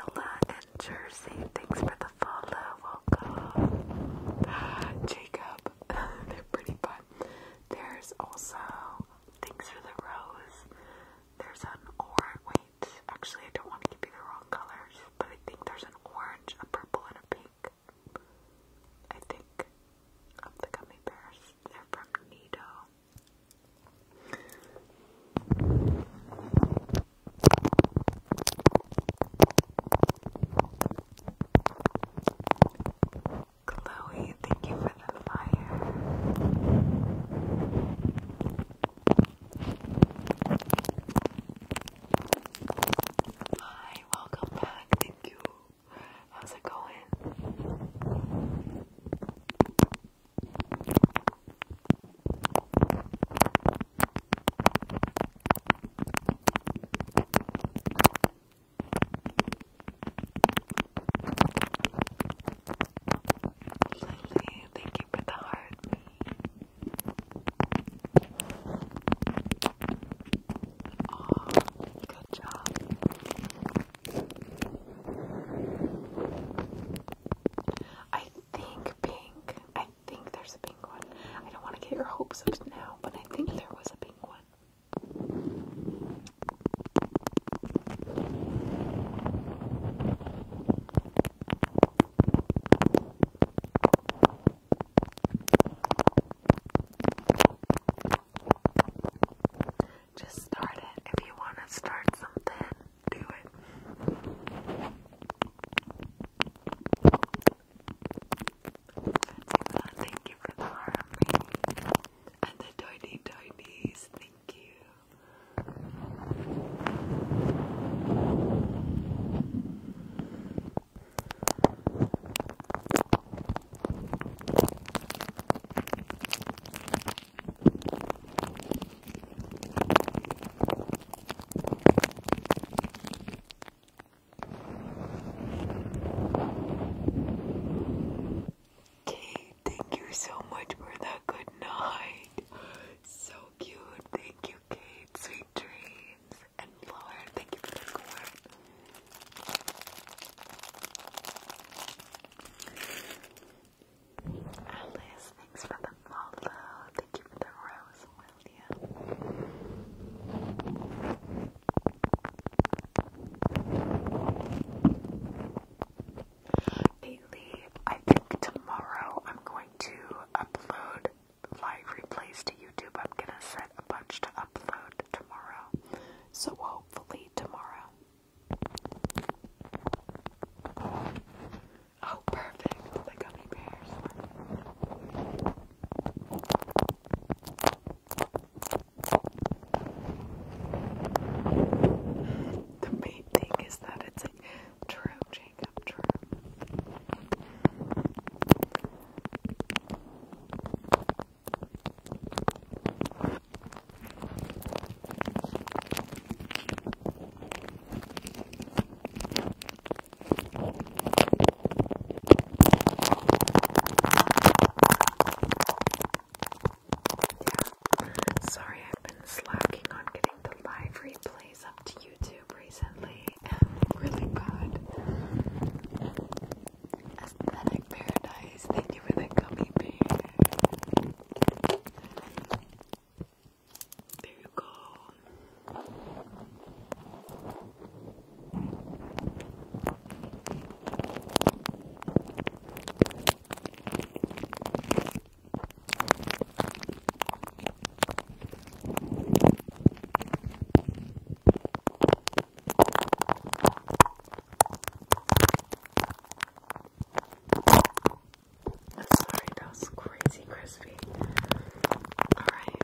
Speaker 1: Ella and Jersey, thanks for the follow. Welcome. Jacob, they're pretty fun. There's also, thanks for the rose. There's an orange. Wait, actually, I don't want to give you the wrong colors, but I think there's an orange, a purple, and a pink. I think, of the gummy bears. They're from Nido. Chloe, thank you for the fire. Hi, welcome back. Thank you How's it going? Lily, thank you for the heart. Oh, good job. I think pink. I think there's a pink I don't want to get your hopes up now, but I think there was a pink one. Just start it. If you want to start something, do it. Thank you for the harmony. And the tiny tinies, thank you. Kate, thank you so much for that good night. So cute. Thank you, Kate. Sweet dreams. And Lauren, thank you for the corn. Alice, thanks for the follow. Thank you for the rose, William. Bailey, I think tomorrow I'm going to upload live replays to YouTube. I'm gonna set a bunch to upload tomorrow. So hopefully tomorrow. Oh, perfect. The gummy bears. The main thing is that it's true Jacob true. Sorry, I've been slacking on getting the live replays up to YouTube recently. I'm really bad. Aesthetic Paradise, thank you for the gummy bear. There you go sorry, that was crazy crispy. Alright.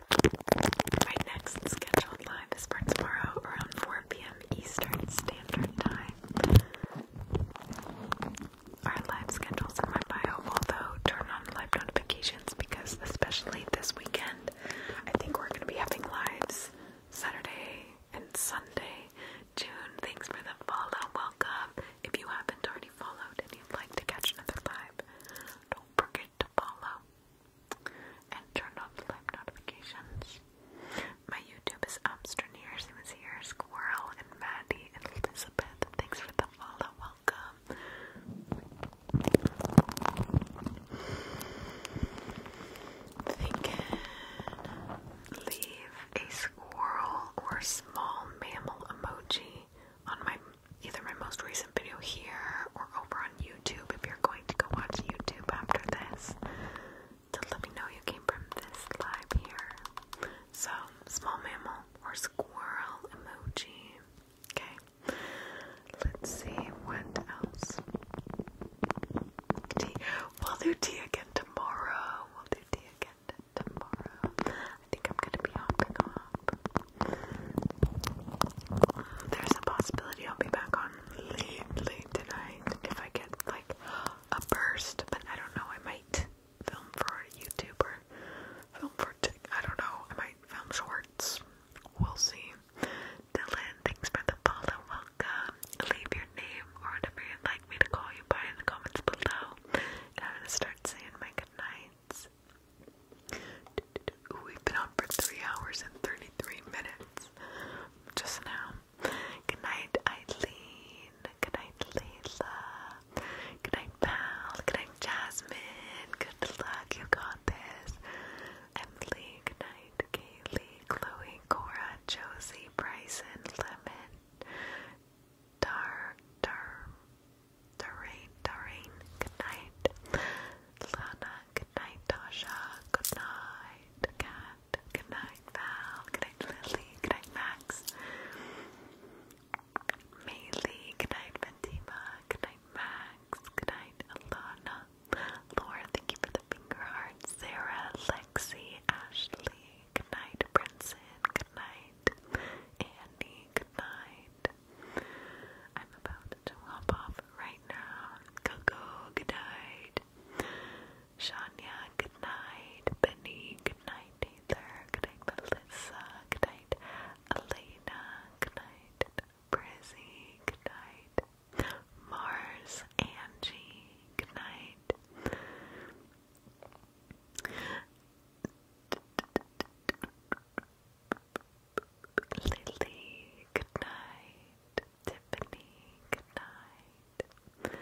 Speaker 1: My next scheduled live is for tomorrow around 4 p.m. Eastern Standard Time. Our live schedule's in my bio, although turn on live notifications because especially this weekend, I think we're gonna be having lives Saturday, and Sunday. June, thanks for the follow. Welcome. If you haven't already followed and you'd like to catch another live, don't forget to follow and turn on the live notifications. My YouTube is Amstraneers, who is here, Squirrel, and Maddie, and Elizabeth. Thanks for the follow. Welcome. They can leave a squirrel or small mammal emoji on my either my most recent video here or over on YouTube if you're going to go watch YouTube after this to let me know you came from this live here. So small mammal or squirrel emoji. Okay. Let's see what else. We'll do tea again tomorrow. We'll do tea again tomorrow. I think I'm gonna be hopping up. There's a possibility I'll be back on late, late tonight if I get like a burst, but I don't know. I might film for YouTube or film for. I don't know. I might film shorts. We'll see. Dylan, thanks for the follow. Welcome. Leave your name or whatever you'd me to call you by in the comments below. I'm gonna start saying my goodnights. we've been on for three hours and thirty-three minutes just now. Good night, Eileen. Good night, Layla. Good night, Pal. Good night, Jasmine. Good luck, you got this. Emily, good night. Knight, Kaylee, Chloe, Cora, Josie, Bryson, Lemon, Dar, Dar, Doreen, Doreen, good night, Lana, good night, Tasha, good night, Kat, good night, Val, good night, Lily, good night, Max, Maylee, good night, Fatima, good night, Max, good night, Alana, Laura, thank you for the finger heart. Sarah, Lexi, Ashley, good night, Princeton, good night, Andy, good night. I'm about to hop off right now. Coco, good night. Shania, good night. Benny, good night. Taylor, good night. Melissa, good night. Elena, good night. Brizzy, good night. Mars, Angie, good night. Lily, good night. Tiffany, good night.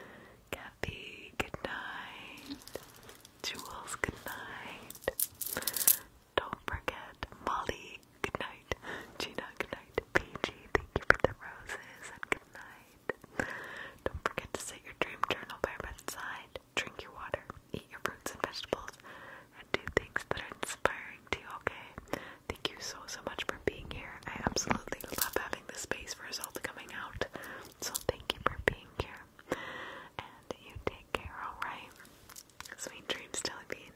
Speaker 1: Kathy, good night. Jules, good night. Don't forget Molly, Good night, Gina. Good night, PG. Thank you for the roses and good night. Don't forget to set your dream journal by your bedside. Drink your water, eat your fruits and vegetables, and do things that are inspiring to you, okay? Thank you so, so much for being here. I absolutely love having this space for us coming out. So thank you for being here. And you take care, alright? Sweet dreams, Jelly